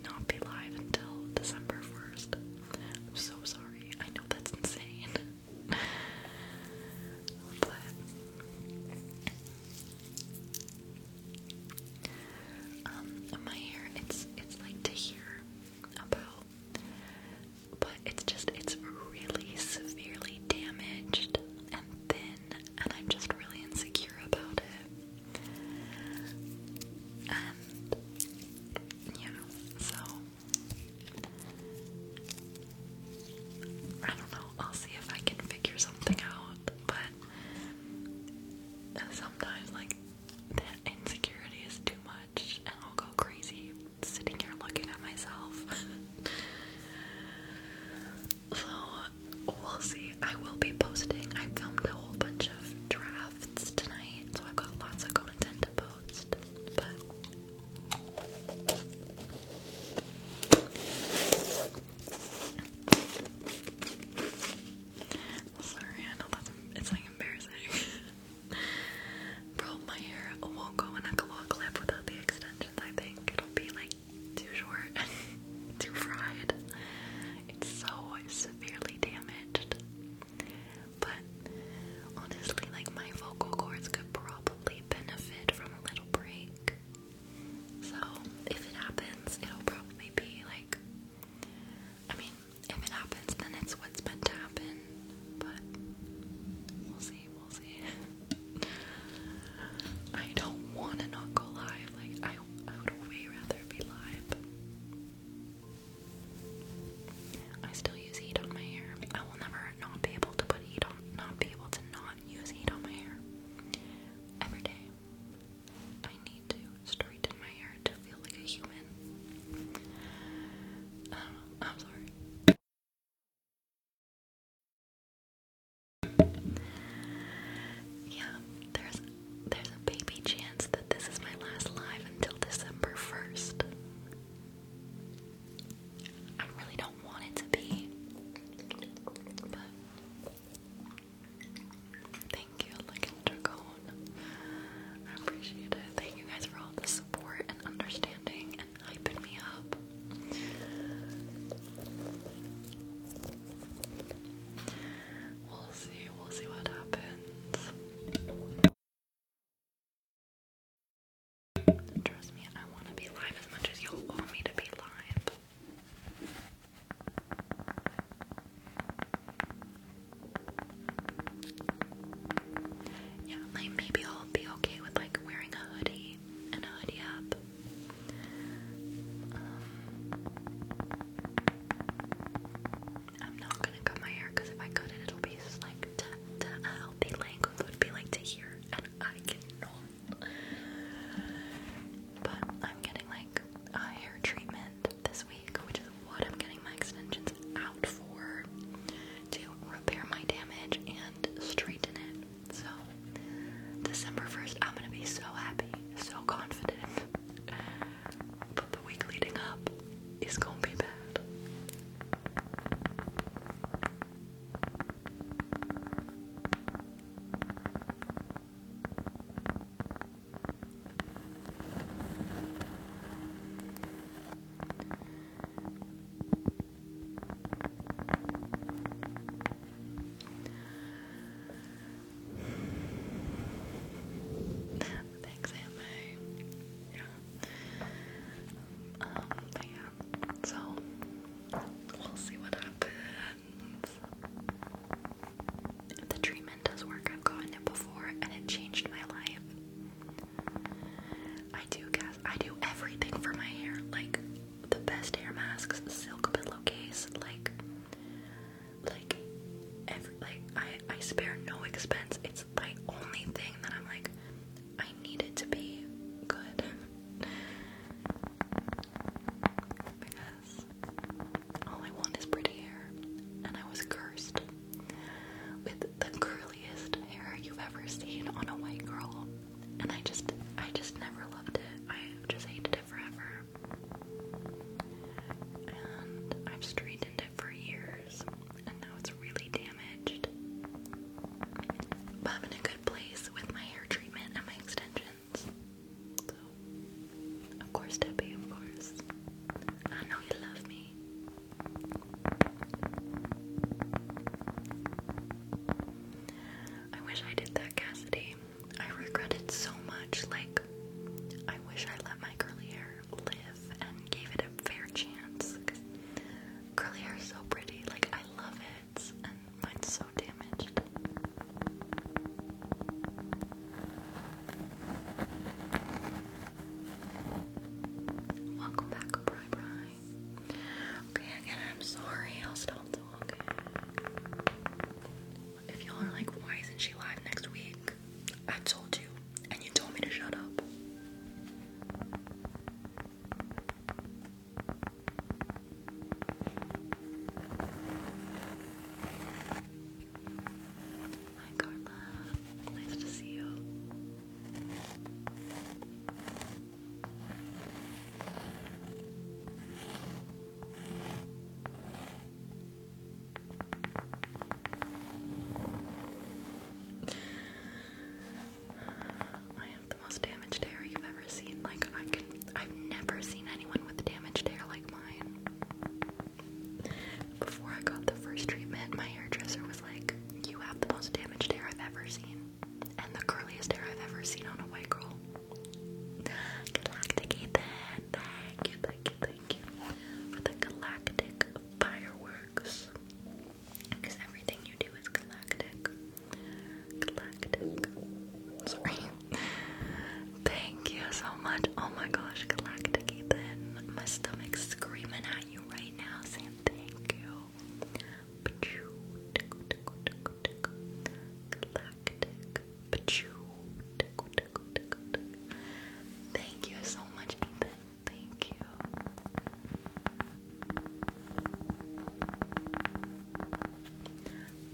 A: not be live until December 1st. I'm so sorry. I know that's insane. but um, my hair, it's it's like to hear about, but it's just it's really severely damaged and thin, and I'm just really insecure about it. And you so I don't know. I'll see if I can figure something out, but sometimes like that insecurity is too much and I'll go crazy sitting here looking at myself. so we'll see. I will be posting. I filmed a whole bunch of drafts tonight, so I've got lots of content to post. But Sorry, I know that's it's like embarrassing. Bro, my hair won't go in a claw clip without the extensions. I think it'll be like too short and too fried. It's so severely damaged. But honestly, like my vocal cords could probably benefit from a little break. So if it happens, it'll probably be like I mean, if it happens then it's what's meant to happen. But we'll see, we'll see. I don't wanna not go live, like I would way rather be live. I still use heat on my hair. I will never not be able to put heat on, not be able to not use heat on my hair. Every day, I need to straighten my hair to feel like a human. Uh, I am sorry. Yeah, there's there's a baby chance that this is my last live until December first. I really don't want it to be, Thank you, Lick and I appreciate it. Thank you guys for all the support and understanding and hyping me up. We'll see, we'll see what happens. Trust me, I want to be live as much as you want me to be live like maybe I'll be okay with like wearing a hoodie and a hoodie up. Um, I'm not gonna cut my hair because if I cut it, it'll be like to, healthy length would be like to here, and I cannot but I'm getting like a hair treatment this week, which is what I'm getting my extensions out for to repair my damage and straighten it. So, December 1st, I'm gonna be so happy, so
B: confident. But the week leading up is gonna be bad.
A: Thanks, Emma. Um, yeah, so we'll see what happens. The treatment does work. I've gotten it before and it changed my life. I do guess I do everything for my hair, like the best hair masks, silk pillowcase, like like like I, I spare no expense. It's my only thing that I'm like I need it to be good. All I want is pretty hair, and I was cursed with the curliest hair you've ever seen on a white girl. And I just, I just never loved it. I just hated it forever. And I've straightened it for years, and now it's really damaged. But I'm in a good place with my hair treatment and my extensions of course, Debbie, of course. I know you love me. I wish I did that, Cassidy. I regret it so much. Like, I wish I let my curly hair live and gave it a fair chance. Curly hair is so pretty. Like, I love it. And mine's so damaged. Welcome back, Bri Okay, again, I'm sorry. I'll stop talking. If y'all are like, why isn't she live next week? I told you, and you told me to shut up. Hi Carla, nice to see you. I have the most damaged hair you've ever seen. Like I can, I've never seen anyone with damaged hair like mine. Before I got the first treatment, my hairdresser was like, You have the most damaged hair I've ever seen, and the curliest hair I've ever seen on a white girl. Galactic Ethan, thank you, thank you, thank you for the galactic fireworks. Because everything you do is galactic. Galactic. Sorry. Thank you so much. Oh my gosh, Galactic Ethan. My stomach's screaming at you right now saying thank you. Thank you so much, Ethan. Thank you.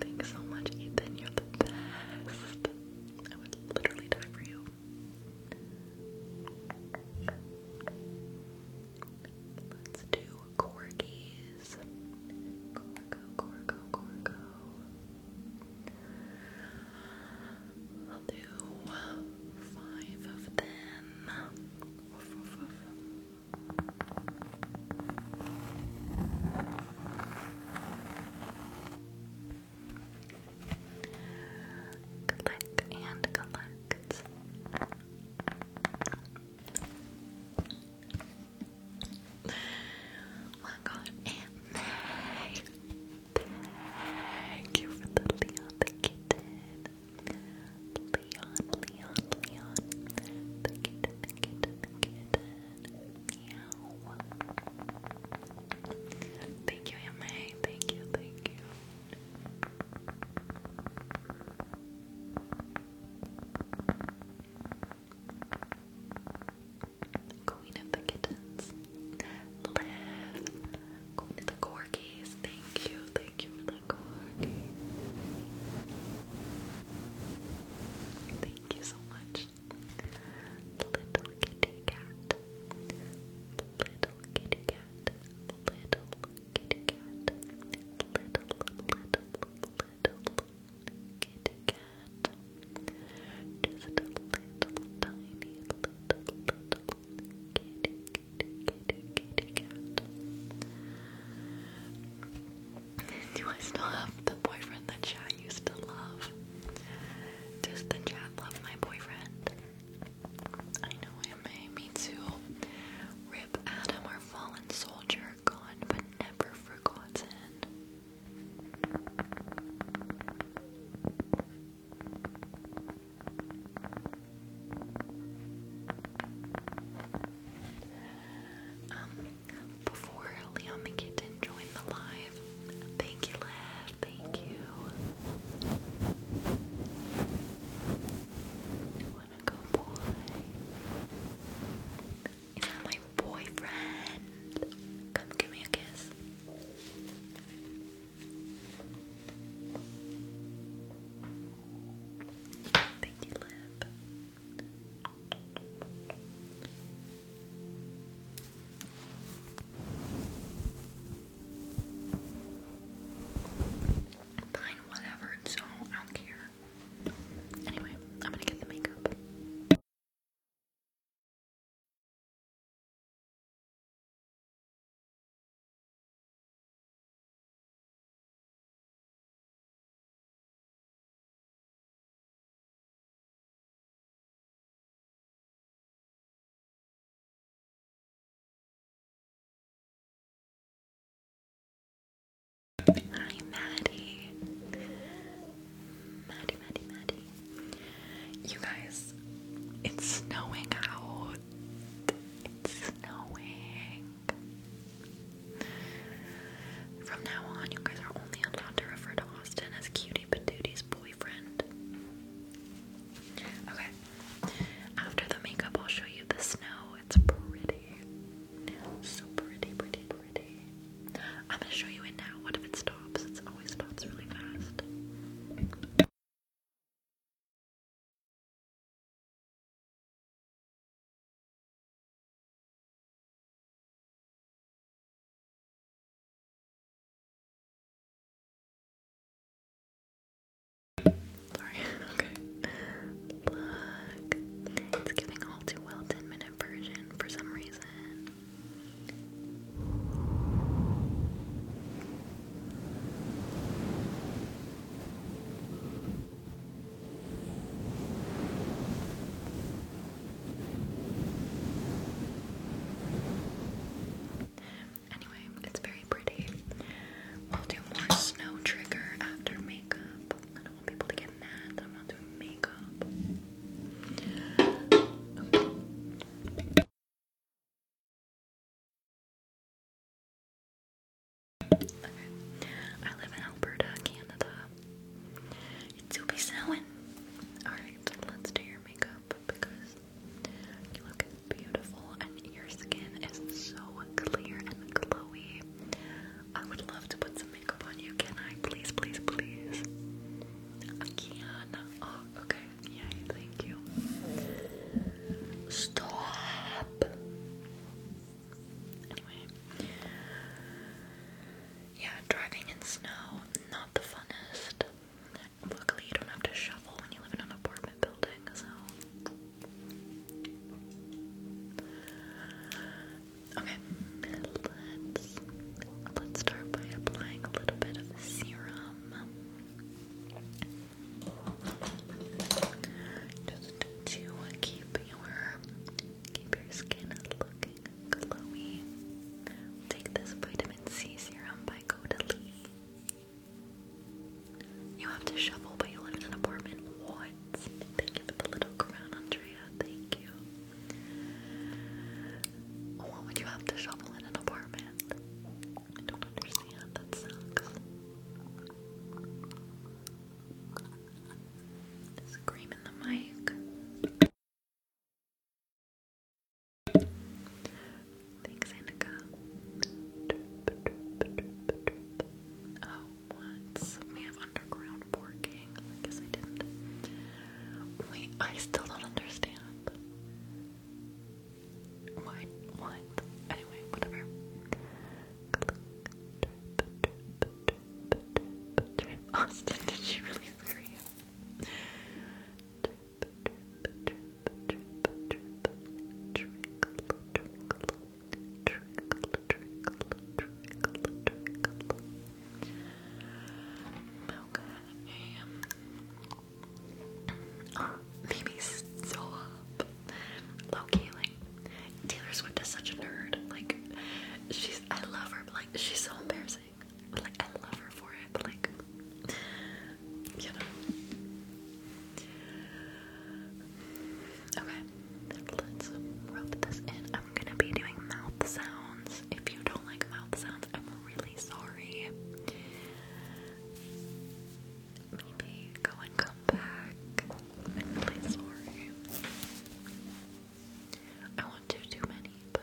A: Thanks so much, Ethan. You're the best. I would literally die for you. Let's do corgis. Corgo, corgo, corgo. I'll do five of them. Click and collect. Oh my god, and Thank you for the Leon the kitten. Leon, Leon, Leon. The kitten, the kitten, the kitten. Thank you, Emma. Thank you, thank you. Queen of the kittens. Liv. Queen of the corgis. Thank you, thank you for the corgi. Thank you so much. Little kitty cat. Little kitty cat. Little kitty cat. Little, little, little kitty cat. Just a little tiny little little kitty kitty kitty kitty cat. Do I still have the boyfriend that chat used to love? Does the chat love my boyfriend? I know him, eh? Me too. Rip Adam, our fallen soldier, gone but never forgotten. Um, before Leon McKitten joined the live. Thank you, Lev. Thank you. I wanna go boy. Is that my boyfriend? Come give me a kiss. Thank you, Lib. Fine, whatever, it's so all out here. Anyway, I'm gonna get the makeup. Hi, Maddie. Maddie, Maddie, Maddie. You guys, it's snowing out. It's snowing. From now on, you guys are only allowed to refer to Austin as Cutie Patooty's boyfriend. Okay. After the makeup, I'll show you the snow. It's pretty. So pretty, pretty, pretty. I'm gonna show you it now. What if it stops? It always stops really fast. Sorry, okay. Look, it's giving all too well 10 minute version for some reason.
B: Anyway, it's very pretty. We'll do more snow trigger after makeup. I don't want people to get mad that I'm not doing makeup. Okay. I live in Alberta, Canada. It's will be snowing. Alright, let's do your makeup because you look beautiful and your skin is so clear and glowy. I would love to put some makeup on you. Can I? Please, please, please. I can. Oh, okay. Yay, thank you. Stop. Anyway
A: yeah, driving in snow, not the funnest. Luckily, you don't have to shovel when you live in an apartment building, so. Okay, let's let's start by applying a little bit of serum. Just to keep your keep your skin looking doing, Take this vitamin C serum by Godalee. You have to shovel, but you live in an apartment. What? Thank you for the little crown, Andrea. Thank you. What would you have to shovel in an apartment? I don't understand. That sucks.
B: Scream in the mic. Thanks, Annika. Oh, what? We have underground parking. I guess I didn't. Wait, I still
A: don't understand. Why? What? Anyway, whatever. Austin, did she really scare you?
B: Trip, trip, trip, trip,
A: Okay. like, Taylor Swift is such a nerd. Like, she's, I love her, but like, she's so embarrassing like, I love her for it, but like, you know. Okay, let's rub this in. I'm gonna be doing mouth sounds. If you don't like mouth sounds, I'm really sorry. Maybe go and come back. I'm really sorry. I want to do many, but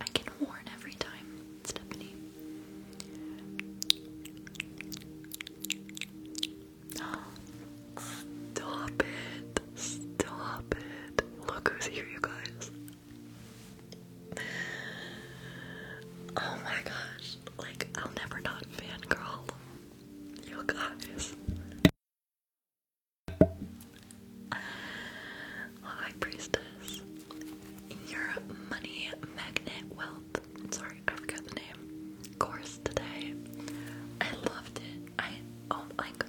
A: I can warn every time, Stephanie. Stop it. Stop it. Look who's here, you guys. Oh my gosh. Like, I'll never not fangirl. You guys. High Priestess. Your money magnet wealth. Sorry, I forgot the name. Course today. I loved it. I oh like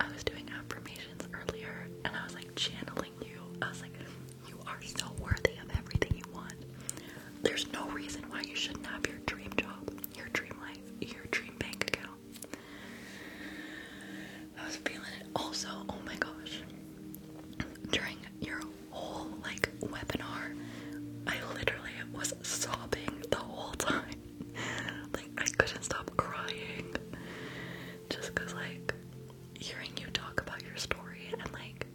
A: I was doing affirmations earlier and I was like channeling you. I was like, you are so worthy of everything you want. There's no reason why you shouldn't have your dream job, your dream life, your dream bank account, I was feeling it. Also, oh my gosh, during your whole like webinar, I literally was sobbing the whole time. like I couldn't stop crying, just cause like hearing you talk about your story and like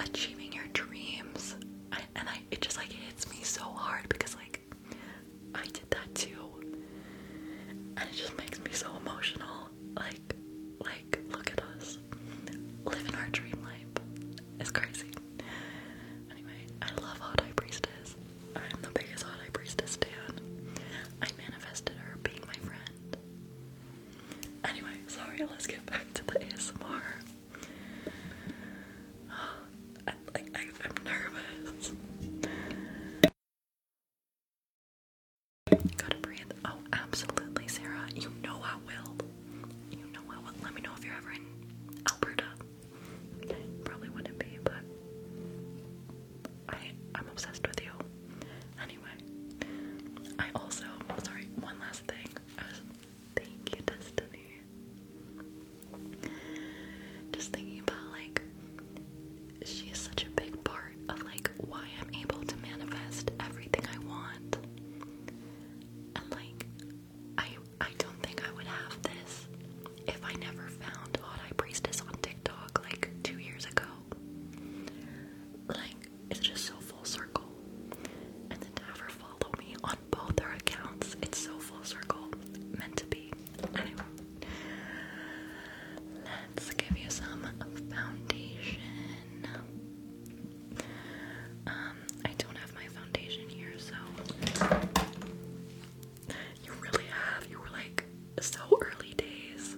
A: achieving your dreams, and I it just like hits me so hard because like I did that too. And it just makes me so emotional. Like, like, look at us. Living our dream life. It's crazy. Anyway, I love Hot Priestess. I'm the biggest Hot Priestess fan. I manifested her being my friend. Anyway, sorry, let's
B: get back to the ASMR. I'm nervous. Gotta breathe. Oh, absolutely, Sarah. You know
A: I will. You know I will. Let me know if you're ever in Alberta. Probably wouldn't be, but I am obsessed with you. Anyway, I also sorry. One last thing. thank you, Destiny. Just thinking about like she is such a big part of like why I'm able to manifest everything I want. And like I I don't think I would have this if I never found Hot Priestess on TikTok like two years ago. Like it's just so full circle. And to have follow me on both her accounts, it's so full circle. Meant to be,
B: let's give you some foundation. Um, I don't have my foundation here, so
A: you really have. You were like so early days.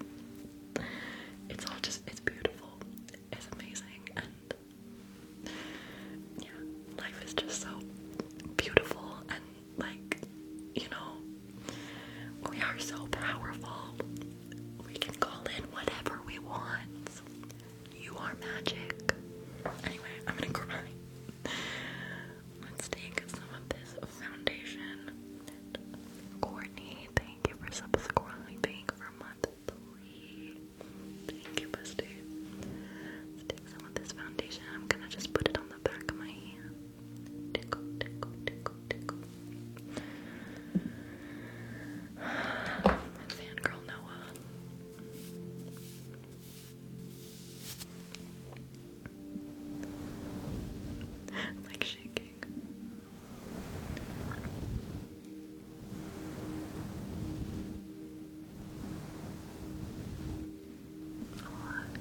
A: It's all just it's beautiful. It's amazing and yeah, life is just so beautiful and like, you know, we are so powerful. We can call in whatever we want. You are magic. Anyway, I'm gonna cry. Let's take some of this foundation. Courtney, thank you for subscribing for month three. Thank you, bestie. let take some of this foundation. I'm gonna just put it on the back of my hand tickle, tickle, Noah. like shaking.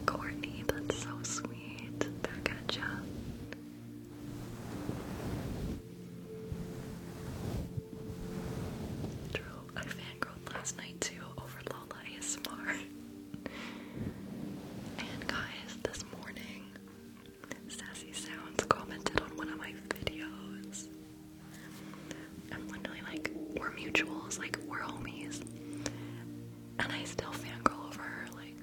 A: Courtney, that's so sweet. It's back at ya. True, I fangirled last night too over Lola ASMR. and guys, this morning, Sassy Sounds commented on one of my videos. I'm literally like, we're mutuals, like, we're homies. And I still fangirl over her, like,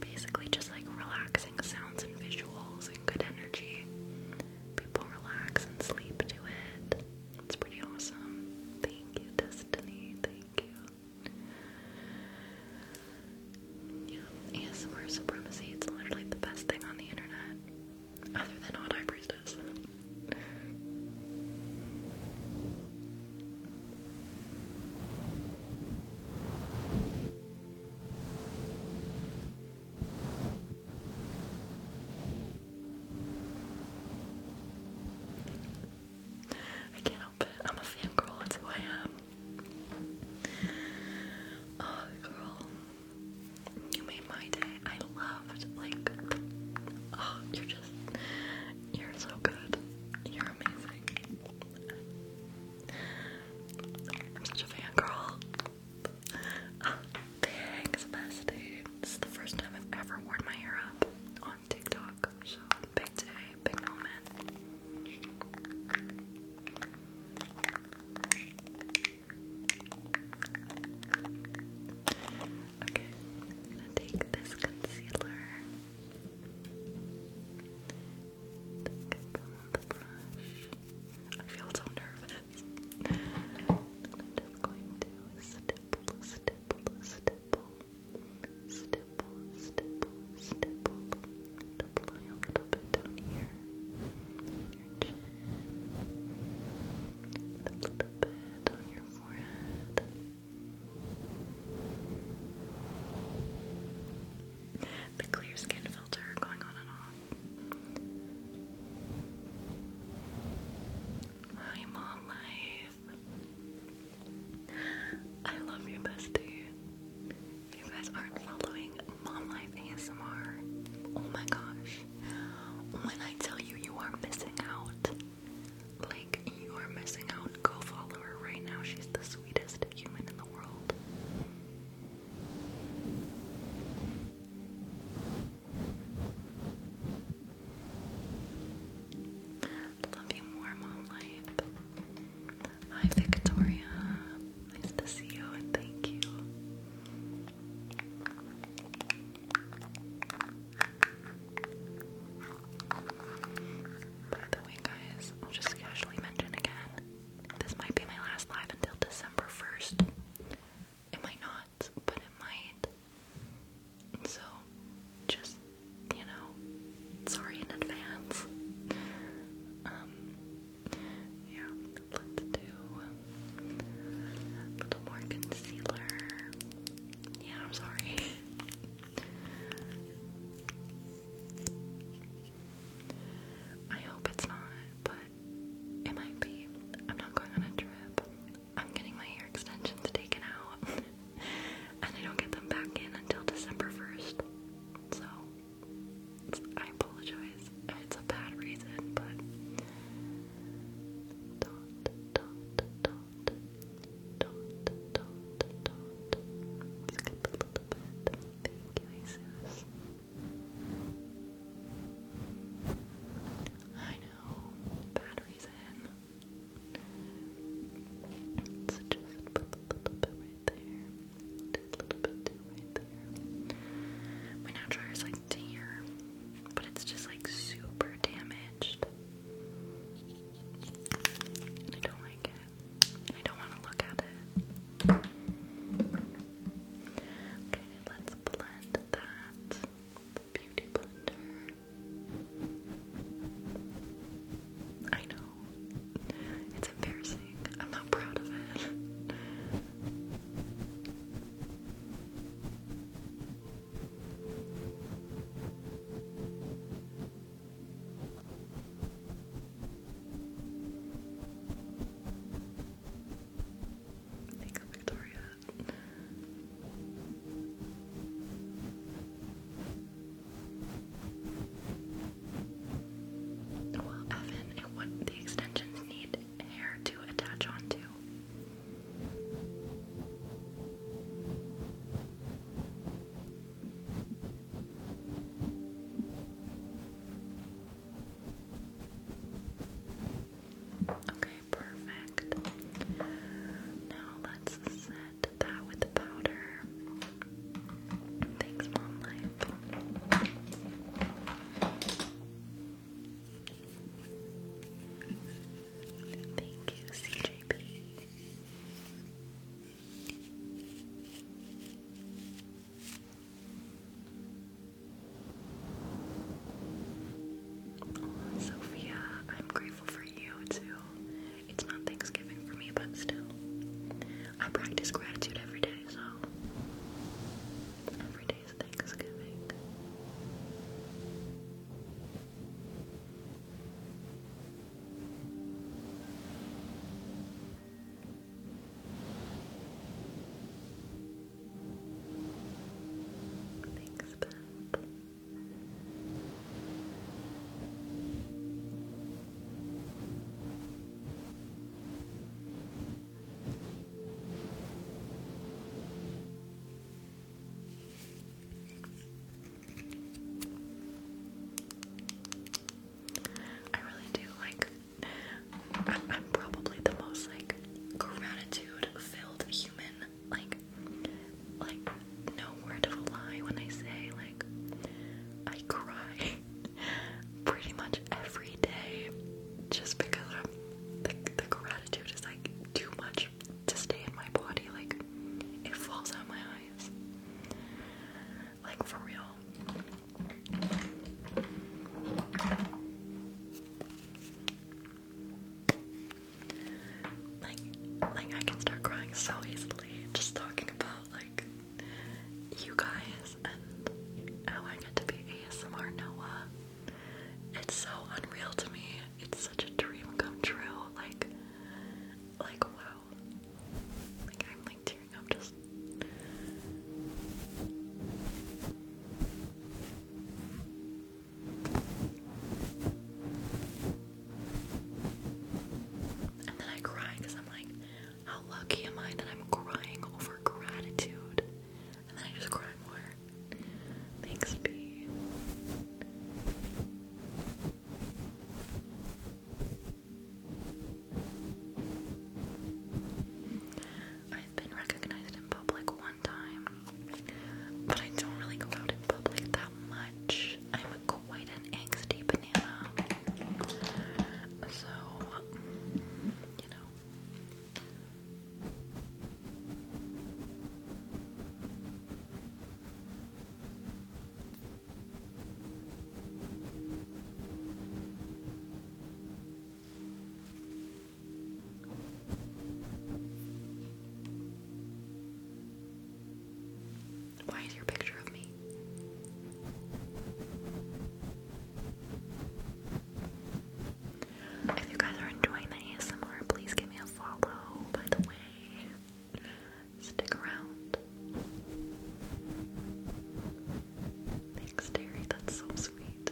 A: basically just like relaxing sounds and visuals and good energy. People relax and sleep to it. It's pretty awesome. Thank you, Destiny. Thank you. Yeah, ASMR supremacy. It's literally the best thing on the internet, other than Odd Eye Priestess. I can't help it. I'm a fan girl. that's who I am. Oh, girl. You made my day. I loved, like, oh, you're just, you're so good. You're amazing. I'm such a fan girl. Oh, ah, thanks, bestie. This is the first time I've ever worn my hair up on TikTok. So big day, big moment. Okay, I'm gonna take this concealer. I feel so nervous. I'm just going to stipple, stipple, stipple, stipple, stipple, stipple. Apply a little bit down here. Your chin. A little bit on your forehead the clear skin filter going on and off. Hi, mom life. I love you, bestie. You guys aren't following mom life ASMR. Oh my gosh. When I tell you, you are missing out. Like, you are missing out. Go follow her right now. She's the sweetest Love you more, Mom Hi, Victoria. Nice to see you and thank you. By the guys, I'll just casually mention again. This might be my last live until December 1st. It might not, but it might. So, just, you know, sorry in advance. Um, yeah, let's do a little more concealer. Yeah, I'm sorry. I hope it's not, but it might be. I'm not going on a trip. I'm getting my hair extensions taken out, and I don't get them back in until December 1st. So, I apologize. It's a bad reason, but. Thank you, I know, batteries in. So just put a little bit right there. Just a little bit too right there. My nail dryer's like dear, but it's just like super damaged. And I don't like it. I don't want to look at it. Okay, let's blend that. beauty blender. I know. It's embarrassing. I'm not proud of it. Thanks, Victoria. Well, Evan, what the extensions need hair to attach onto. Okay, perfect. Now let's set that with the powder. Thanks, Mom Thank you, CJP. Sophia, I'm grateful for you too. It's not Thanksgiving for me, but still. I practice gratitude every day, so every day is Thanksgiving. Thanks, Pat. Thank I really do like I'm, probably the most like gratitude filled human like like no word of lie when I say like I cry pretty much every day just because I'm, the, gratitude is like too much to stay in my body like it falls out of my eyes like for real. Like like I can start crying so easily just talking about like you guys and how I get to be ASMR Noah. It's so unreal to me. It's such a dream come true. Like like wow. Like I'm like tearing I'm just. And then I cry because I'm like, how lucky am I that I'm crying over gratitude? And I just cry more. Thanks, B. I've been recognized in public one time, but I don't really go out in public that much. I'm quite an anxiety
B: banana, so you know. Why is your picture of me? If you guys are enjoying the ASMR, please give me a follow, by the way. Stick around. Thanks, Terry. That's so sweet.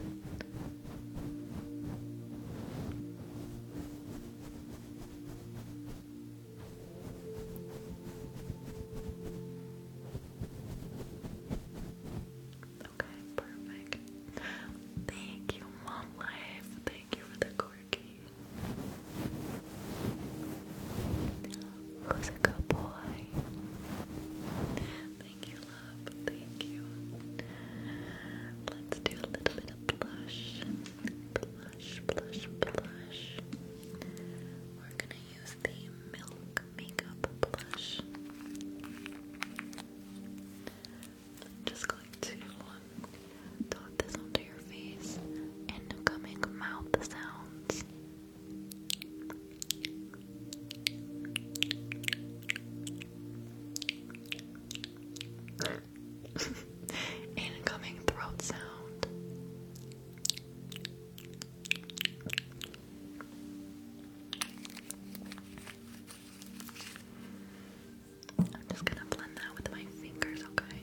B: Okay, perfect. Thank you, Mom Life. Thank you for the corky. Who's a good boy? Thank you, love. Thank you. Let's do a little bit of blush. Blush, blush, blush. We're gonna use the milk makeup blush. I'm just going um, dot this onto your face and Mouth sounds Incoming throat sound. I'm just
A: gonna blend that with my fingers, okay?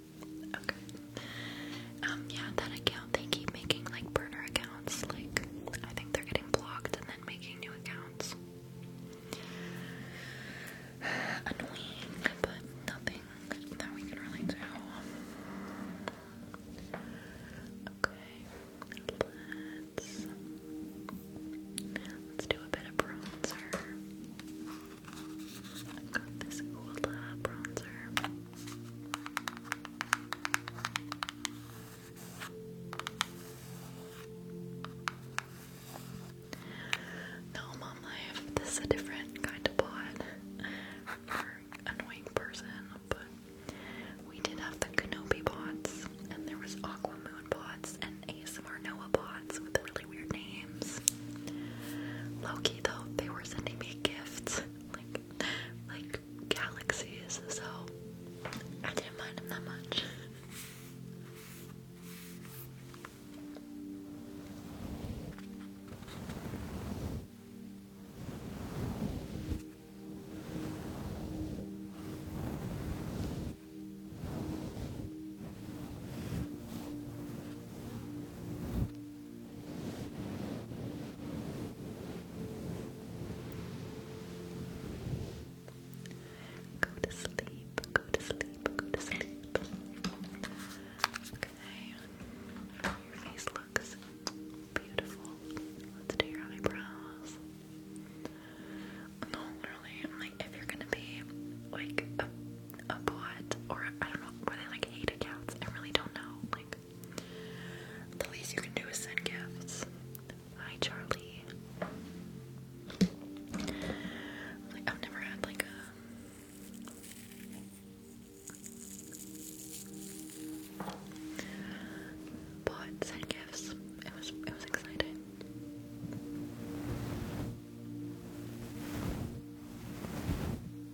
A: Okay. Um, yeah, that account, they keep making like burner accounts. Like, I think they're getting blocked and then making new accounts. Annoying, but nothing that we can really do. Okay, let's let's do a bit of bronzer. I got this Ola uh, bronzer. No, mom life. This is a different kind of pot annoying person, but we did have the Kenobi pots, and there was Aqua Moon pots and ASMR Noah pots with really weird names. Loki though, they were sending me gifts like like galaxies, so I didn't mind him that much. Go to sleep, go to sleep, go to sleep. Okay. Your face looks beautiful. Let's do your eyebrows. No, literally, I'm like, if you're gonna be like a, a bot or I don't know, whether they like hate accounts, I really don't know. Like the least you can do is send gifts. Hi, Charlie. Like, I've never had like a. But send gifts. It was it was exciting.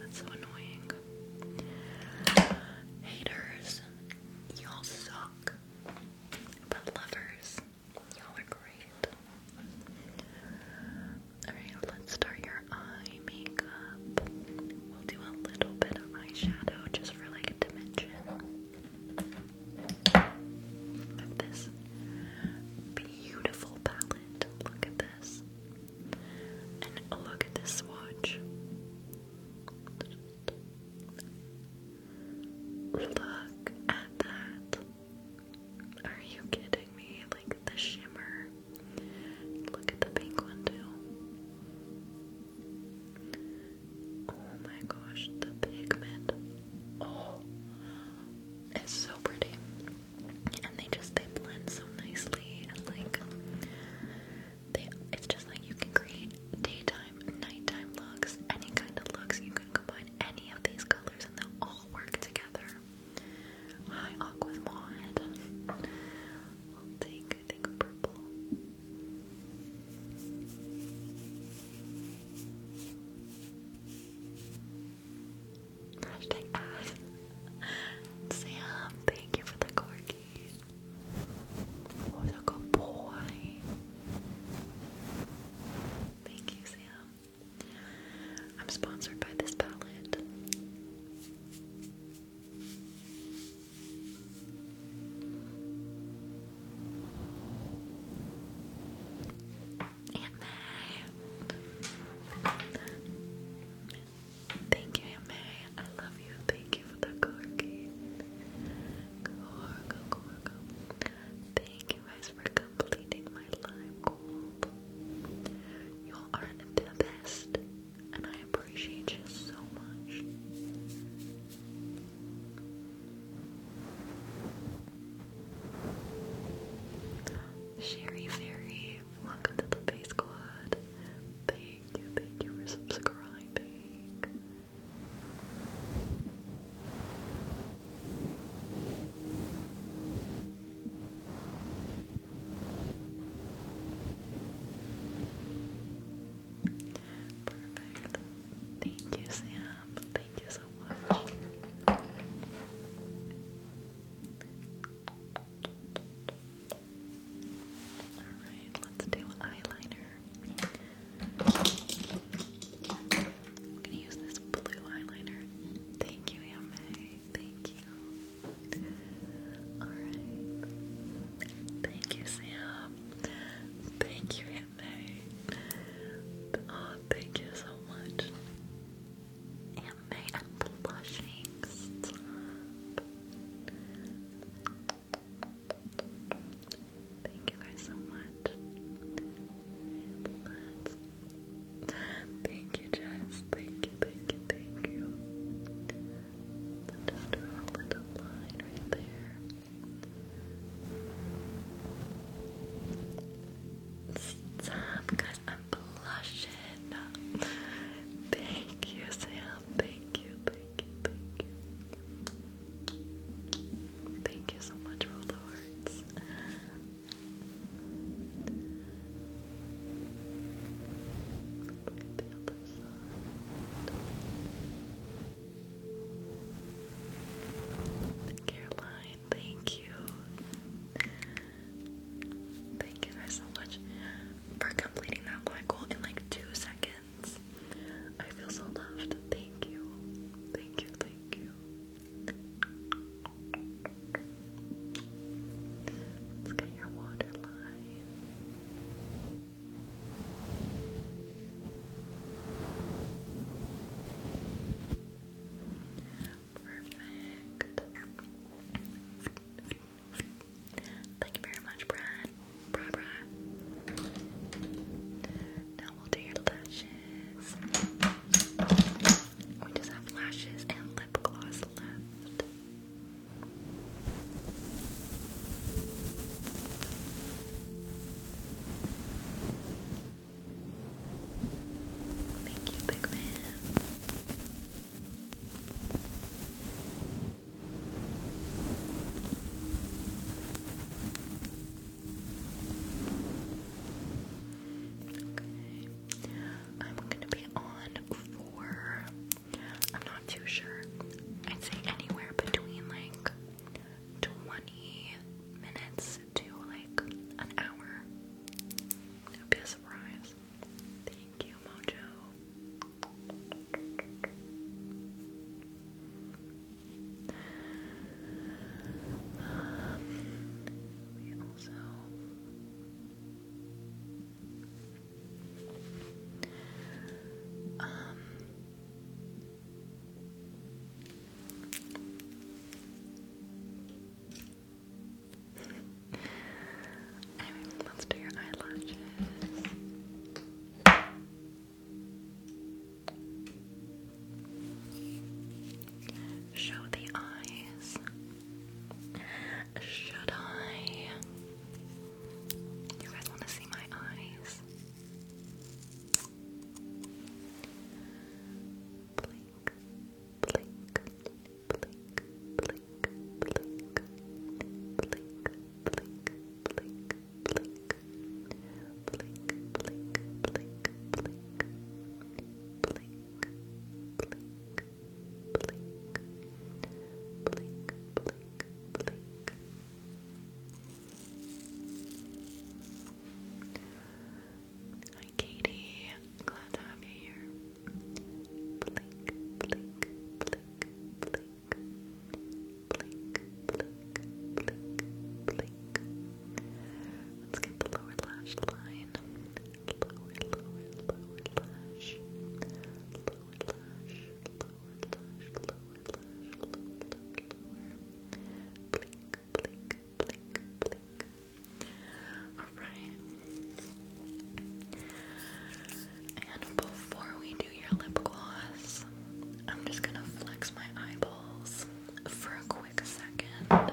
A: that's so annoying. Haters, y'all suck. But lovers, y'all are great. Alright, let's start your eye makeup. We'll do a little bit of eyeshadow just for like dimension this beautiful palette. Look at this. And look at this watch. Look at that. Are you kidding me? Like the shimmer. Look at the pink one too. Oh my gosh, the pigment. Oh, it's so pretty and they just they blend so nicely and like they it's just like you can create daytime, nighttime looks, any kind of looks. You can combine any of these colors and they all work together. Hi Aqua Mod. I'll take I think purple. Sam, thank you for the corgi. What a good boy. Thank you, Sam. I'm sponsored by this palette. Aunt May. Thank you, Aunt
B: Mary. I love you. Thank you for the corgi. Corgo, corgo. Thank you guys for completing my live goal. You are the best, and I appreciate you so much. Sherry Fairy, Welcome to the Face Squad. Thank you, thank you for subscribing. Perfect. Thank you, Sam. Thank you so
A: much. Alright, let's do eyeliner. I'm gonna use this blue eyeliner. Thank you, Yame. Thank you. Alright. Thank you, Sam. Thank you, Yame. Oh, thank you so much. Anime, I'm Thank you guys so much.
B: Thank you, Jess. Thank you, thank you, thank you. Let's draw a line right there. Stop, guys. I'm
A: blushing. Thank you, Sam. Thank you, thank you, thank you. Thank you so much for the words. Caroline, thank you. Thank you guys so much for completing that black hole in like two seconds. I feel so loved. Thank you. Thank you. Thank you. Let's get your water Perfect. Thank you very much, Brad. Now we'll do your lashes. We just have lashes and lip gloss left. Thank you, big man. I'm gonna be on for I'm not too sure. I'd say anywhere between like 20 minutes
B: to like an hour. It would surprise. Thank you, Mojo. we also
A: I let's do your eyelashes. Show the eyes. Should I? You guys want to see my eyes? Blink, blink, blink, Hi Katie, glad to have you here blink, blink, blink, blink, blink, blink, blink, blink. Let's get the lower lash line. Lower, lower, lower lash. Lower lash, lower lash, lower lash, lower lash, lower. Blink, blink, blink, blink. Alright, and before we do your lip gloss, I'm just gonna flex my eyeballs for a quick second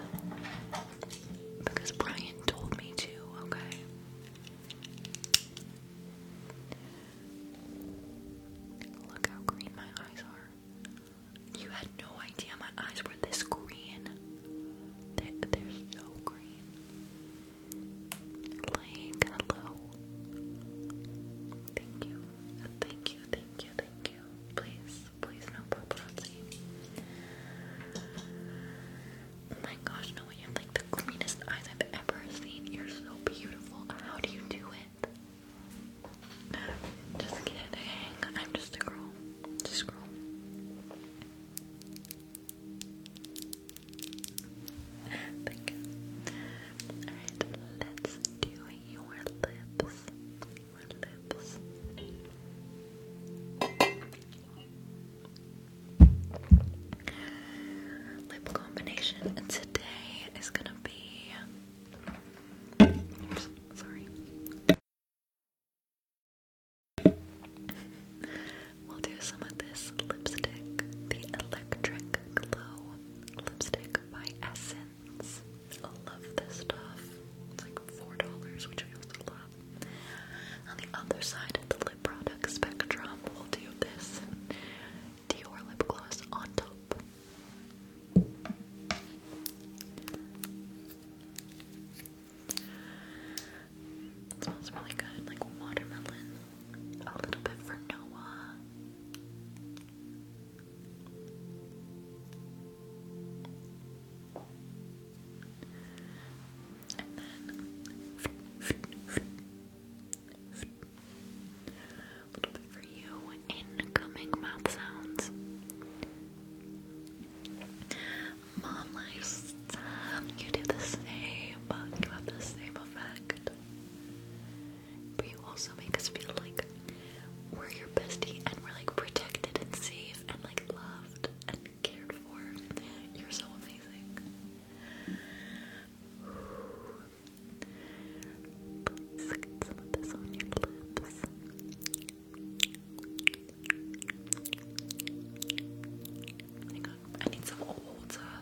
A: because Brian told me to, okay? Look how green my eyes are. You had no idea my eyes were this green. They, are so green. Like, hello. Thank you. Thank you, thank you, thank you. Please, please, no paparazzi. Oh my gosh, no, you have like the cleanest eyes I've ever seen. You're so beautiful. How do you do it? Just kidding. I'm just a girl. Just a girl.
B: Thank you. Alright, let's do your lips. Lip combination today is gonna be.
A: We'll do some of this lipstick, the Electric Glow Lipstick by Essence. I love this stuff. It's like $4, which I also love. On the other side of the lip product spectrum, we'll do this Dior lip gloss on top. It smells really good, like watermelon. A little bit for Noah. And then a little bit for you. Incoming mouth sounds. Mom you do the same, but you have the same effect. But you also make us feel like we're your bestie and we're like protected and safe and like loved and cared for. You're so amazing. Please some of this on your lips. Hang on, I need some old uh,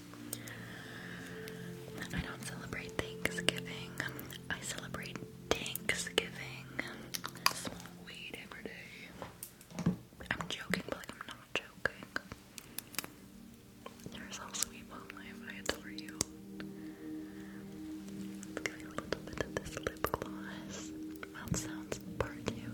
A: I don't celebrate Thanksgiving. I celebrate Thanksgiving. I weed every day. I'm joking, but I'm not joking. There's also people in life I adore Let's give you a little bit of this lip gloss. Mouth sounds part two.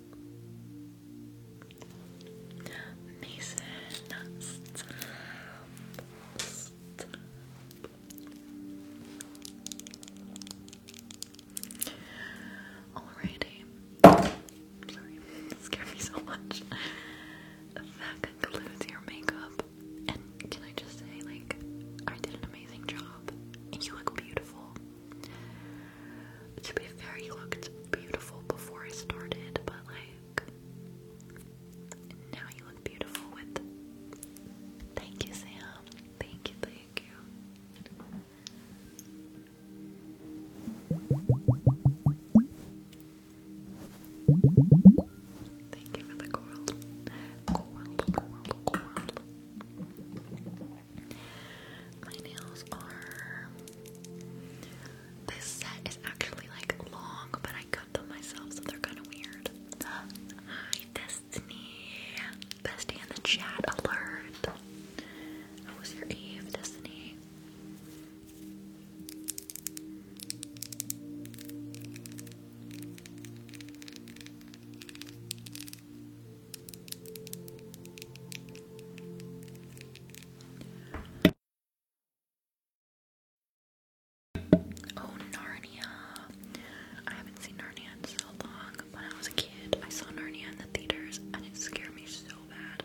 A: Mason, stop. Stop. Sorry, scared me so much. That concludes your makeup. And can I just say, like, I did an amazing job. you look beautiful. To be fair, he looked beautiful before I started, but like now you look beautiful with Thank you, Sam. Thank you, thank you. Thank you for the coral. My nails are. This set is actually like long, but I cut them myself, so they're kind of weird. Hi, Destiny. Bestie in the chat alert. How was your eve, Destiny? Oh, Narnia. I haven't seen Narnia in so long. When I was a kid, I saw Narnia in the theaters and it scared me so bad.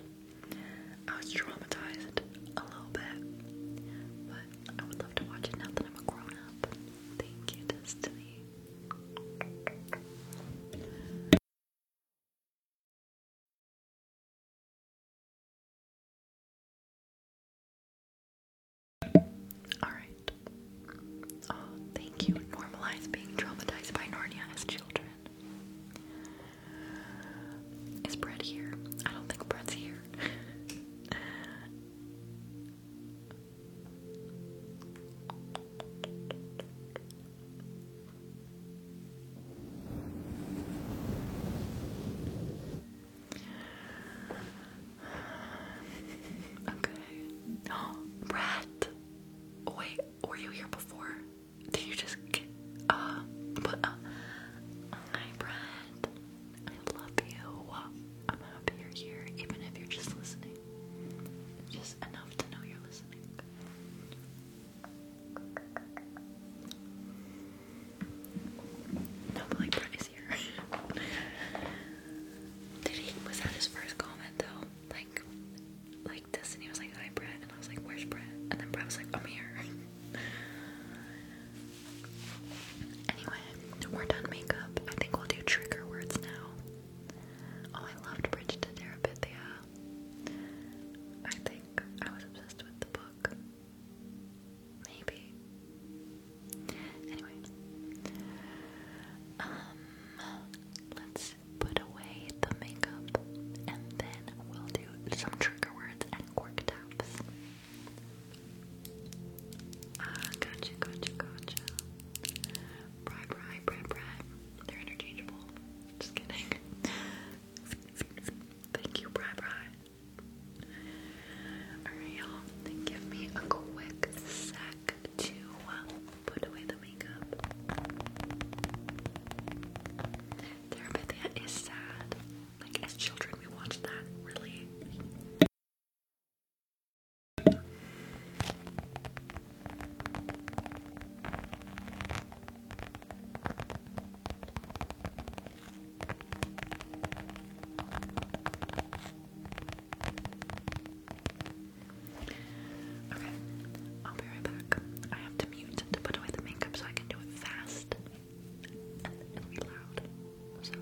A: I was traumatized a little bit, but I would love to watch it now that I'm a grown up. Thank you, Destiny. Alright. Oh, thank you. Normalize being traumatized by Narnia as children. Is Brett here? I don't think Brett's here. Okay. Oh, rat. Wait, were you here before? Did you just get, uh, hi, Brad. I love you. I'm happy you're here, even if you're just listening. just enough to know you're listening.
B: No, like Brett is here. Did
A: he? Was that his first comment though? Like, like this, was like, "Hi, Brett," and I was like, "Where's Brett?" And then Brett was like, "I'm here." anyway, we're done makeup. I think we'll do trigger words now. Oh, I loved Bridge to Terabithia. I think I was obsessed with the book. Maybe. Anyway. Um let's put away the makeup and then we'll do some trigger words and quirk taps. Ah, gotcha, gotcha, gotcha. Bri, bri, bri, bri. They're interchangeable. Just kidding. Thank you, Bri Bri. Alright, y'all. Give me a quick sec to uh, put away the makeup. Therapithia is sad. Like, as children, we watched that really. Okay, I'll be right back. I have to mute to put away the makeup so I can do it fast and be loud. So.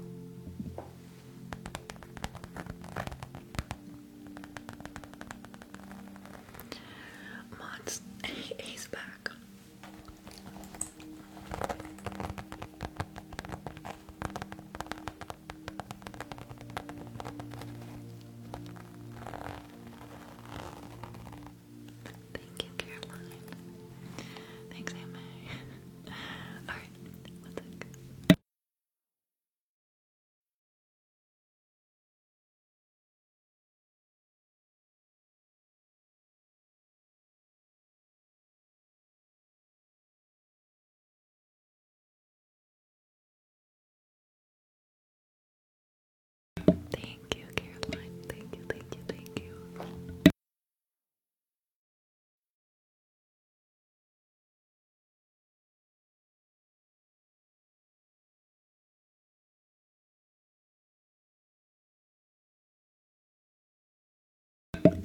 A: Mods, he's back. Thank you, Caroline. Thanks, Emma. Alright, one sec. Thank you, Caroline. Thank you, thank you, thank you.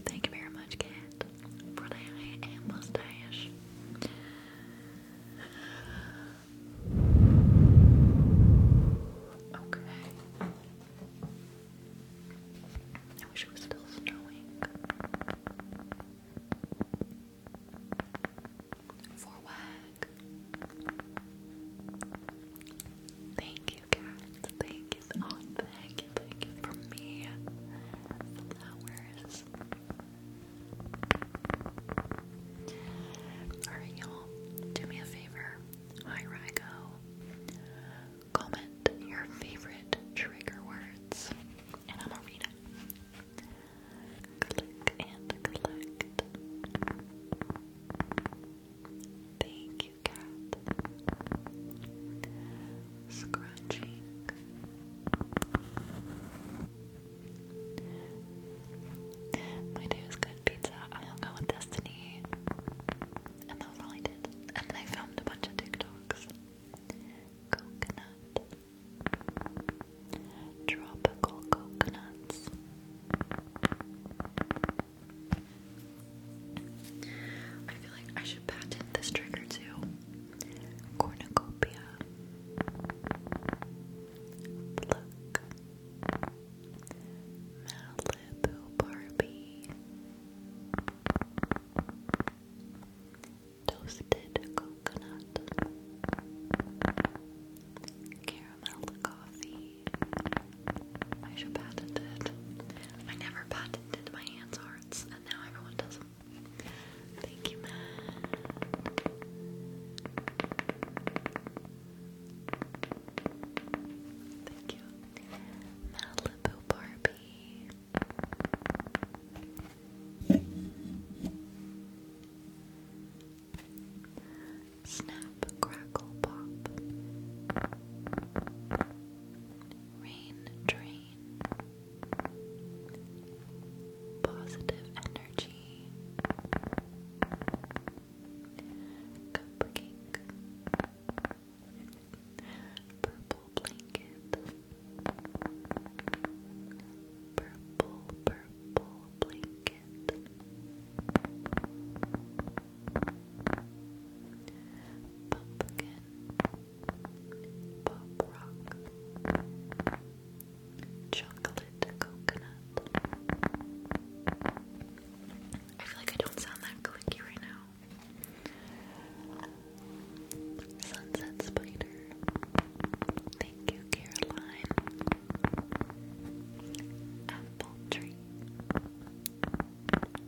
A: Thank you very much, cat, for the hair Okay. I wish it was still snowing for wag. Thank you, cats. Thank you, thank you, thank you for me. Flowers. Alright, y'all. Do me a favor. Hi, Rygo. Comment your favorite trigger words, and I'm gonna read it. Click and collect. Thank you, cat. Scratching. My day was good pizza. I hung out with Destiny. And that was all I did. And I filmed a bunch of TikToks. Coconut. Tropical coconuts. I feel like I should patent this trigger too. Cornucopia. Pluck. Malibu Barbie. Toasted coconut, caramel coffee. I should patent it. I never patented my hands' arts, and now everyone does Thank you, man. Thank you, Malibu Barbie. Snap, crackle, pop. Rain, drain. Positive energy. Cupcake. Purple blanket. Purple, purple blanket. Pumpkin, pop rock, chocolate coconut. I feel like I don't sound that clicky right now. Sunset spider. Thank you, Caroline. Apple tree.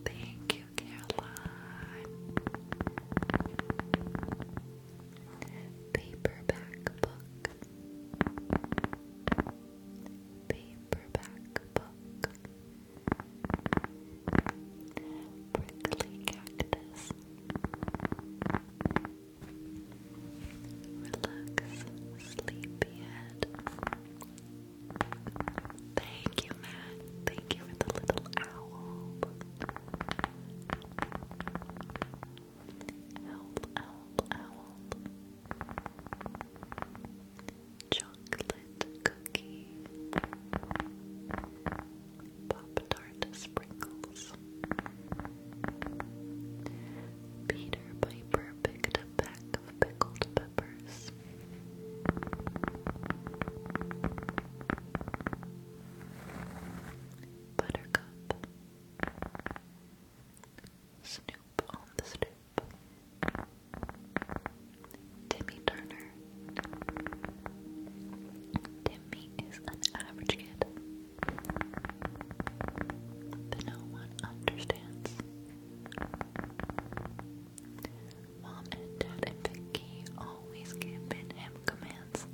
A: Thank you, Caroline. Paperback book. Paperback book. Prickly cactus. Relax, sleepyhead. Thank you, Matt. Thank you for the little owl. Help, help, owl. Chocolate cookie. Pop tart sprinkles. Peter Piper picked a pack of pickled peppers. Buttercup. Snoop on the stoop. Timmy Turner. Timmy is an average kid that no one understands. Mom and Dad and Vicky always giving him commands.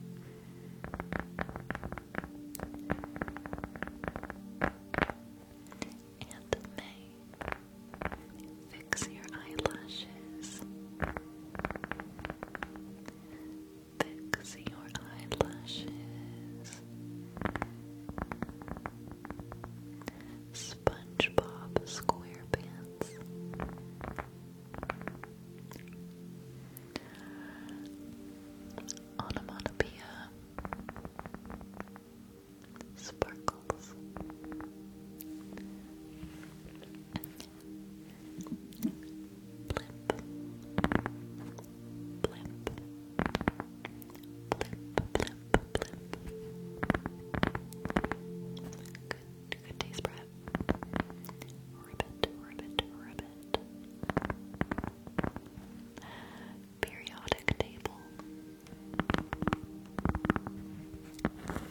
A: And May, fix your
B: eyelashes fix your eyelashes.
A: SpongeBob SquarePants. Onomatopoeia. Sparkles. Limp blimp, blimp, blimp, blimp. Good, good taste, Brett. Periodic table.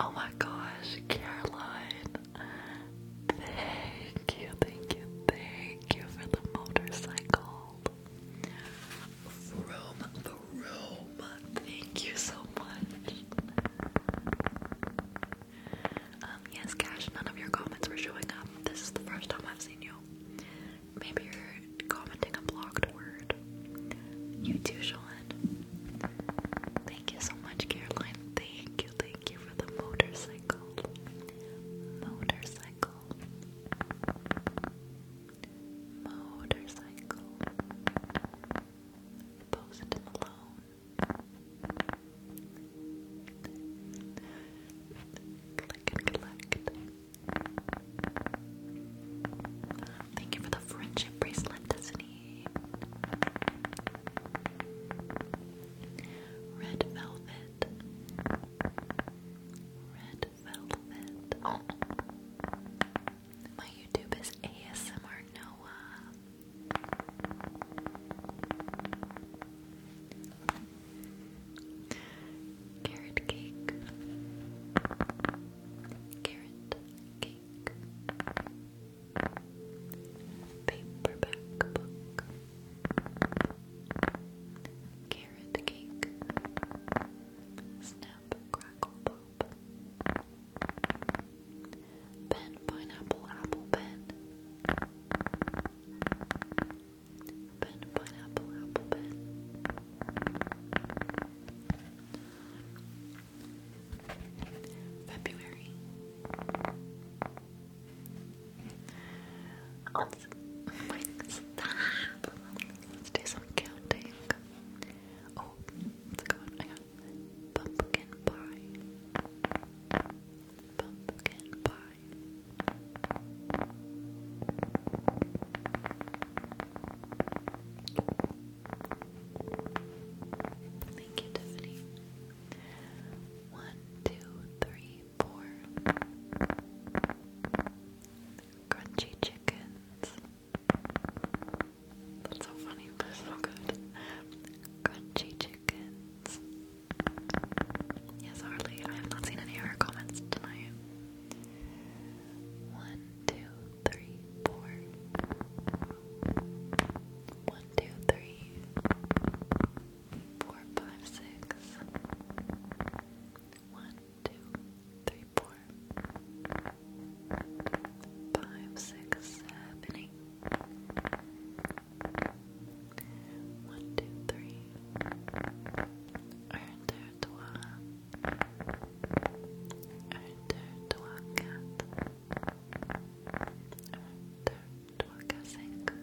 A: Oh my gosh, Caroline. Thank you, thank you, thank you for the motorcycle. Vroom, vroom. Thank you so much. Um, yes, Cash, none of your comments were showing up. This is the first time I've seen you. Maybe you're commenting a blocked word. You too, Sean. Thank you so much, Caroline. Thank you, thank you for the motorcycle. Motorcycle. Motorcycle. Post Malone. Click and collect. Thank you for the friendship bracelet, Disney. Red Velvet. Red Velvet. My YouTube is ASMR Noah. Carrot cake. Carrot cake. Paperback book. Carrot cake.
B: Snap crackle pop. Pen pineapple apple pen. Pen pineapple apple pen. February. Let's, Let's do some counting. Oh, it's a good I got pumpkin pie. Pumpkin pie. Thank you, Tiffany. One, two, three, four. Crunchy chickens. That's so funny, so good. Crunchy chickens. Yes, Harley, I have not seen any of her comments tonight. One, two, three, four. One, two, three, four, five, six. One, two, three, four, five, six, seven, eight. One, two, three. Un, deux, trois. Un, deux, Toca seca.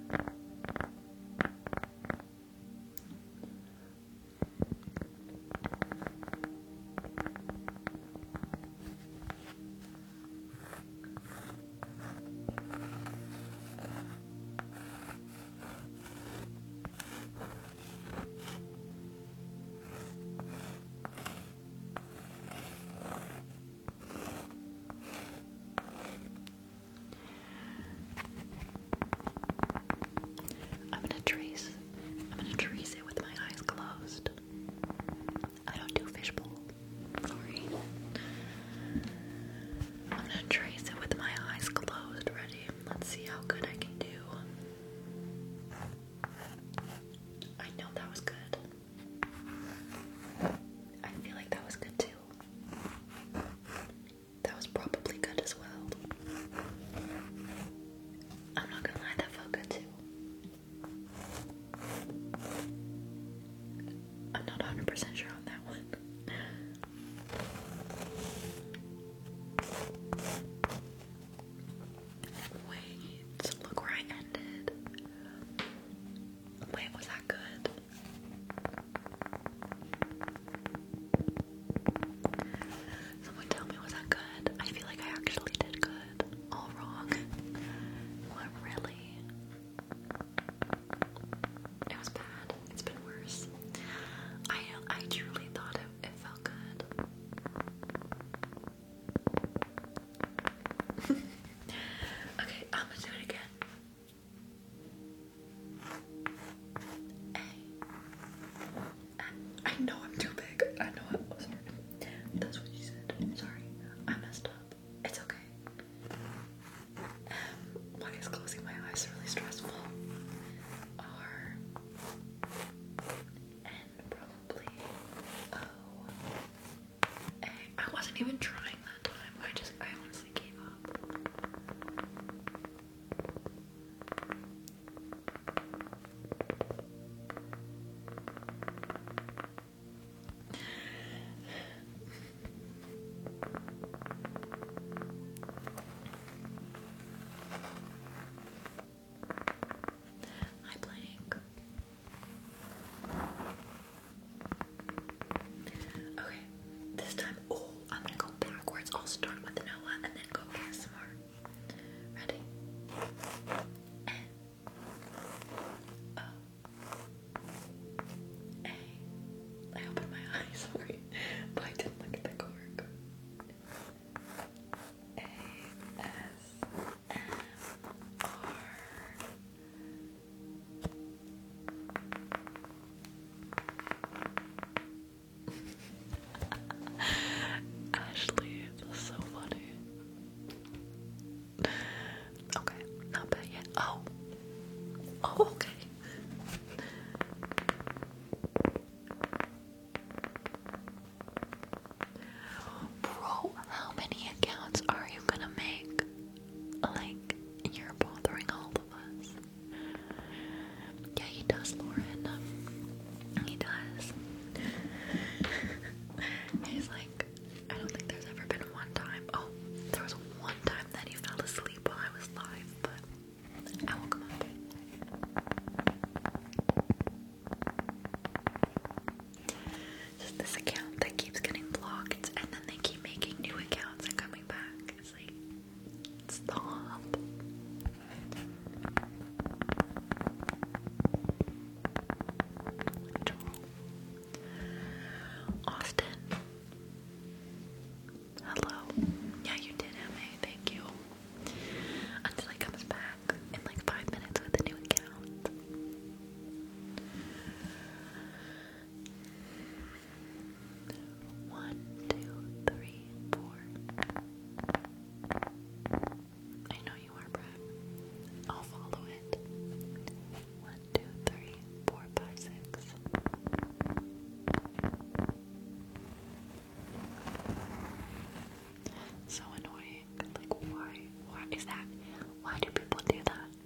A: I'm gonna trace. I'm gonna trace it with my eyes closed. I don't do fishbowl. Sorry. I'm gonna trace it with my eyes closed. Ready? Let's see how good I can do. I know that was good. I feel like that was good too. That was probably good as well. I'm not gonna lie, that felt good too. I'm not 100 sure on that one. Wait, look where I ended. Wait, was that good? Someone tell me, was that good? I feel like I actually did good. All wrong. What, really? It was bad. It's been worse. I I truly thought it, felt good
B: okay, I'm gonna do it again. A. I know I'm too
A: big. I know I wasn't. Oh, That's what you said. Sorry, I messed up. It's okay. Um, why is closing my eyes really stressful? R probably O I wasn't even trying that time. I just, I honestly gave up. Hi, Blank. Okay, this time, I'm gonna go backwards. I'll start with Noah and then go ASMR. Ready? N O A. I opened my eyes, sorry, but I didn't look at the cork. A S Ashley, that's so funny. Okay, not bad yet. Oh. oh, okay. Bro, how many accounts are you gonna make? Like, you're bothering all of us. Yeah, he does, Lauren. Um, he does. He's like, I don't think there's ever been one time.
B: Oh, there was one time that he fell asleep while I was live, but I woke him
A: just this account that keeps getting blocked, and then they keep making new accounts and coming back. It's like, stop. Austin. Hello. Yeah, you did, MA. Thank you. Until he comes back in like five minutes with a new account. One, two, three, four. I know you are, Brad. I'll follow it. One, two, three, four, five, six. So annoying. Like why? Why is that? Why do people do that?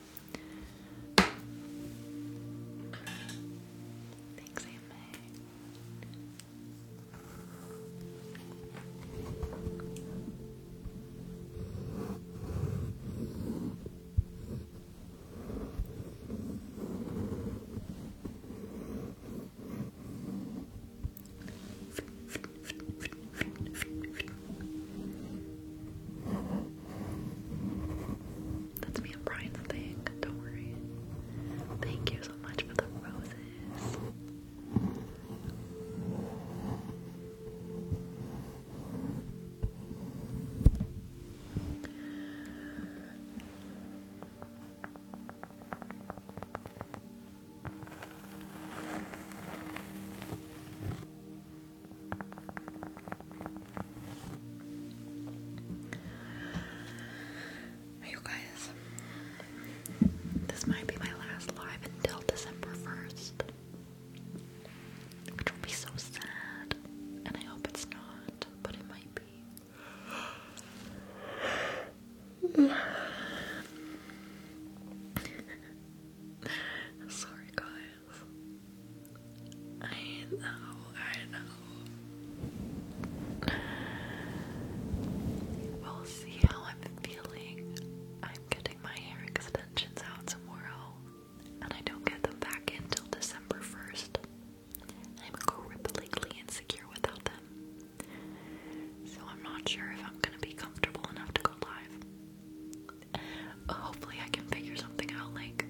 A: Thanks, Amy. That's me and Brian's thing, don't worry. Thank you so much for the roses. You guys, this might be my last live until December 1st, which will be so sad, and I hope it's not, but it might be. Sorry, guys. I know, I know. We'll see how I'm feeling. I'm getting my hair extensions out tomorrow, and I don't get them back until December 1st. I'm completely insecure without them. So I'm not sure if I'm gonna be comfortable enough to go live hopefully I can figure something out like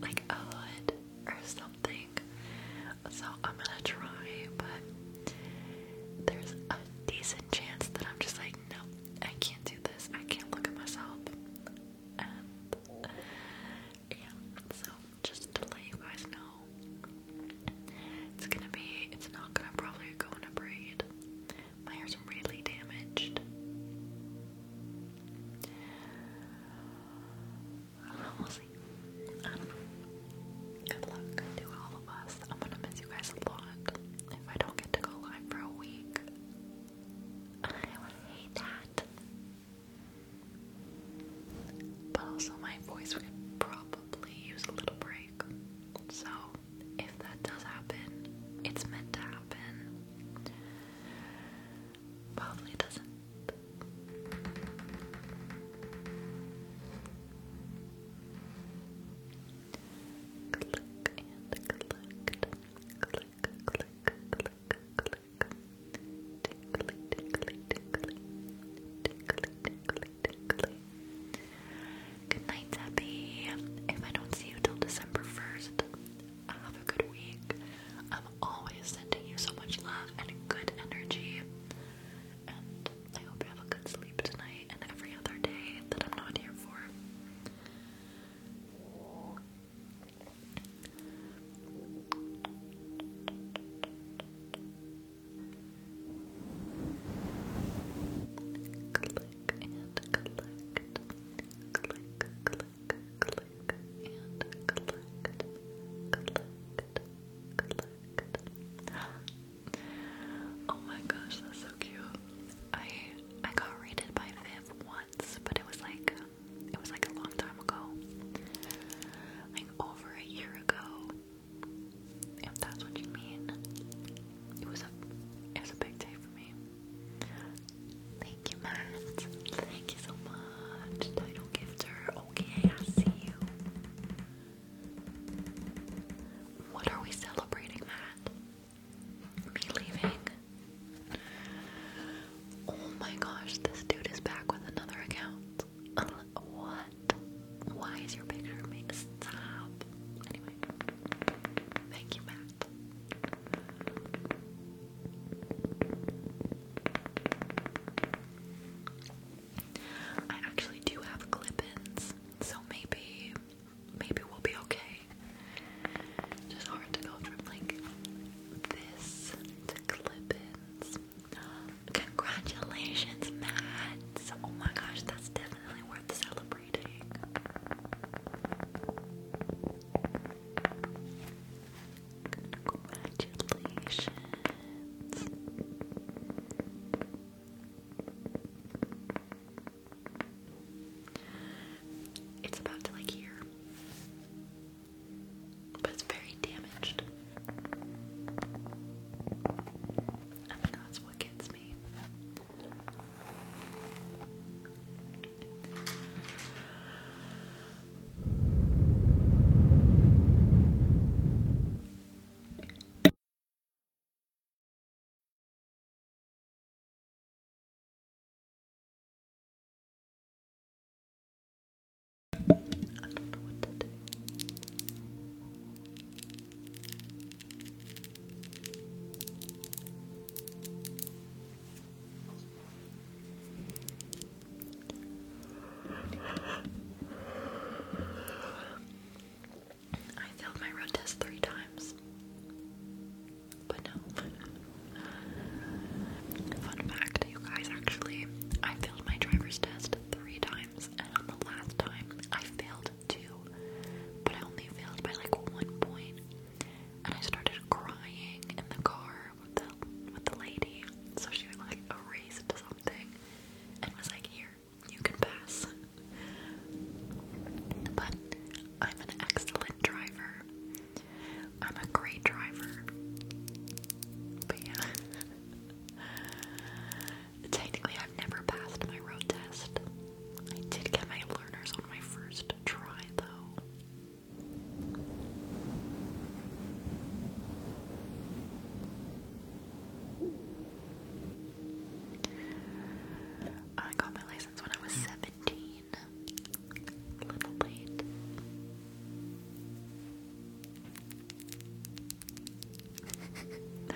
A: like a hood or something. So I'm gonna try, but there's a decent chance that I'm just like, no, I can't do this. I can't look at myself. yeah, so just to let you guys know, it's gonna be, it's not gonna probably go in a braid. My hair's really damaged. We'll see. Um, good luck to all of us. I'm gonna miss you guys a lot. If I don't get to go live for a week, I would hate that. But also, my voice would probably use a little break. So, if that does happen, it's meant to happen. Probably doesn't. Click and collect. Click, click,
B: click, click. Tickly, tickly, tickly. Tickly, tickly, tickly. Good night, Debbie. If I don't see you till December 1st,
A: have a good week. I'm always sending you so much love and good energy. And I hope you have a good sleep tonight and every other day that I'm not here for. Click and collect. Click, click, oh my gosh, that's so cute. I I got rated by Viv once, but it was like it was like a long time ago. Like over a year ago. If that's what you mean. It was a it was a big day for me. Thank you, Matt. Thank you so much. Title gifter. Okay, I see you. What are we celebrating, Matt? Me leaving. Oh my gosh, this dude is back with another account. what? Why is your picture made? Stop. Anyway, thank you, Matt. I actually do have clip so maybe maybe we'll be okay. Just hard to go from like this to clip Congratulations, Mads! Oh my gosh, that's definitely worth celebrating. Congratulations. It's about to like here. But it's very damaged. I that's what gets me. I don't know what to do. I failed my road test three times. But no. Fun fact, you guys, actually, I failed my driver's test three times, and on the last time, I failed two. But I only failed by like one point and I started crying in the car with the with the lady. So she like erased something and was like, "Here, you can pass." But I'm an excellent driver. I'm a great driver. But yeah. Technically, I've never passed my road test. I did get my learners on my first try, though. I got my license when I was 17. little late.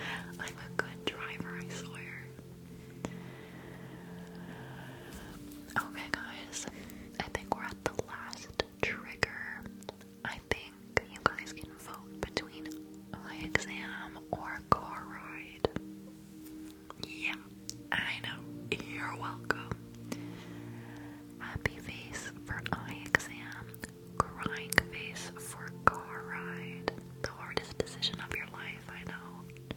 A: I'm a good driver, I swear. Okay, guys, I think we're at the last trigger. I think you guys can vote between eye exam or car ride. Yeah, I know. You're welcome. Happy face for eye exam, crying face for car ride. The hardest decision of your life, I know.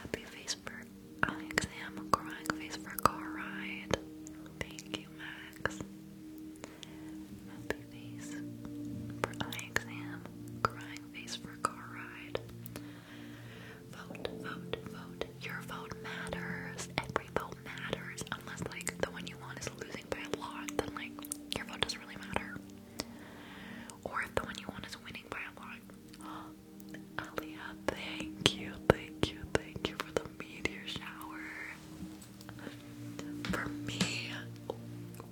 A: Happy face for eye exam, crying face for car ride. Thank you, Max. Happy face for eye exam, crying face for car ride. Vote, vote, vote. Your vote matters. Every vote matters. Unless, like, the one you want is losing by a lot, then, like, your vote doesn't really matter. Or the one you want is winning by a lot. Alia, thank you, thank you, thank you for the meteor shower. For me,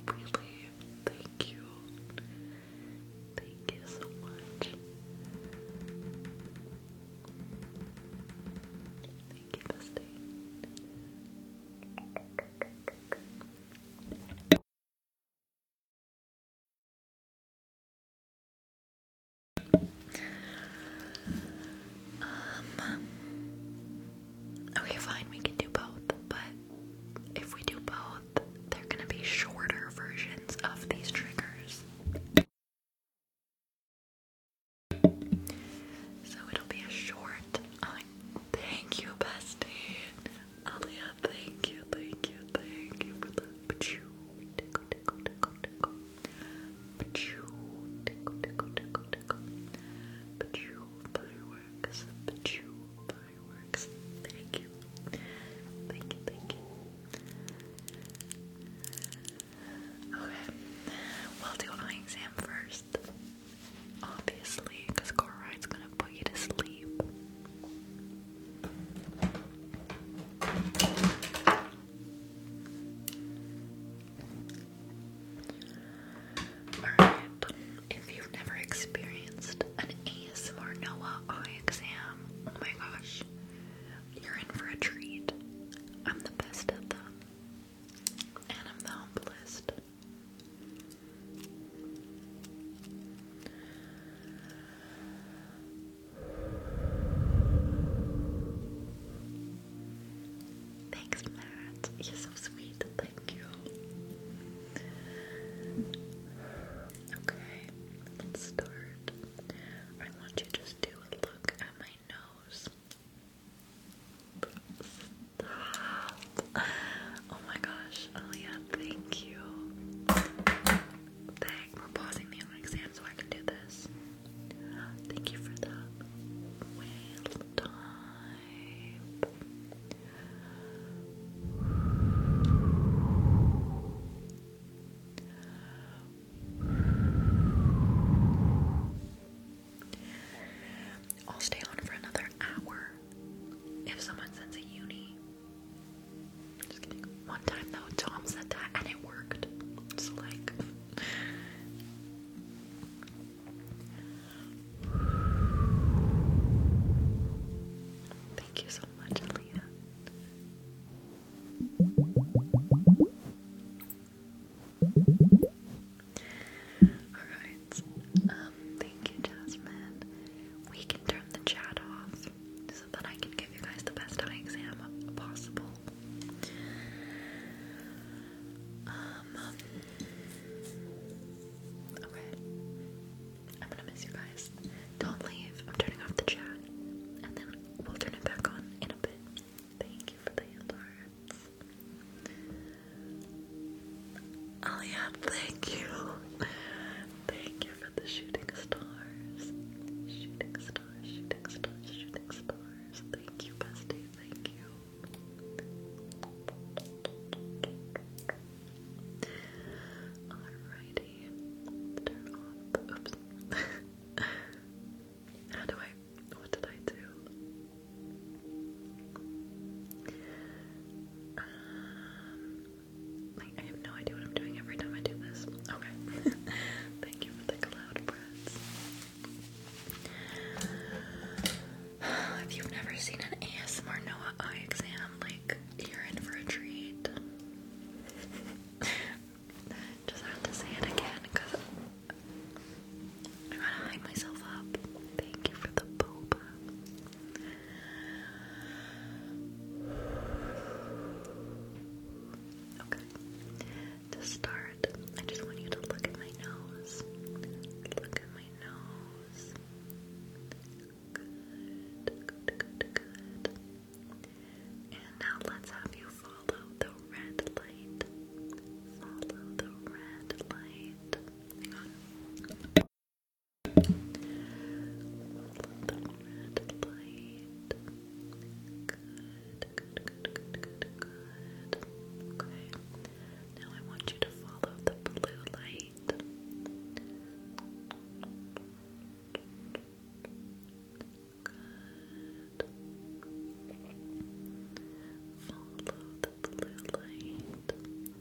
A: really, thank you. Thank you so much. Thank you, Bestie. Um, okay, fine, we can do both, but if we do both, they're gonna be shorter versions of these triggers. So it'll be a short. Oh, thank you, bestie. Alia, thank you, thank you, thank you for the pachu. Tickle, tickle, tickle, tickle. Pachu, tickle, tickle, tickle, tickle. Pachu fireworks, pachu fireworks. Thank you. Thank you, thank you. Okay, we'll do eye exam first obviously, because car ride's gonna put you to sleep. Alright, if you've never experienced an ASMR Noah eye exam, oh my gosh, you're in for a treat. I'm the best at them, and I'm the humblest. Thanks, Matt. You're so sweet. Thank you. Okay, let's start. I want you to just do a look at my nose. Oh my gosh, Aaliyah, thank you. Dang, we're pausing the exam so I can do this. Thank you for that. Whale type. I'll stay on for another hour if someone sends a uni. One time though, Tom said that and it worked. It's like. Thank you so much, Leah. Alright. Um, um, thank you, Jasmine. We can turn the chat off so that I can give you guys the best eye exam possible. Um, okay. I'm gonna miss you guys. Don't leave. I'm turning off the chat, and then we'll turn it back on in a bit. Thank you for the hearts. Oh, Aliab, thank you.
B: Thank you for the shooting stars. Shooting stars, shooting stars, shooting stars. Thank you, bestie. Thank you. Alrighty. Turn off. Oops. How do I? What did I
A: do? Um, like, I have no idea what I'm doing every time I do this. Okay. Thank you for the cloud breaths. if you've never seen an ASMR Noah eye exam, like, you're in for a treat. Just have to say it again, because I gotta hype myself up. Thank you for the boba. Okay. To start, I just want you to look at my nose. Look at my nose. Good, good, good, good. And now let's have you follow the red light. Follow the red light. Little red light. Good, good, good, good, good, good. Okay. Now I want you to follow the blue light. Good. Follow the blue light. Okay.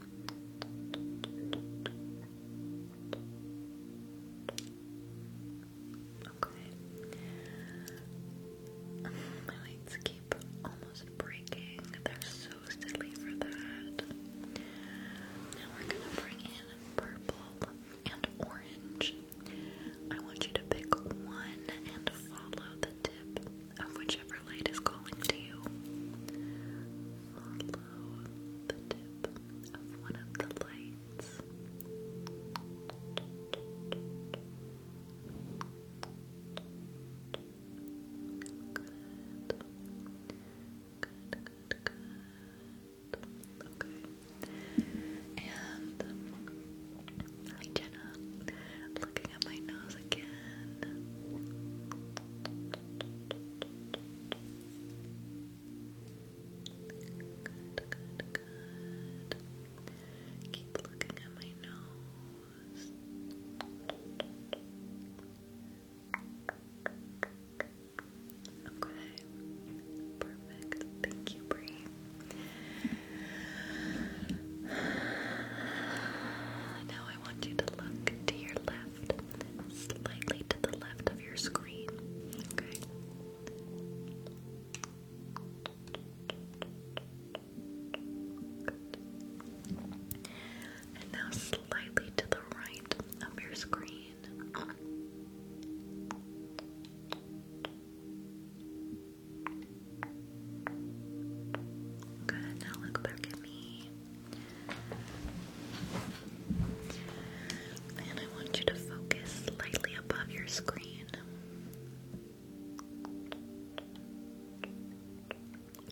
A: My lights keep almost breaking. They're so silly for that. we're gonna bring in purple and orange. I want you to pick one and follow the tip of whichever light is calling to you below the tip of one of the lights. Good. Good, good, good. Okay. And hi Jenna. Looking at my nose again. Good, good, good. Keep looking at my nose. Okay. Perfect. Thank you, Bree. Now I want you to look to your left slightly to the left of your screen. Okay. And now slightly to the right of your screen. Good. Now look back at me. And I want you to focus slightly above your screen.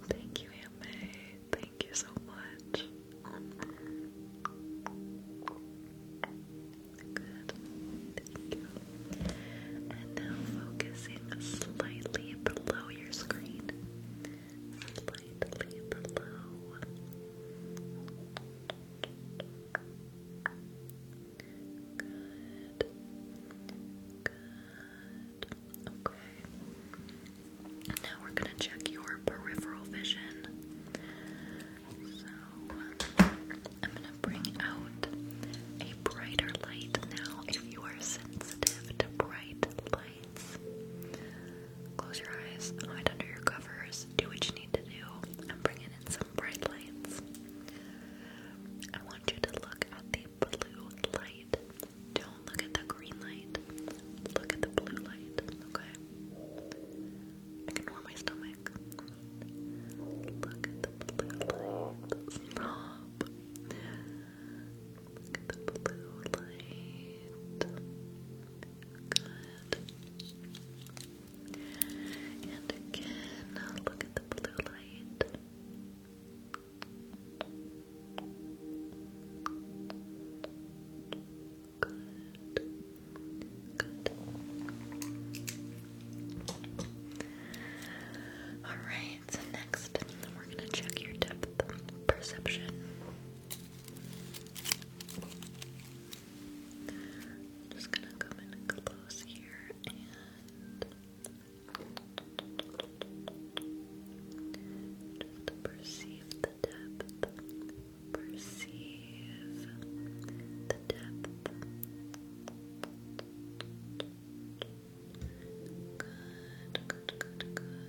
A: Thank you, Aunt Thank you so much. Good. Thank you. And now focusing slightly below your screen slightly Now we're going to check your peripheral vision. So I'm going to bring out a brighter light now if you are sensitive to bright light. Close your eyes, hide under your covers, do what you need to do, and bring in some bright lights. I want you to look at the blue light. Don't look at the green light. Look at the blue light, okay? Ignore my stomach. Look at the blue light. Look at the blue light. Good. And again, look at the blue light. Good. Good. Alright, so next we're going to check your depth perception. I'm just gonna come in close here and just perceive the depth,
B: perceive the depth. Good, good, good, good.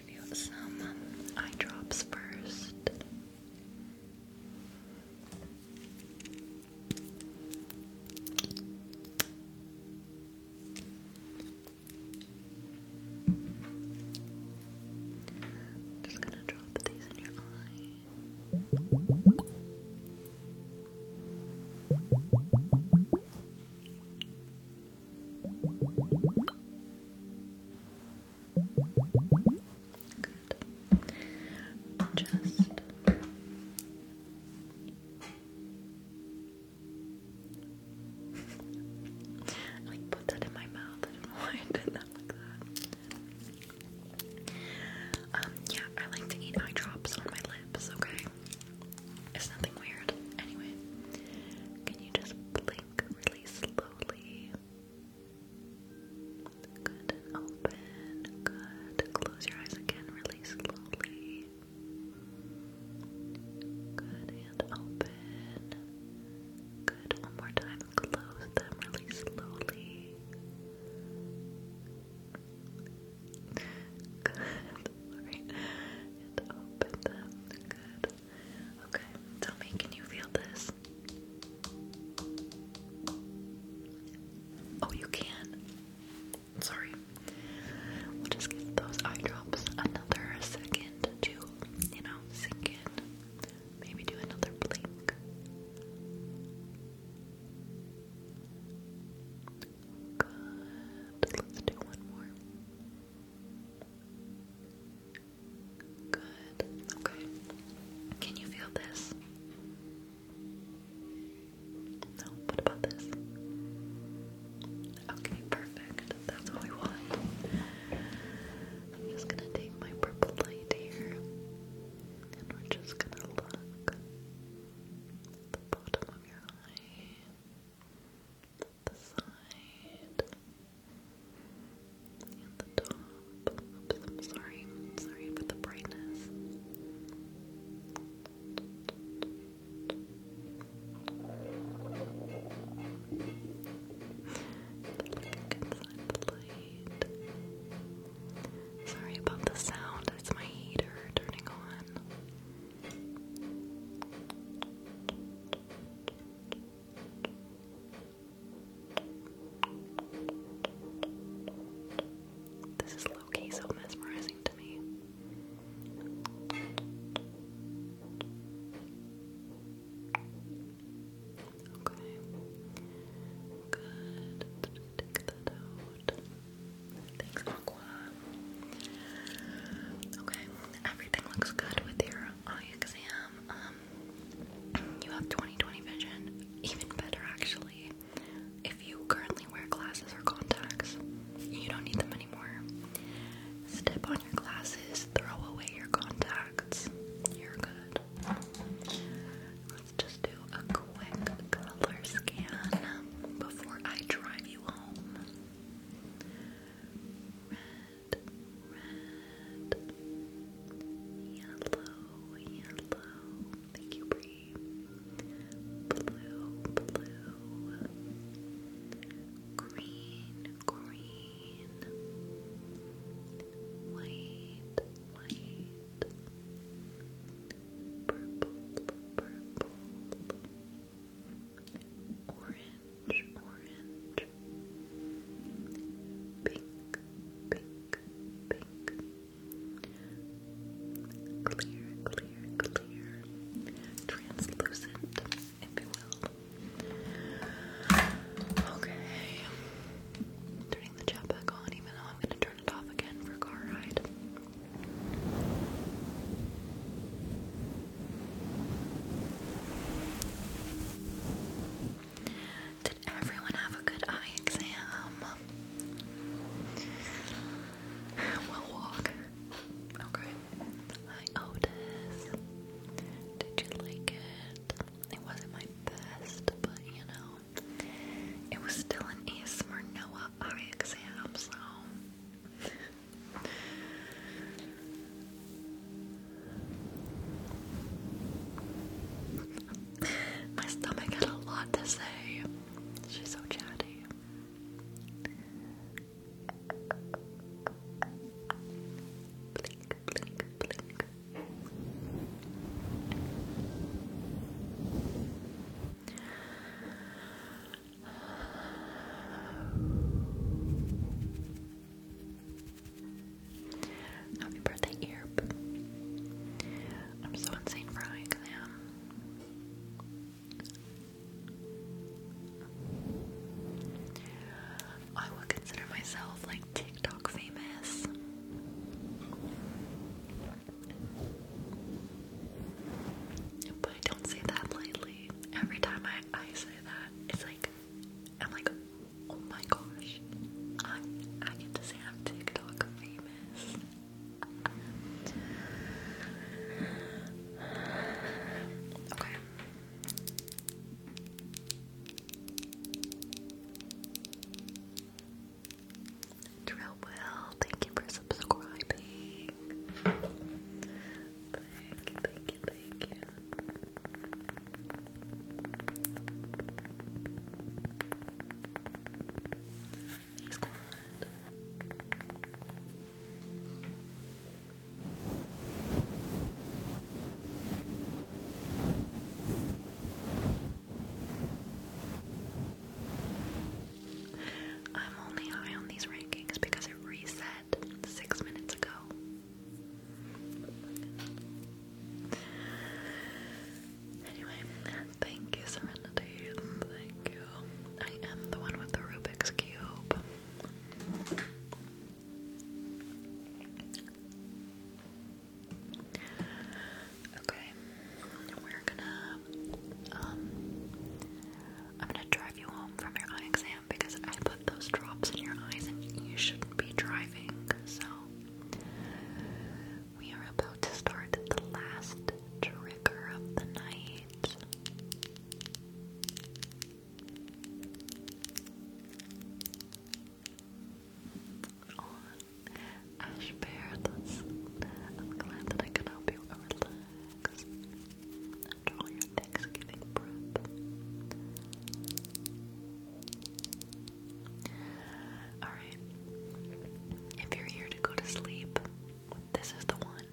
B: give you some
A: eye drops 1st just gonna drop these in your eye. Just I like put that in my mouth. I don't know why I did that like that. Um, yeah, I like to eat eye drops on my lips, okay? It's nothing weird. Anyway, can you just blink really slowly. Good and open. Good. Close your eyes again really slowly. Good and open. Good. One more time. Close them really slowly. Good. And open them. Good. Okay, tell me, can you feel this? Oh, you can. Sorry. We'll just give those eye drops another second to, you know, sink in. Maybe do another blink. Good. Let's do one more. Good. Okay. Can you feel this? No. What about this? Okay, perfect. That's what we want. I'm just gonna take my purple light here, and we're just gonna look the bottom of your eye the side and the top. I'm sorry. Sorry for the brightness. the light. Sorry about the sound. It's my heater turning on. This is low so mesmerizing to me. Okay. Good. Take that out. Thanks, Aqua. Okay, everything looks good with your eye exam. Um, you have 20 vision, even better actually. If you currently wear glasses or contacts, you don't need them anymore. Step on your glasses, throw away your contacts.
B: You're good. Let's just do a quick color scan before I drive you home red, yellow, yellow. Thank you, Bree. Blue, blue, green, green, white, white, purple, purple. Orange, orange, pink, pink,
A: pink, clear, clear, clear, translucent, if you will. Okay. Turning the chat back on, even though I'm gonna turn it off again for car ride. Did everyone have a good eye exam? We'll walk. Okay. Hi, Otis. Did you like it? It wasn't my best, but you know, it was still an A Noah eye exam, so. My stomach had a lot to say. She's so chatty. Blink, blink, blink. Happy birthday, Earp. I'm so insane for eye exam. I would consider myself like TikTok famous. But I don't say that lightly. Every time I, I say that, it's like, I'm like, Oh my gosh. I I get to say I'm TikTok famous. Okay. Drill thank you for subscribing. Thank you, thank you, thank you. He's quiet. I'm only high on these rankings because it reset six minutes ago. Anyway, thank you, Serenity. Thank you. I am the one with the Rubik's Cube. Okay, we're gonna, um, I'm gonna drive you home from your exam because those drops in your eyes, and you shouldn't be driving. So, we are about to start the last trigger of the night. Oh, that's, I'm glad that I can help you relax after all your Thanksgiving prep. Alright. If you're here to go to sleep, this is the one.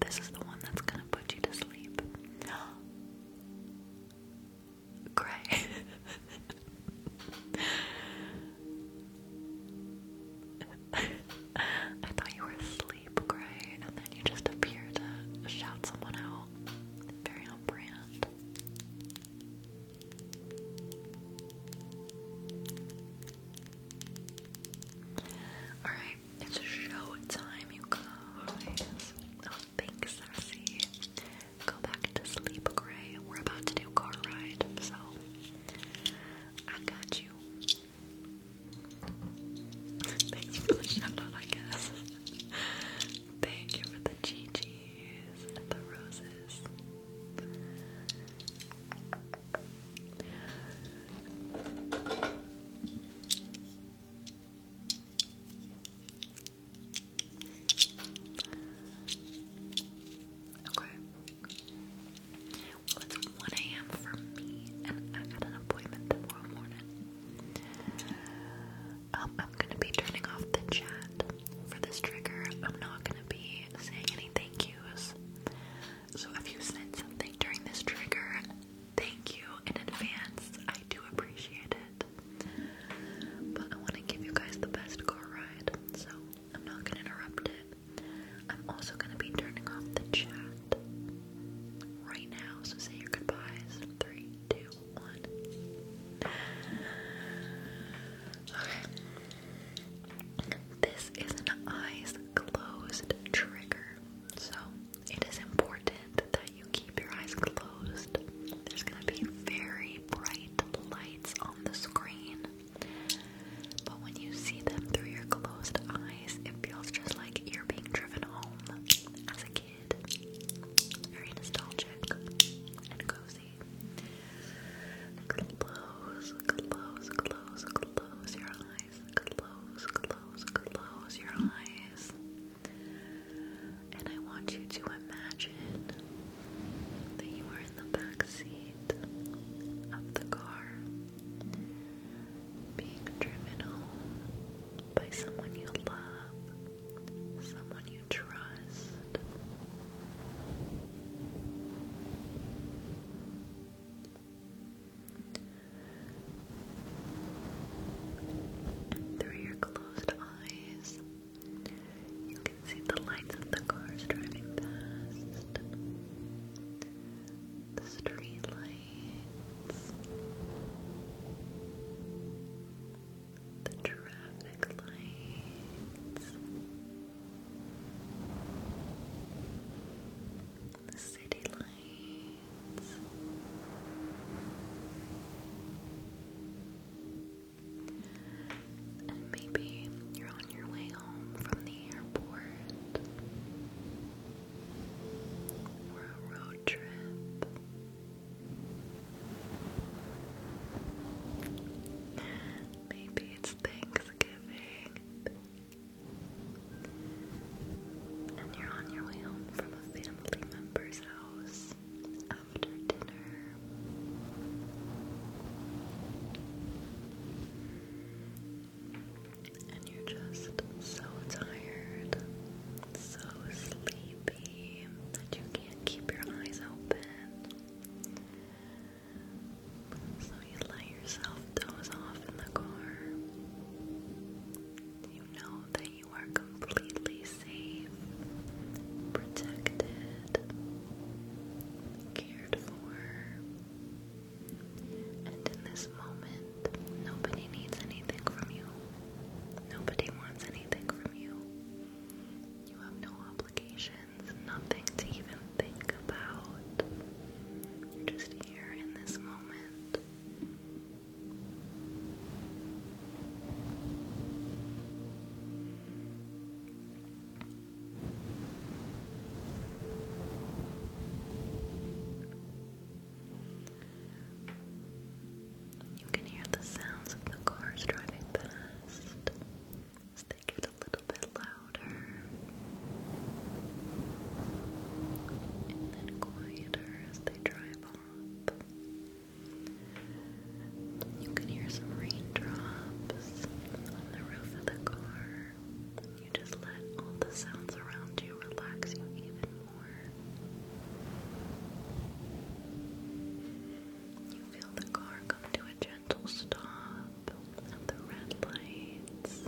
A: This is the one that's gonna put you to sleep. Gray. I thought you were asleep, Gray, and then you just appear to shout someone out. Very on Alright, it's show you guys. Oh, sassy. Go back to sleep, Gray. We're about to do car ride, so I got you. Thanks for the I guess. Thank you for the Gigi's and the roses. Okay. Well, it's 1 a.m. for me, and I got an appointment tomorrow morning. Um, I'm gonna be turning off the chat for this trigger. I'm not gonna be saying any thank yous. So if you said something during this trigger, thank you in advance. I do appreciate it. But I want to give you guys the best car ride, so I'm not gonna interrupt it. I'm also gonna be turning off the chat right now, so say your goodbyes. Three, this is an eyes closed trigger. So it is important that you keep your eyes closed. There's going to be very bright lights on the screen. But when you see them through your closed eyes, it feels just like you're being driven home as a kid. Very nostalgic and cozy. Close, close, close, close your eyes. Close, close, close your eyes. And I want you to imagine that you are in the back of the car, being driven home by someone you love, someone you trust. Through your closed eyes, you can see the lights of the cars driving past, the street the traffic lights, the city lights. And maybe you're on your way home from the airport
B: or a road trip. Maybe it's Thanksgiving and you're on your way home from a family member's house after dinner. And you're just so tired, so sleepy that you can keep your eyes open. So you let yourself doze off in the car. You know that you are completely safe, protected, cared for. And in this moment, nobody needs anything from you. Nobody wants anything from you. You have no obligations, nothing to even think about. just here in this moment.
A: You can hear the sounds of the cars driving past as they get a little bit louder and then quieter as they drive up. You can hear some raindrops on the roof of the car. just let all the sounds around you relax you even more feel the car come to a gentle stop at the red lights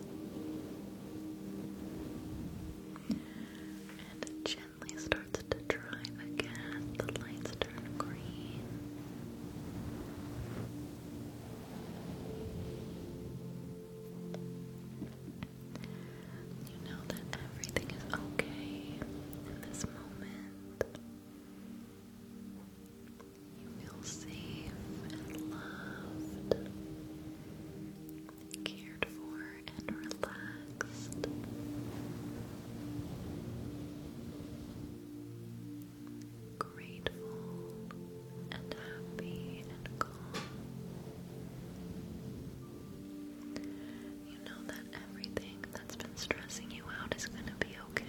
A: and it gently starts to drive again. The lights turn green. You know that everything is okay in this moment. You feel safe and loved, cared for and relaxed. Grateful and happy and calm. You know that everything that's been stressing you out is going to be okay.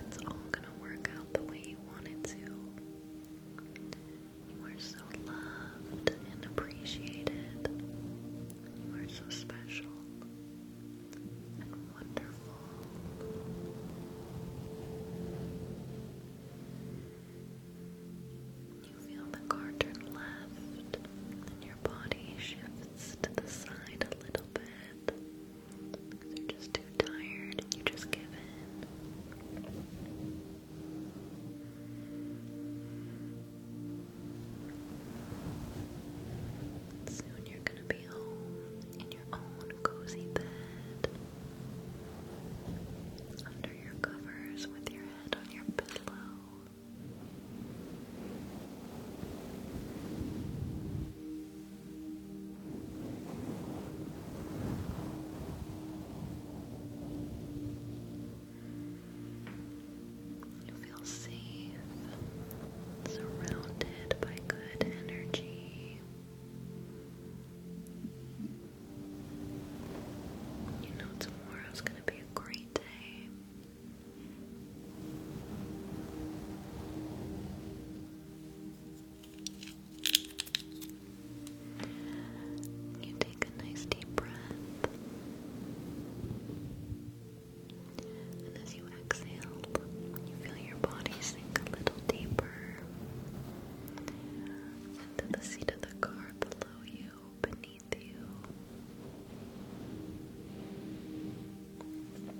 A: It's all going to work out the way you wanted to. You are so loved and appreciated. You are so special and wonderful. You feel the car turn left, and your body shifts to the side a little bit you are just too tired
B: and you just give in. Soon you're gonna be home in your own cozy bed. Under your covers with your head on your pillow. You feel safe, surrounded by good energy. You know tomorrow's gonna be a great day. You take a nice deep breath. And as you exhale, you feel your body sink a little deeper into the seat of the car below you, beneath you. And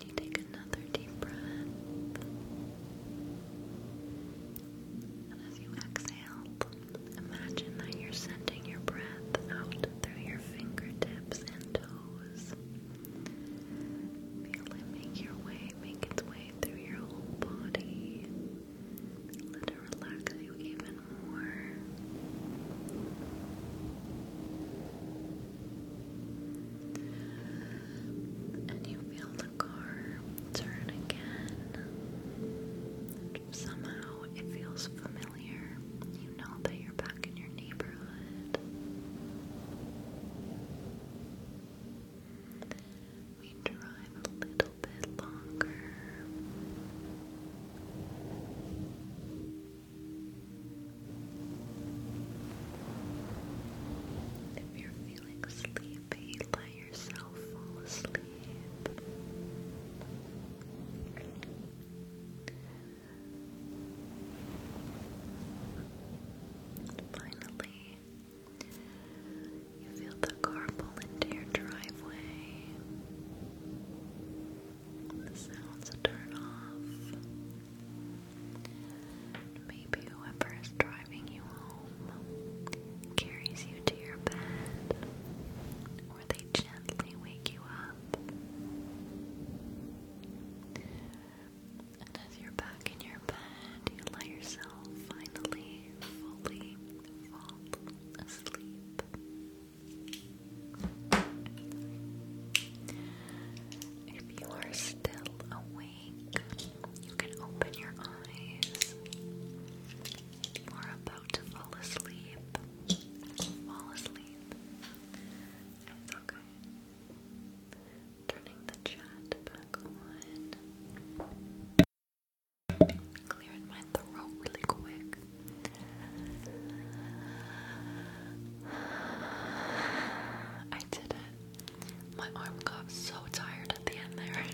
B: you take another deep breath. And as you exhale, imagine that you're sending your breath out through your fingertips and toes.
A: Feel it make your way, make its way through your whole body. Let it relax you even more. And you feel the car turn again. Somehow it feels familiar. You know that you're back in your neighborhood. We drive a little bit longer. If you're feeling sleepy, let yourself fall asleep. Finally, you feel the car pull into your driveway the sounds turn off. Maybe whoever is driving you home carries you to your bed, or they gently wake you up. And as you're back in your bed, you let yourself finally fully fall asleep. If you are still awake, you can open your eyes. you are about to fall asleep, fall asleep. It's okay. Turning the chat back on. Clearing my throat really quick. I did it. My arm got so tired at the end there.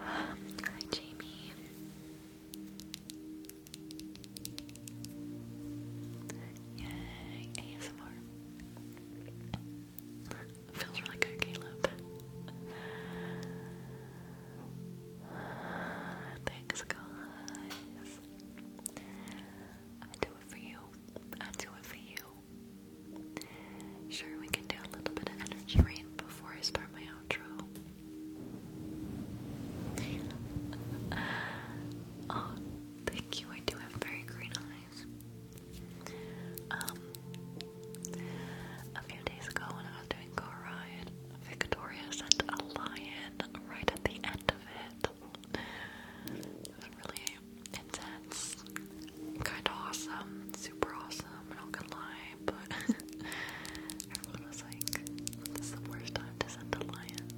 A: Hi, Jamie. Yay, ASMR. Feels really good, Caleb. Thanks, guys. I do it for you. I do it for you. Sure, we can do a little bit of energy rain before I start my outro. oh, Thank you. I do have very green eyes. Um, a few days ago when I was doing Car Victoria sent a lion right at the end of it. really intense, kind of awesome, super awesome, I'm not lie, but everyone was like, this is the worst
B: time to send a lion.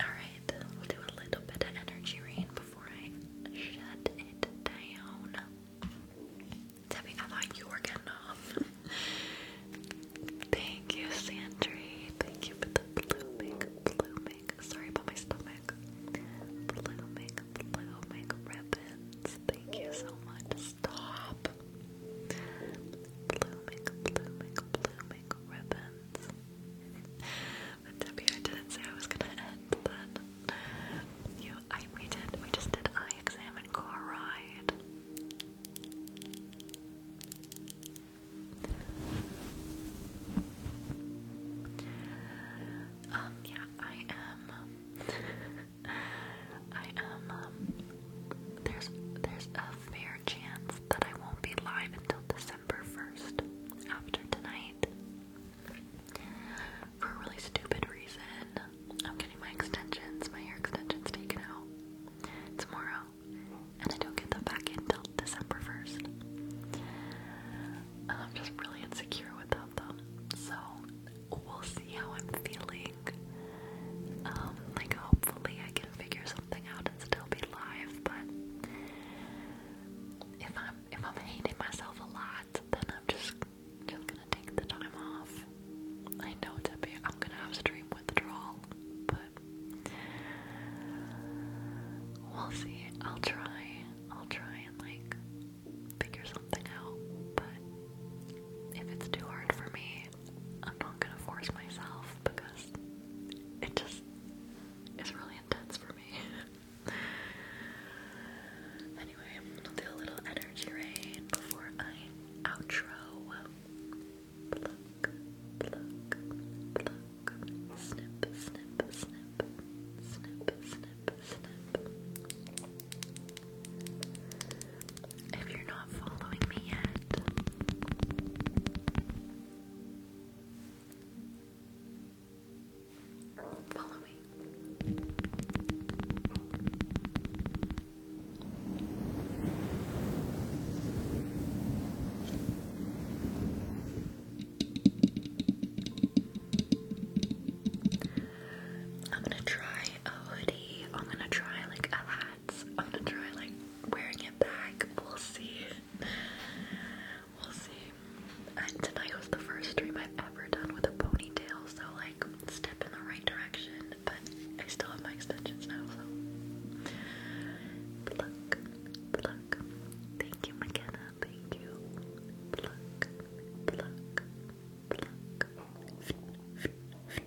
B: Alright, we'll do a little bit of energy rain before I shut it down. Debbie, I thought you were getting off. Thank you, Sandry. Thank you
A: Sorry about my stomach. Thank you so much, Stop. Blooming, blooming, blooming ribbons. But Debbie, I didn't say I was gonna end But You, I, did, we just did I examined and car ride. Um, yeah, I am. I am um, there's there's a fair chance that I won't be live until December 1st after tonight. For a really stupid reason. I'm getting my extensions, my hair extensions taken out tomorrow. And I don't get them back until December 1st. And I'm just really insecure without them. So we'll see how I'm feeling. Um, like hopefully I can figure something out and still be live, but if I'm if I'm hating myself a lot, then I'm just just gonna take the time off. I know it's I'm gonna have stream withdrawal, but we'll see. I'll try. I'll try and like figure something out, but if it's too hard for me, I'm not gonna force myself because it just is really intense for me. anyway, I'll do a little energy rain before I outro. Pluck, pluck, pluck, snip, snip, snip, snip, snip, snip. If you're not following me yet, follow me. I'm gonna try a hoodie. I'm gonna try like a hat. I'm gonna try like wearing it back. We'll see. We'll see. And tonight was the first dream I've ever done with a ponytail, so like step in the right direction. But I still have my extensions now, so pluck, look. Thank you, McKenna. Thank you. Pluck, pluck, pluck.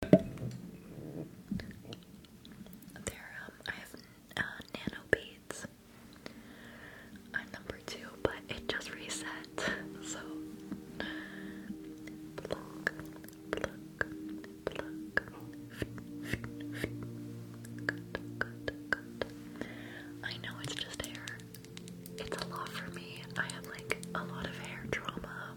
A: There, um, I have uh, nano beads. I'm number two, but it just reset. So, pluck, pluck, pluck. I know it's just hair. It's a lot for me. I have like a lot of hair trauma.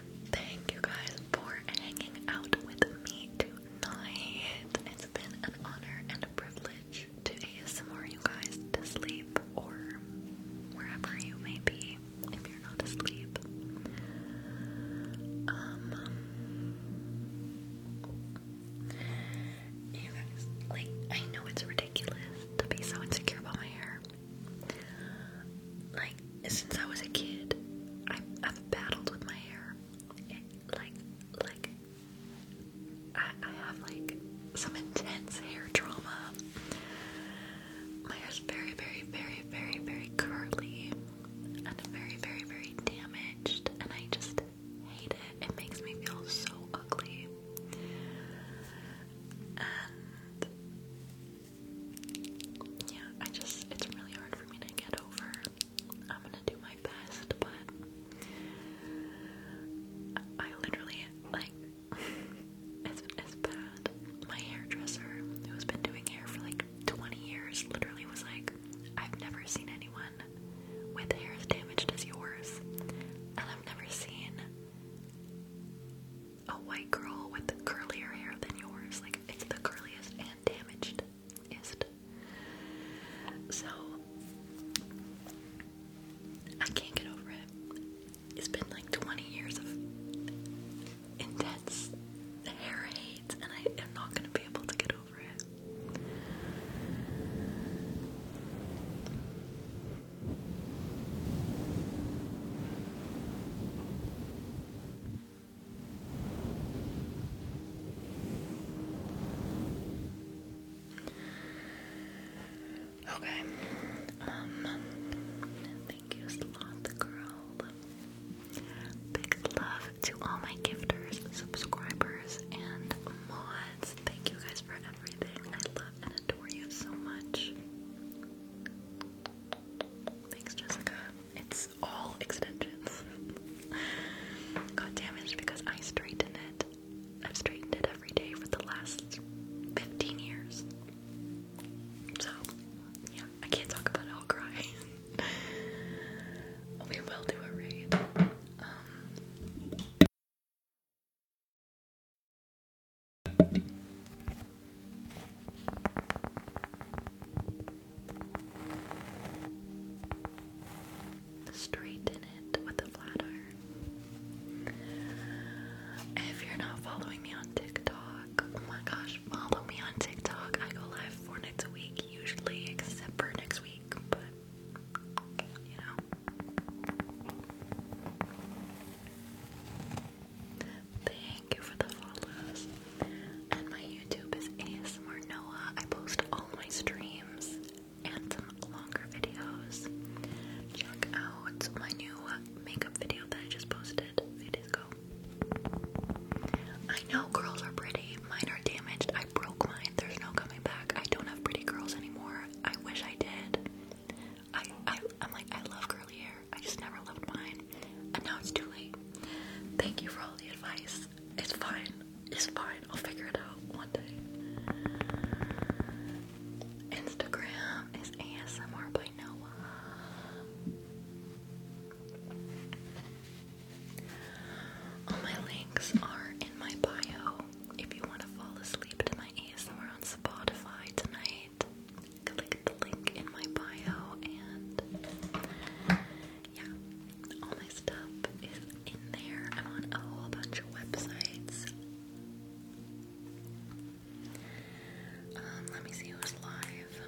A: Thank you guys for hanging out with me tonight. It's been an honor and a privilege to ASMR you guys
B: to sleep or wherever you may be if you're not asleep.
A: Um, you guys, like, I know it's ridiculous to be so insecure about my hair. Like, since I was a kid, I've, battled with my hair. like, like, I, I have like some intense hair trauma. My hair's very, very, very, very, very curly and very, very, very damaged, and I just hate it. It makes me feel so ugly yeah, I just, it's really hard for me to get over. I'm gonna do my best, but I, I literally, like, it's, bad. My hairdresser, who's been doing hair for like 20 years, literally was like, I've never seen anyone with hair as damaged as yours, and I've never seen a white girl with curlier hair than yours. Like, it's the curliest and damaged ist. So I can't get over it. It's been like 20 years of intense hair and I am not going to be able to get over it. Okay. Um thank you, Sloth Girl. Big love to all my gifters, subscribers, and mods. Thank you guys for everything. I love and adore you so much. Thanks, Jessica. It's all extensions. Got damaged because I straightened it. I've straightened it every day for the
B: last 15 years. So, yeah, I can't talk about it, I'll cry. we will do a raid. Um,
A: Straighten it with a bladder. If you're not following me on TikTok, oh my gosh, follow me on TikTok. I go live four nights a week, usually, except for next week, but you know thank you for the follows. And my YouTube is ASMR Noah. I post all my streams and longer videos. Check out my new makeup video that I just posted a few I know girls are pretty. Mine are damaged. I broke mine. There's no coming back. I don't have pretty girls anymore. I wish I did. I I'm like I love curly hair. I just never loved mine. And now it's too late. Thank you for all the advice. It's fine. It's fine. I'll figure it out one day. Instagram is ASMR by Noah. All my links are in my bio. If you want to fall asleep to my ASMR on Spotify tonight, click the link in my bio and yeah, all my stuff is in there. I'm on a whole bunch of websites. Um, let me see who's live.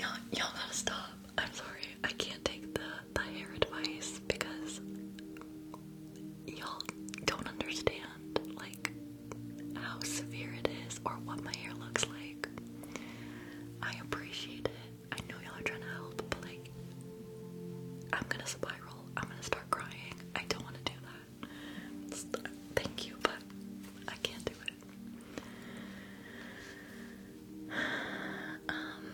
A: Y'all, gotta stop. I'm sorry. I can't take the the hair advice because y'all don't understand like how severe it is or what my hair looks like. I appreciate it. I know y'all are trying to help, but like I'm gonna spiral. I'm gonna start crying. I don't wanna do that. thank you, but I can't do it. Um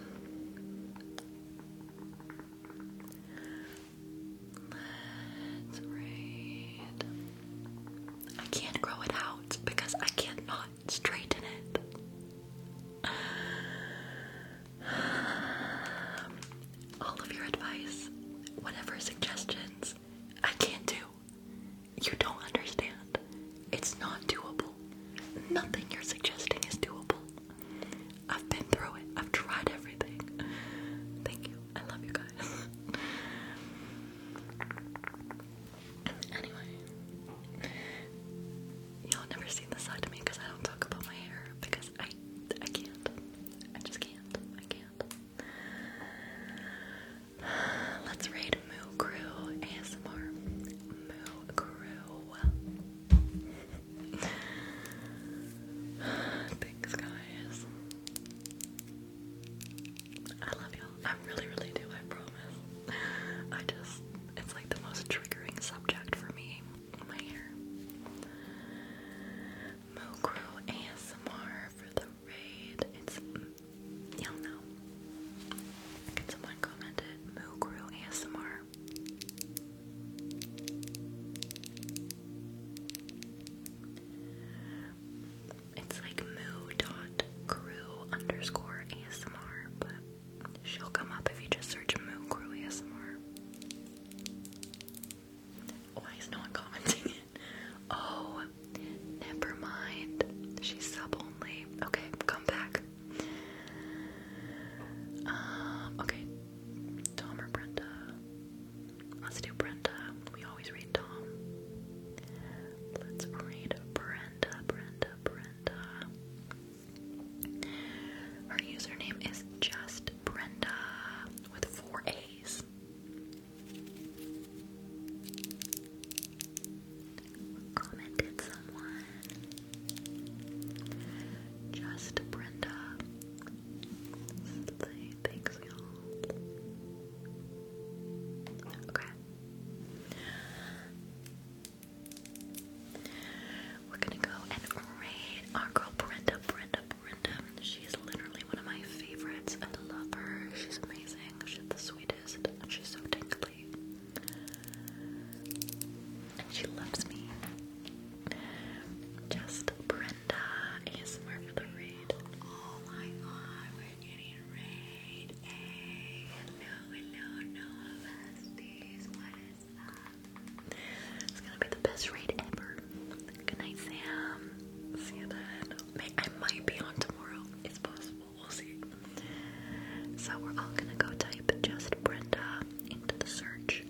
A: Let's read. I can't grow it out because I can't straighten it. All of your advice, whatever suggestions, I can't do. You don't understand. It's not doable. Nothing you're suggesting is doable. I've been through it. I've tried everything. Thank you. I love you guys. anyway, y'all never seen this side of me because I don't talk about my hair because I I can't. I just can't. I can't. Let's read Moo Crew ASMR. Moo Crew. Thanks, guys. I love y'all. I really, really do. I promise. I just, it's like the most triggering subject for me. My hair. Mokro ASMR for the raid. It's, y'all know. Can someone comment it? Mokro ASMR. It's like moo dot crew underscore ASMR, but she'll come up if you just search moo crew ASMR. Why oh, is no one commenting it? Oh, never mind. She's sub only. Okay, come back. Um, okay. Tom or Brenda? Let's do Brenda. We always read Tom. Let's read Brenda, Brenda, Brenda. Her username is just Brenda with four A's. Commented someone. Just Brenda thanks y'all.
B: Okay. We're gonna go and raid our girl Brenda, Brenda, Brenda. She's literally one of my favorites.
A: I love her. She's amazing. She's the sweetest. she's so tingly. she loves me. Just pray Brenda ASMR for the raid. Oh my god, we're getting raid. Hey, hello, no besties. What is up? It's gonna be the best raid ever. Good night, Sam. See you then. I might be on tomorrow. It's possible. We'll see. So we're all gonna go type just Brenda into the search.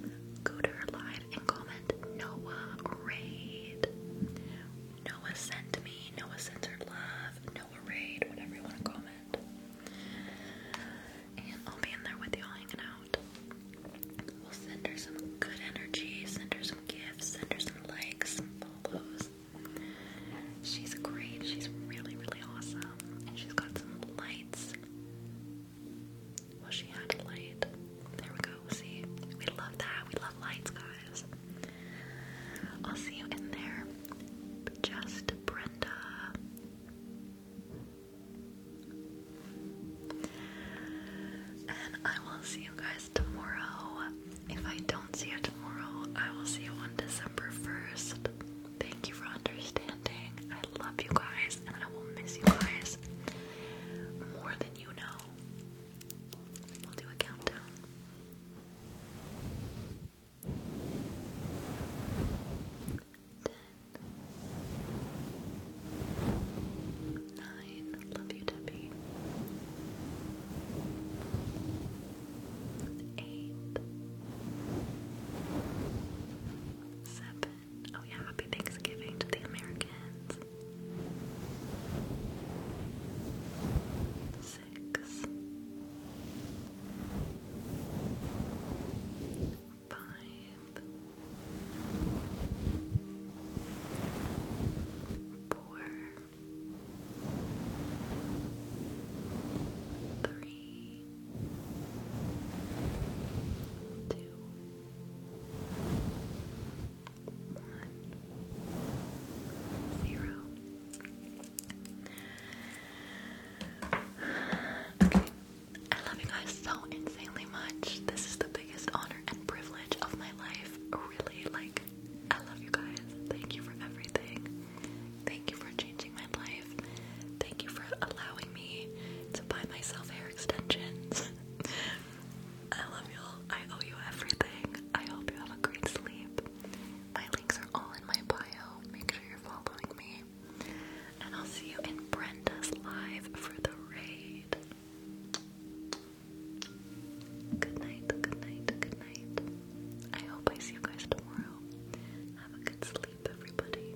A: Go to her line and comment Noah Raid. Noah sent me, Noah sent her love, Noah Raid, whatever you want to comment. And I'll be in there with y'all hanging out. We'll send her some good energy, send her some gifts, send her some likes, follows. She's great, she's really, really awesome. And she's got some lights. Well, she had a light. There we go. we love that. We love lights, guys. I'll see you in there. Just Brenda. And I will see you guys tomorrow. If I don't see you tomorrow, I will see you on December 1st. Thank you for understanding. I love you guys and I will miss you guys more than you know. We'll do a countdown. Ten. Love you, Debbie. Eight. Seven. Oh, yeah, happy Thanksgiving to the Americans. Six one, zero. I love you guys so insanely much. This is the biggest honor and privilege of my life. Really, like, I love you guys. Thank you for everything. Thank you for changing my life. Thank you for allowing me to buy myself hair extensions. I love y'all. I owe you everything. I hope you have a great sleep. My links are all in my bio. Make sure you're following me. And I'll see you in Brenda's live for the raid. Good night, good night, good night. I hope I see you guys tomorrow. Have a good sleep, everybody.